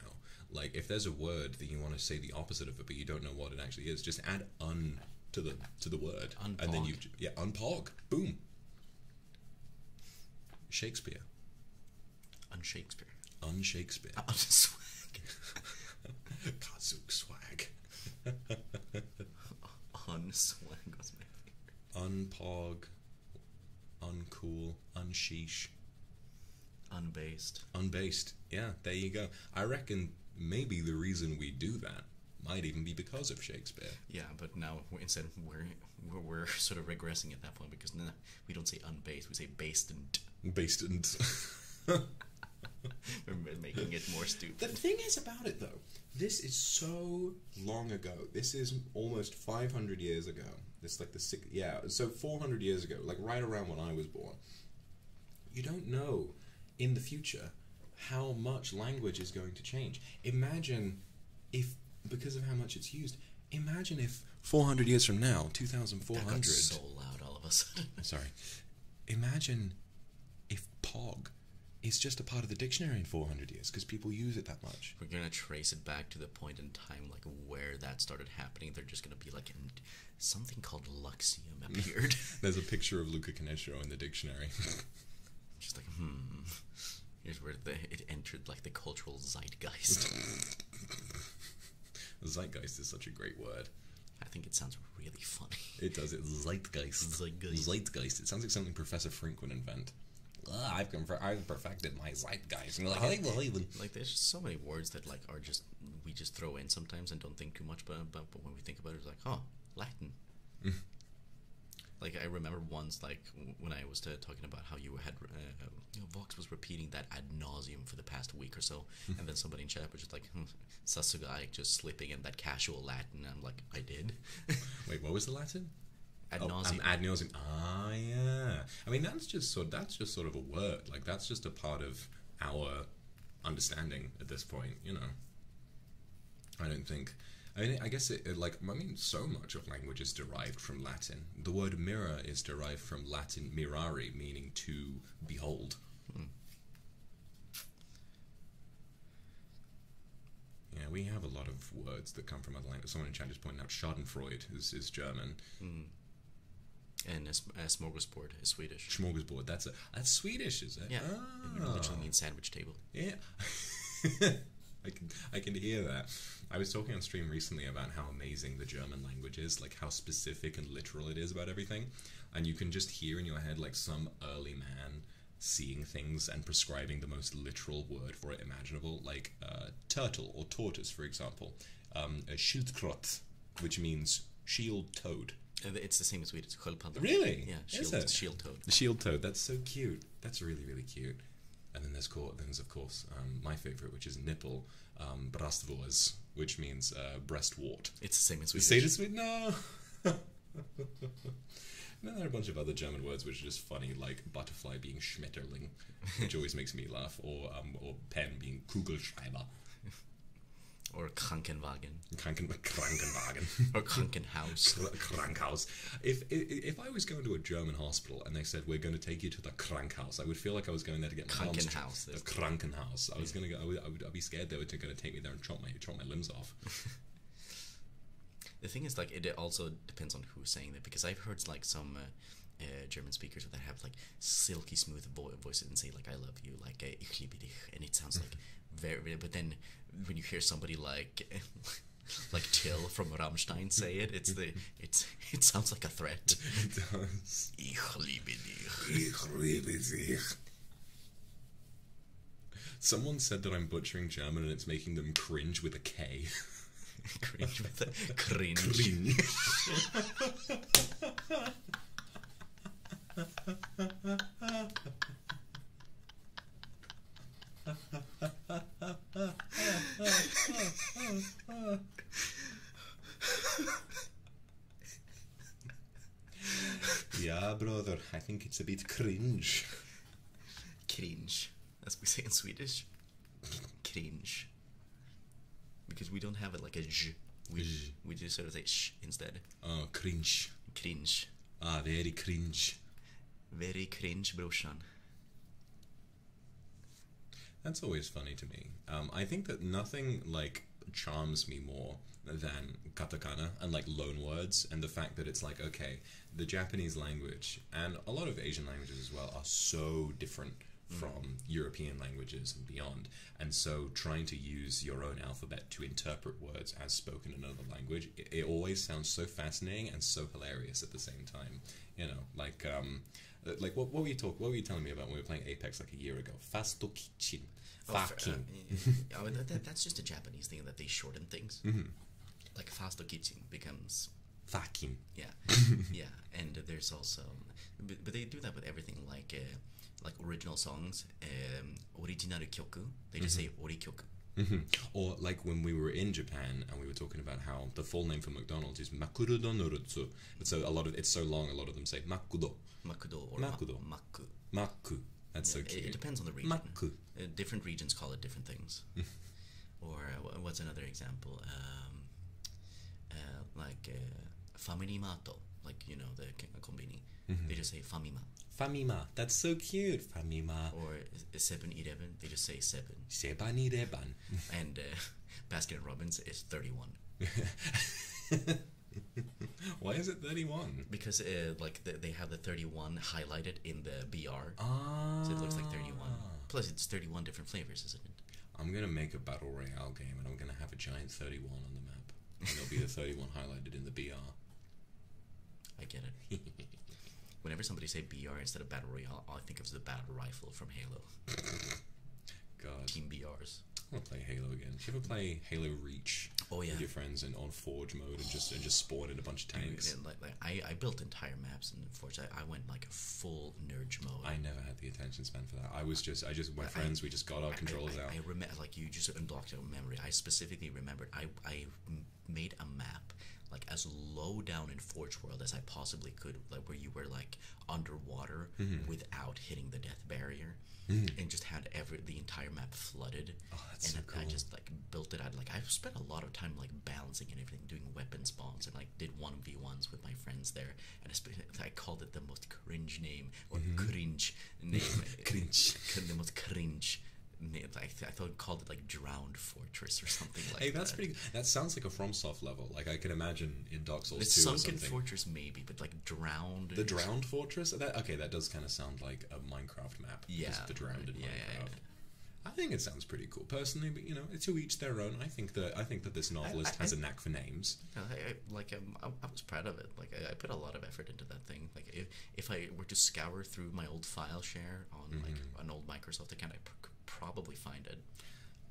Like if there's a word that you want to say the opposite of it, but you don't know what it actually is, just add un to the to the word, and then you yeah unpark. boom. Shakespeare. Shakespeare, Unshakespeare. Shakespeare, Uh, swag. Kazoo swag. Unswag was my favorite. Unpog. Uncool. Unsheesh. Unbased. Unbased. Yeah, there you go. I reckon maybe the reason we do that might even be because of Shakespeare. Yeah, but now instead we're, we're sort of regressing at that point because we don't say unbased, we say based and. Based and. making it more stupid. The thing is about it though, this is so long ago. This is almost 500 years ago. It's like the six, yeah, so 400 years ago, like right around when I was born. You don't know in the future how much language is going to change. Imagine if, because of how much it's used, Imagine if 400 years from now, 2400. That got so loud all of a sudden. Sorry. Imagine if POG is just a part of the dictionary in 400 years because people use it that much. We're going to trace it back to the point in time like where that started happening. They're just going to be like something called Luxium appeared. There's a picture of Luca Canestro in the dictionary. just like, hmm. Here's where the, it entered like the cultural zeitgeist. Zeitgeist is such a great word. I think it sounds really funny. It does. It's zeitgeist. Zeitgeist. It sounds like something Professor Frink would invent. I've, perfected my zeitgeist. Like, like, like, there's so many words that like are just we just throw in sometimes and don't think too much about. But, but when we think about it, it's like, oh, Latin. Mm. like I remember once, like when I was uh, talking about how you had uh, you know, Vox was repeating that ad nauseum for the past week or so, and then somebody in chat was just like, hmm, Sasugai just slipping in that casual Latin. I'm like, I did. Wait, what was the Latin? Oh, um, ad nauseum. Ah, yeah. I mean, that's just sort. That's just sort of a word. Like that's just a part of our understanding at this point. You know, I don't think. I mean, I guess it like I mean, so much of language is derived from Latin. The word mirror is derived from Latin mirari, meaning to behold. Hmm. Yeah, we have a lot of words that come from other languages. Someone in chat just pointed out Schadenfreude is, German. Hmm. And eh, smorgasbord is Swedish. Smorgasbord, that's Swedish, is it? Yeah. It literally ah. means sandwich table. Yeah. I can hear that. I was talking on stream recently about how amazing the German language is, like how specific and literal it is about everything. And you can just hear in your head, like, some early man seeing things and prescribing the most literal word for it imaginable, like uh, turtle or tortoise, for example. Um, a which means shield toad. Uh, it's the same as Swedish. Really? Yeah, shield, shield toad. The shield toad. That's so cute. That's really, really cute and then there's, of course um, my favorite, which is nipple, um, which means uh, breast wart. It's the same as Swedish. say it in Sweden? No. and then there are a bunch of other German words which are just funny, like butterfly being Schmetterling, which always makes me laugh, or um, or pen being Kugelschreiber. Or Krankenwagen. Kranken, Krankenwagen. or Krankenhaus. Krankhaus. If, if, if I was going to a German hospital, and they said, We're going to take you to the Krankhaus. I would feel like I was going there to get my arms Krankenhaus. The Krankenhaus. I was going to go, I would, I would I'd be scared they were going to take me there and chop my, chop my limbs off. the thing is, like, it also depends on who's saying it because I've heard, like, some. Uh, uh, German speakers that have like silky smooth voices and say like I love you like ich liebe dich and it sounds like very but then when you hear somebody like like Till from Ramstein say it it's the it's it sounds like a threat. It does. Ich liebe dich. Ich liebe dich. Someone said that I'm butchering German and it's making them cringe with a K. cringe with a cringe. yeah, brother, I think it's a bit cringe. Cringe, as we say in Swedish. Cringe. Because we don't have it like a j. We, j. we just sort of say sh instead. Oh, cringe. Cringe. Ah, very cringe. Very cringe, brorsan. That's always funny to me. Um, I think that nothing like charms me more than katakana and like loan words and the fact that it's like okay the japanese language and a lot of asian languages as well are so different mm. from european languages and beyond and so trying to use your own alphabet to interpret words as spoken in another language it, always sounds so fascinating and so hilarious at the same time you know like um, uh, like what, what were you talking? What were you telling me about when we were playing Apex like a year ago? Fastokichin. Fakin. Oh, uh, oh that's just a Japanese thing that they shorten things. Mm-hmm. Like -hmm. Like fastokichin becomes. Fakin. Yeah, yeah, and there's also, but, they do that with everything like uh, like original songs, um, original kyoku. They just mm-hmm. say orikyoku. Mm mm-hmm. Or like when we were in Japan and we were talking about how the full name for McDonald's is Makuro Donurutsu, but so a lot of it's so long. A lot of them say makudo. Makudo or makudo. makku, maku. That's so cute. It, depends on the region. Maku. Uh, different regions call it different things. or uh, what's another example? Um, uh, like uh, faminimato, like you know the kambini. Mm-hmm. They just say famima. Famima. That's so cute. Famima. Or seven eleven. They just say seven. Seban and Baskin Robbins is 31. Why is it 31? Because uh, like they have the 31 highlighted in the BR. So it looks like 31. Ah. Plus it's 31 different flavors, isn't it? I'm going to make a battle royale game and I'm going to have a giant 31 on the map. And it'll be a 31 highlighted in the BR. I get it. Whenever somebody say BR instead of battle royale, I think of the battle rifle from Halo. God. Team BRs. I want to play Halo again. Should you ever play Halo Reach? Oh yeah. With your friends and on Forge mode and just and just spawn in a bunch of tanks. like, I, built entire maps in Forge. I, went like a full nerd mode. I never had the attention span for that. I was just I just my friends we just got our controls out. I remember like you just unblocked out memory. I specifically remembered I I made a map like as low down in Forge World as I possibly could, like where you were like underwater mm-hmm. without hitting the death barrier, mm-hmm. and just had every the entire map flooded. Oh, and I just like built it out. Like I spent a lot of time like balancing and everything, doing weapon spawns, and like did one v ones with my friends there. And I, called it the most cringe name or mm-hmm. cringe name, cringe, the most cringe. Name. I, th- I thought called it like Drowned Fortress or something like that. Hey, that's pretty. That sounds like a FromSoft level. Like I can imagine in, in Dark Souls it's or something. Fortress maybe, but like Drowned. The Drowned Fortress? okay, that does kind of sound like a Minecraft map. Yeah. the Drowned yeah, Yeah, I think it sounds pretty cool personally, but you know, to each their own. I think that I think that this novelist has a knack for names. I, like um, I, was proud of it. Like I, put a lot of effort into that thing. Like if if I were to scour through my old file share on like mm-hmm. an old Microsoft account, I probably find it.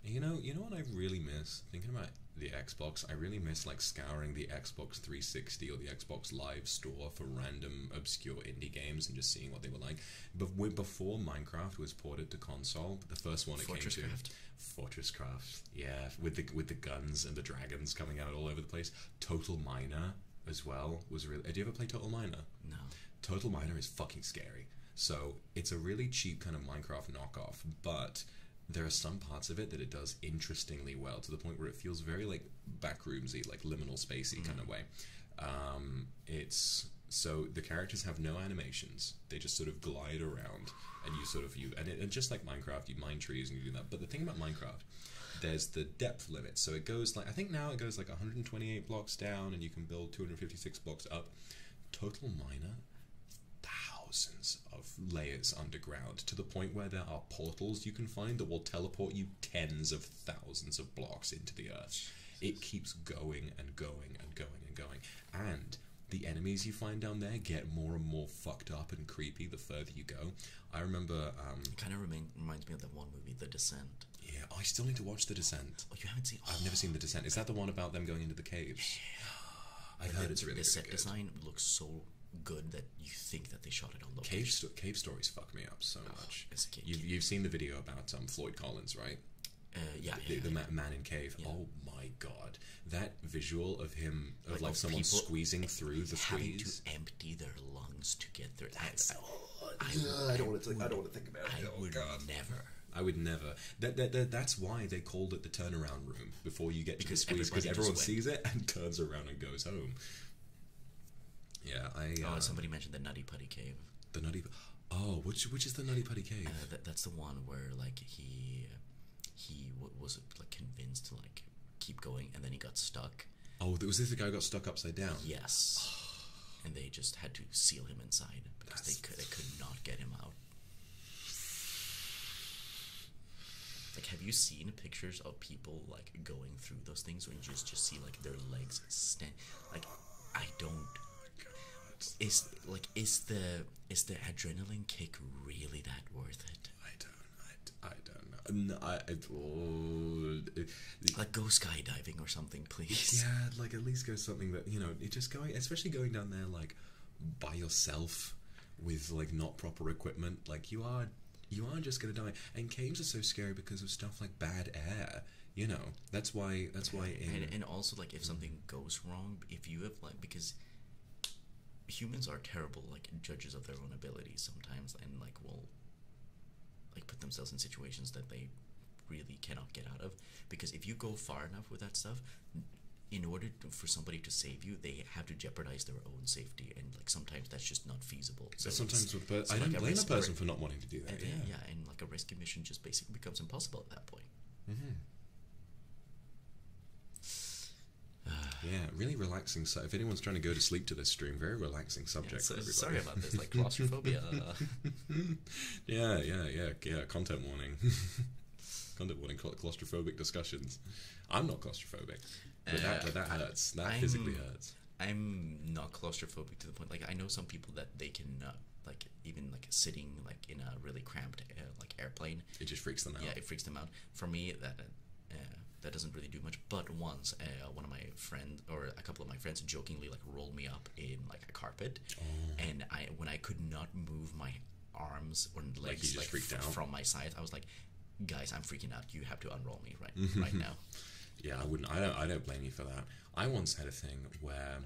You know, you know what I really miss thinking about the Xbox. I really miss like scouring the Xbox 360 or the Xbox Live store for random obscure indie games and just seeing what they were like. But before Minecraft was ported to console, the first one it Fortress came Craft. to Fortress Craft. Yeah, with the with the guns and the dragons coming out all over the place. Total Miner as well was really. Did you ever play Total Miner? No. Total Miner is fucking scary. So it's a really cheap kind of Minecraft knockoff, but there are some parts of it that it does interestingly well to the point where it feels very like backroomsy, like liminal spacey mm. kind of way. Um, it's so the characters have no animations; they just sort of glide around, and you sort of you and, it, and just like Minecraft, you mine trees and you do that. But the thing about Minecraft, there's the depth limit, so it goes like I think now it goes like 128 blocks down, and you can build 256 blocks up. Total Miner thousands of layers underground to the point where there are portals you can find that will teleport you tens of thousands of blocks into the earth. It keeps going and going and going and going. And the enemies you find down there get more and more fucked up and creepy the further you go. I remember. Um, it kind of remind, reminds me of that one movie, The Descent. Yeah, I still need to watch The Descent. Oh, you haven't seen? I've never seen The Descent. Is that the one about them going into the caves? I heard the, it's really the set design looks so good that you think that they shot it on location. Cave, stories fuck me up so oh, much. You've, seen the video about um, Floyd Collins, right? Uh, yeah, the, man in cave. Oh my god, that visual of him of like, someone squeezing through the having to empty their lungs to get their. That's. I, don't want to. Think, I don't want to think about it. I oh, would never. I would never. That, that, that, that's why they called it the turnaround room before you get because to the because everyone sees it and turns around and goes home. Yeah, I. Oh, uh, somebody mentioned the Nutty Putty cave. The Nutty. Oh, which which is the Nutty Putty cave? Uh, that's the one where like he he was like convinced to like keep going and then he got stuck. Oh, was this the guy got stuck upside down? Yes. and they just had to seal him inside because they could they could not get him out. Like, have you seen pictures of people like going through those things when you just just see like their legs stand? Like, I don't. Is like is the is the adrenaline kick really that worth it? I don't. I, don't know. No, I, like go skydiving or something, please. Yeah, like at least go something that you know. Just going, especially going down there, like by yourself with like not proper equipment, like you are you are just gonna die. And caves are so scary because of stuff like bad air. You know, that's why. That's why. and, and also, like, if something goes wrong, if you have like, because humans are terrible, like judges of their own abilities sometimes, and like will, like put themselves in situations that they really cannot get out of because if you go far enough with that stuff in order for somebody to save you they have to jeopardize their own safety and like sometimes that's just not feasible so sometimes with i like don't blame a person for not wanting to do that yeah. yeah and like a rescue mission just basically becomes impossible at that point mm-hmm yeah, really relaxing. So, if anyone's trying to go to sleep to this stream, very relaxing subject. for everybody. Sorry about this, like claustrophobia. yeah, yeah, yeah, yeah. Content warning. Condit warning claustrophobic discussions. I'm not claustrophobic, but that, uh, hurts. That physically hurts. I'm not claustrophobic to the point like I know some people that they can uh, like even like sitting like in a really cramped like airplane. It just freaks them out. Yeah, it freaks them out. For me, that uh, uh, that doesn't really do much. But once one of my friends or a couple of my friends jokingly like rolled me up in like a carpet, oh. and I when I could not move my arms and legs like, from my side. I was like, guys, I'm freaking out. You have to unroll me right mm-hmm. right now. Yeah, I wouldn't. I don't. I don't blame you for that. I once had a thing where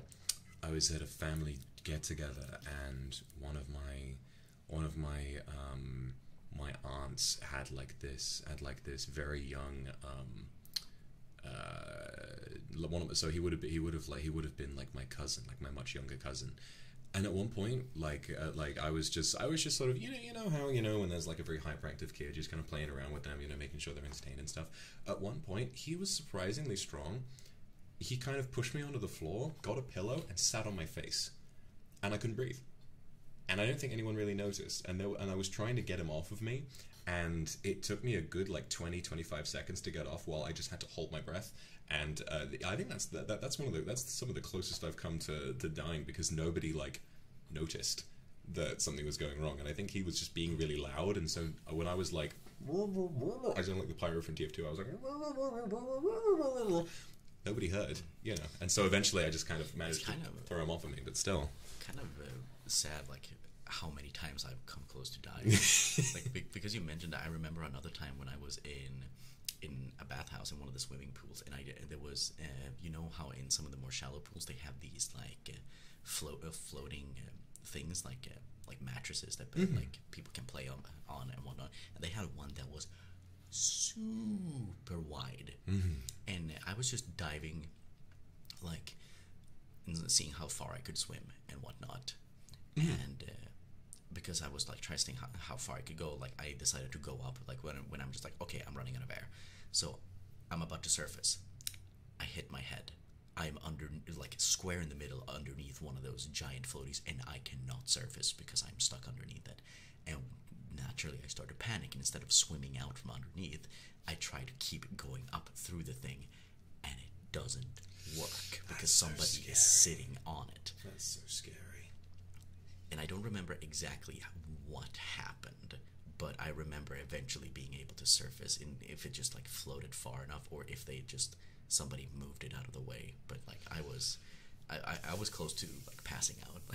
I was at a family get together, and one of my one of my um, my aunts had like this had like this very young um, uh, one of so he would have he would have like he would have been like my cousin, like my much younger cousin. And at one point, like uh, like I was just I was just sort of you know you know how you know when there's like a very hyperactive kid just kind of playing around with them you know making sure they're entertained and stuff. At one point, he was surprisingly strong. He kind of pushed me onto the floor, got a pillow, and sat on my face, and I couldn't breathe. And I don't think anyone really noticed. And and I was trying to get him off of me, and it took me a good like 20 25 seconds to get off while I just had to hold my breath and uh, I think that's that's one of the that's some of the closest I've come to to dying because nobody like noticed that something was going wrong, and I think he was just being really loud, and so uh, when I was like, I don't like the pyro from TF2, I was like, nobody heard, you know, and so eventually I just kind of managed to throw him off of me, but still, kind of uh, sad, like how many times I've come close to dying. like because you mentioned, I remember another time when I was in in a bathhouse in one of the swimming pools, and I there was uh, you know how in some of the more shallow pools they have these like uh, float uh, floating things like like mattresses that mm-hmm. like people can play on on and whatnot, and they had one that was super wide, mm-hmm. and I was just diving like seeing how far I could swim and whatnot and uh, because I was like trying to think how, far I could go, like I decided to go up. Like when when I'm just like, okay, I'm running out of air, so I'm about to surface. I hit my head. I'm under like square in the middle underneath one of those giant floaties, and I cannot surface because I'm stuck underneath it. And naturally, I start to panic. And Instead of swimming out from underneath, I try to keep going up through the thing, and it doesn't work because somebody is sitting on it. That's so scary. And I don't remember exactly what happened, but I remember eventually being able to surface and if it just like floated far enough or if they just somebody moved it out of the way. But like I was I, I, was close to like passing out.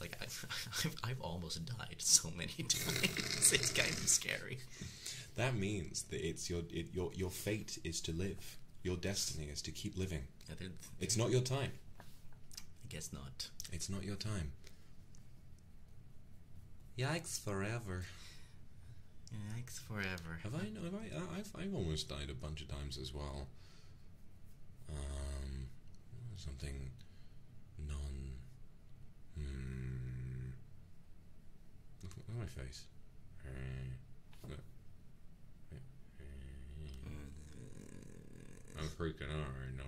Like I like I've, I've almost died so many times. it's kind of scary. That means that it's your your your fate is to live. Your destiny is to keep living. It's not your time. I guess not. It's not your time. Yikes forever. Yikes forever. Have I? Have I? I've I've almost died a bunch of times as well. Um, something non. Hmm. Look at my face. X. I'm freaking out right now.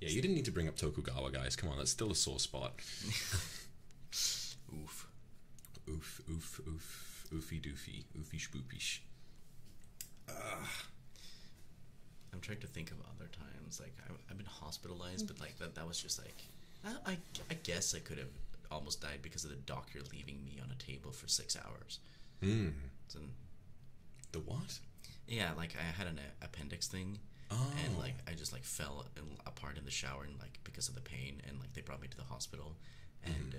yeah, you didn't need to bring up Tokugawa, guys. Come on, that's still a sore spot. Oof. Oof, oof, oof, oofy doofy, oofy spoopish. Ugh. I'm trying to think of other times. Like I, have been hospitalized, but like that, that was just like, I, I, guess I could have almost died because of the doctor leaving me on a table for six hours. Mm. the what? Yeah, like I had an appendix thing, and oh. like I just like fell and apart in the shower and like because of the pain and like they brought me to the hospital mm-hmm. and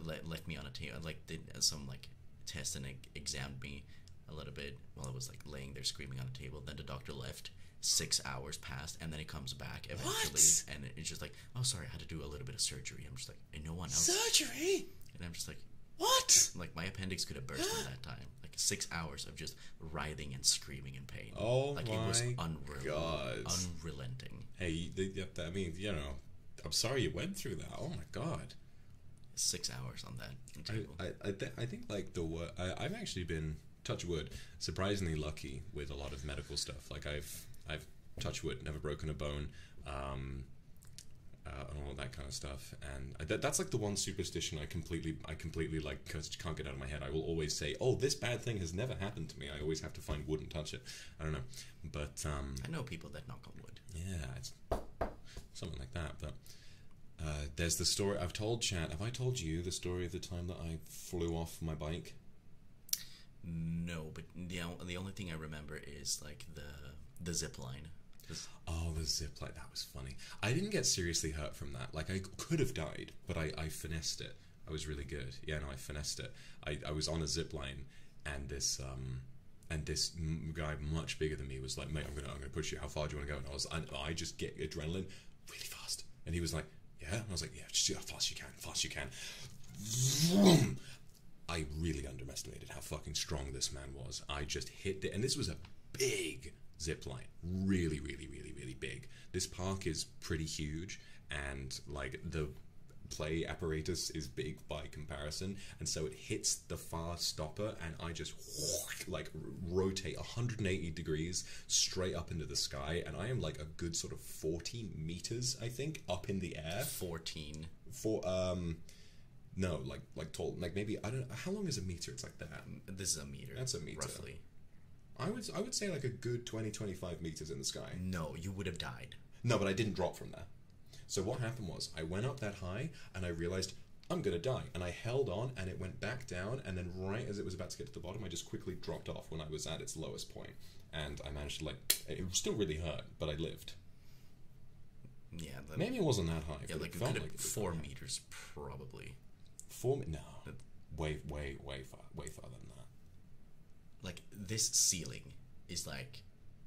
mm-hmm. left me on a table like did some like test and like examined me a little bit while I was like laying there screaming on a table. Then the doctor left. Six hours passed, and then he comes back eventually, and it's just like, oh, sorry, I had to do a little bit of surgery. I'm just like, and no one else. Surgery. And I'm just like, what? Like my appendix could have burst yeah. that time. Like six hours of just writhing and screaming pain. Oh like my it was god, unrelenting. Hey, that means you know. I'm sorry you went through that. Oh my god, six hours on that. Table. I I, think like the wor- I, have actually been touch wood surprisingly lucky with a lot of medical stuff. Like I've I've touch wood never broken a bone. Um, uh, and all that kind of stuff. And that's like the one superstition I completely, I completely because it can't get out of my head. I will always say, "Oh, this bad thing has never happened to me." I always have to find wood and touch it. I don't know, but um, I know people that knock on wood. Yeah, it's something like that. But uh, there's the story I've told Chad. Have I told you the story of the time that I flew off my bike? No, but the the only thing I remember is like the the zip line. Oh, the zip line. That was funny. I didn't get seriously hurt from that. Like, I could have died, but I, I finessed it. I was really good. Yeah, and I finessed it. I, I was on a zip line, and this um, and this guy much bigger than me was like, "Mate, I'm gonna I'm gonna push you. How far do you want to go?" And I was I just get adrenaline really fast, and he was like, "Yeah," and I was like, "Yeah, just do how fast you can, fast you can." I really underestimated how fucking strong this man was. I just hit it, and this was a big zip line, really, really, really, really big. This park is pretty huge, and like the play apparatus is big by comparison and so it hits the far stopper and i just like rotate 180 degrees straight up into the sky and i am like a good sort of 40 meters i think up in the air 14 for um no like like tall like maybe i don't know how long is a meter it's like that this is a meter that's a meter roughly I would I would say like a good 20 25 meters in the sky. No, you would have died. No, but I didn't drop from there. So what happened was I went up that high and I realized I'm gonna die, and I held on and it went back down, and then right as it was about to get to the bottom, I just quickly dropped off when I was at its lowest point, and I managed to like it still really hurt, but I lived. Yeah, maybe it wasn't that high. Yeah, like, four meters high. probably. Four no, way way way far way far than that. Like this ceiling is like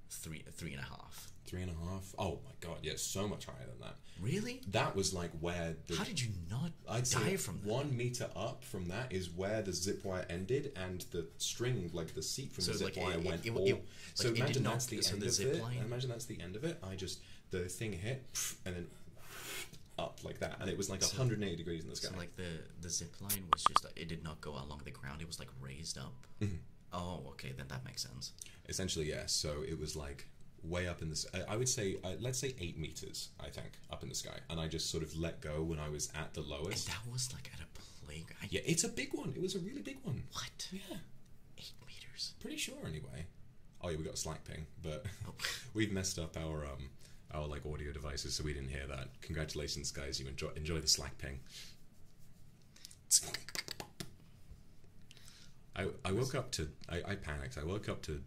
three three and half, three and a half. Oh my god, yeah, so much higher than that. Really? That was like where the How did you not I'd die from that? One meter up from that is where the zip wire ended and the string, like the seat from the zip like wire it, went all. so imagine that's the so end the of it. Line? Imagine that's the end of it. I just the thing hit and then up like that, and it was like 180 degrees in the sky. like the the zip line was just it did not go along the ground; it was like raised up. Mm-hmm. Oh, okay, then that makes sense. Essentially, yes. So it was like way up in the. I would say, uh, let's say eight meters. I think up in the sky, and I just sort of let go when I was at the lowest. that was like at a playground. Yeah, it's a big one. It was a really big one. What? Yeah, eight meters. Pretty sure, anyway. Oh yeah, we got a Slack ping, but oh. we've messed up our um our like audio devices, so we didn't hear that. Congratulations, guys! You enjoy enjoy the Slack ping. I I woke up to I, panicked. I woke up to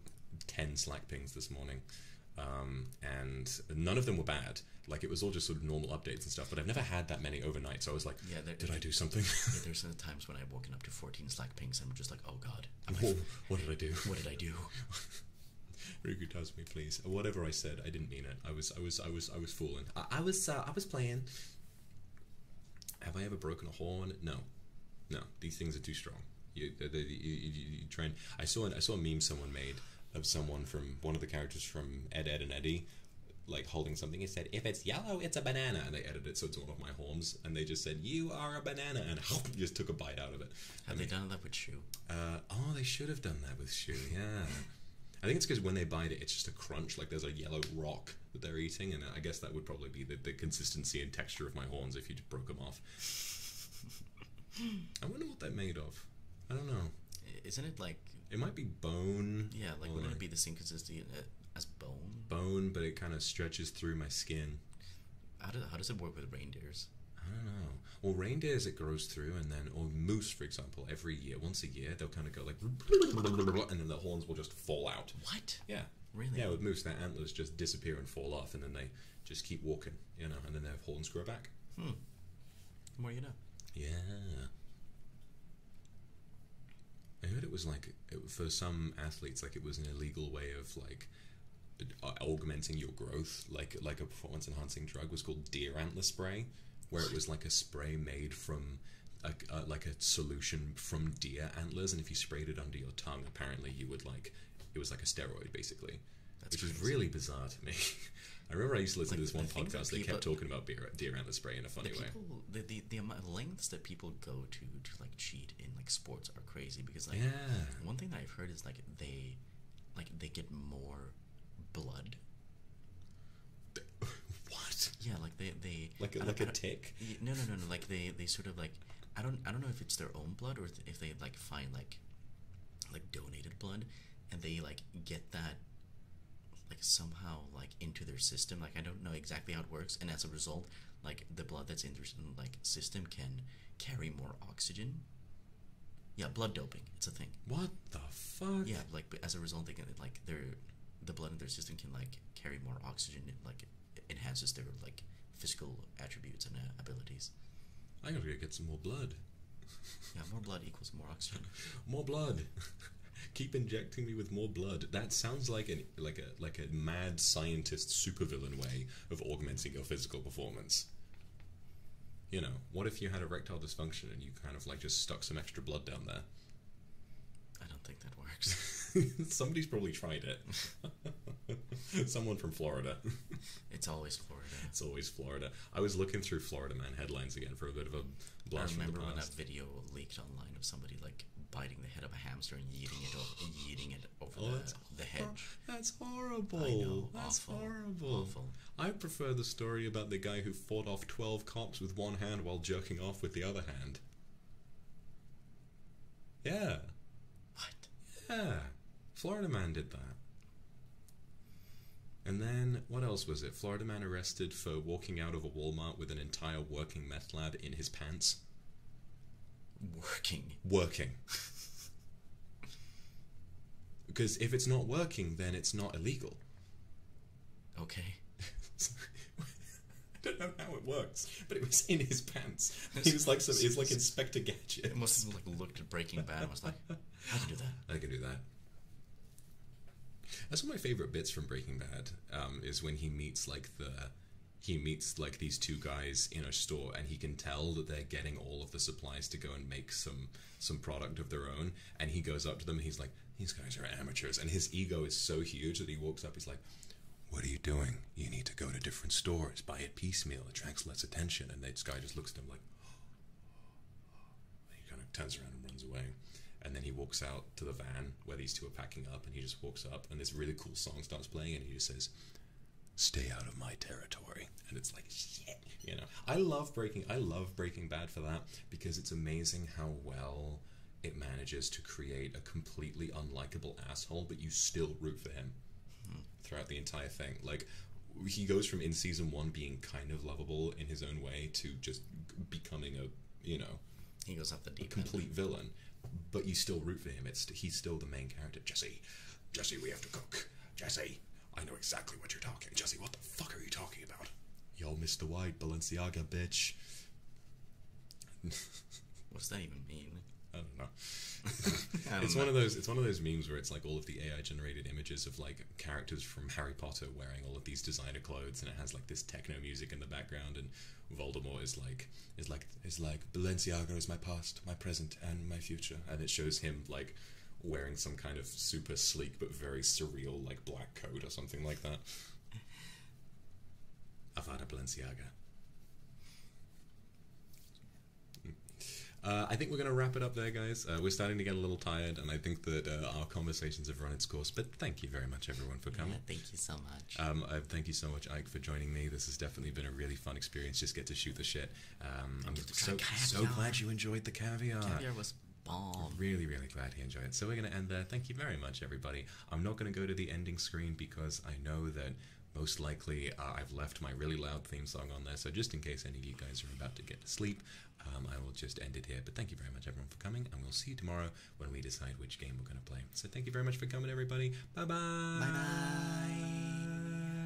ten Slack pings this morning, um, and none of them were bad. Like it was all just sort of normal updates and stuff. But I've never had that many overnight, so I was like, yeah, did I do something? there's times when I've woken up to fourteen Slack pings. and I'm just like, oh god, what did I do? What did I do? Riku touch me, please. Whatever I said, I didn't mean it. I was, I was, I was, I was fooling. I, was, uh, I was playing. Have I ever broken a hole it? No, no. These things are too strong. You, they, you, you, you I saw, I saw a meme someone made of someone from one of the characters from Ed, Ed and Eddie, like holding something. He said, "If it's yellow, it's a banana," and they edited it so it's one of my homes, and they just said, "You are a banana," and just took a bite out of it. Have they done that with Shoe? Uh, oh, they should have done that with Shoe. Yeah, I think it's because when they bite it, it's just a crunch. Like there's a yellow rock that they're eating, and I guess that would probably be the, consistency and texture of my horns if you broke them off. I wonder what they're made of. I don't know. Isn't it like? It might be bone. Yeah, like wouldn't it be the same consistency uh, as bone? Bone, but it kind of stretches through my skin how, do, how does it work with reindeers? I don't know. Well, reindeers it grows through, and then or moose, for example, every year, once a year, they'll kind of go like, and then the horns will just fall out. What? Yeah. Really? Yeah, with moose, their antlers just disappear and fall off, and then they just keep walking, you know, and then their horns grow back. Hmm. The more you know. Yeah. I heard it was like for some athletes, like it was an illegal way of like uh, augmenting your growth, like like a performance enhancing drug, was called deer antler spray, where it was like a spray made from uh, like a solution from deer antlers, and if you sprayed it under your tongue, apparently you would like it was like a steroid basically, which crazy. was really bizarre to me. I remember I used to listen to this one podcast they kept talking about deer antler spray in a funny the way. The, the, the amount lengths that people go to to like cheat in like sports are crazy because like one thing that I've heard is like they like they get more blood. What? Yeah, like they they like like a tick. No, no, no, no. Like they they sort of like I don't I don't know if it's their own blood or if they like find like like donated blood and they like get that like somehow like into their system. Like I don't know exactly how it works, and as a result, like the blood that's in their like system can carry more oxygen yeah, blood doping. It's a thing. What the fuck? Yeah, like as a result, they can like their the blood in their system can like carry more oxygen. And, like enhances their like physical attributes and uh, abilities. I gotta get some more blood. yeah, more blood equals more oxygen. more blood. Keep injecting me with more blood. That sounds like an like a like a mad scientist supervillain way of augmenting your physical performance. You know, what if you had erectile dysfunction and you kind of like just stuck some extra blood down there? I don't think that works. Somebody's probably tried it. Someone from Florida. it's always Florida. It's always Florida. I was looking through Florida Man headlines again for a bit of a blast. remember when that video leaked online of somebody like biting the head of a hamster and yeeting it, over, it over. Oh, the, that's the hedge. Oh, that's horrible. that's horrible. I prefer the story about the guy who fought off 12 cops with one hand while jerking off with the other hand. Yeah. What? Yeah. Florida Man did that. And then, what else was it? Florida man arrested for walking out of a Walmart with an entire working meth lab in his pants. Working. Working. Because if it's not working, then it's not illegal. Okay. I don't know how it works, but it was in his pants. He was like some. He was like Inspector Gadget. It must have like looked at Breaking Bad. and was like, I can do that. I can do that. That's one of my favorite bits from Breaking Bad. Um, is when he meets like the he meets like these two guys in a store and he can tell that they're getting all of the supplies to go and make some some product of their own. And he goes up to them and he's like, these guys are amateurs. And his ego is so huge that he walks up, he's like, what are you doing? You need to go to different stores, buy it piecemeal, it attracts less attention. And this guy just looks at him like, he kind of turns around and runs away. And then he walks out to the van where these two are packing up and he just walks up and this really cool song starts playing and he just says, stay out of my territory and it's like shit you know i love breaking i love breaking bad for that because it's amazing how well it manages to create a completely unlikable asshole but you still root for him throughout the entire thing like he goes from in season 1 being kind of lovable in his own way to just becoming a you know he goes up the complete villain but you still root for him it's he's still the main character jesse Jesse, we have to cook. Jesse, I know exactly what you're talking. Jesse, what the fuck are you talking about? Y'all Yo, the White, Balenciaga, bitch. What's that even mean? I don't know. it's one of those. It's one of those memes where it's like all of the AI generated images of like characters from Harry Potter wearing all of these designer clothes, and it has like this techno music in the background, and Voldemort is like is like is like Balenciaga is my past, my present, and my future, and it shows him like wearing some kind of super sleek but very surreal like black coat or something like that. Avada Balenciaga. Mm. Uh, I think we're going to wrap it up there, guys. Uh, we're starting to get a little tired, and I think that uh, our conversations have run its course. But thank you very much, everyone, for coming. thank you so much. Um, thank you so much, Ike, for joining me. This has definitely been a really fun experience. Just get to shoot the shit. I'm um, so, so, glad you enjoyed the caviar. Caviar was bomb. Really, really glad he enjoyed it. So we're going to end there. Thank you very much, everybody. I'm not going to go to the ending screen because I know that most likely uh, I've left my really loud theme song on there. So just in case any of you guys are about to get to sleep, um, I will just end it here. But thank you very much, everyone, for coming, and we'll see you tomorrow when we decide which game we're going to play. So thank you very much for coming, everybody. Bye-bye. bye bye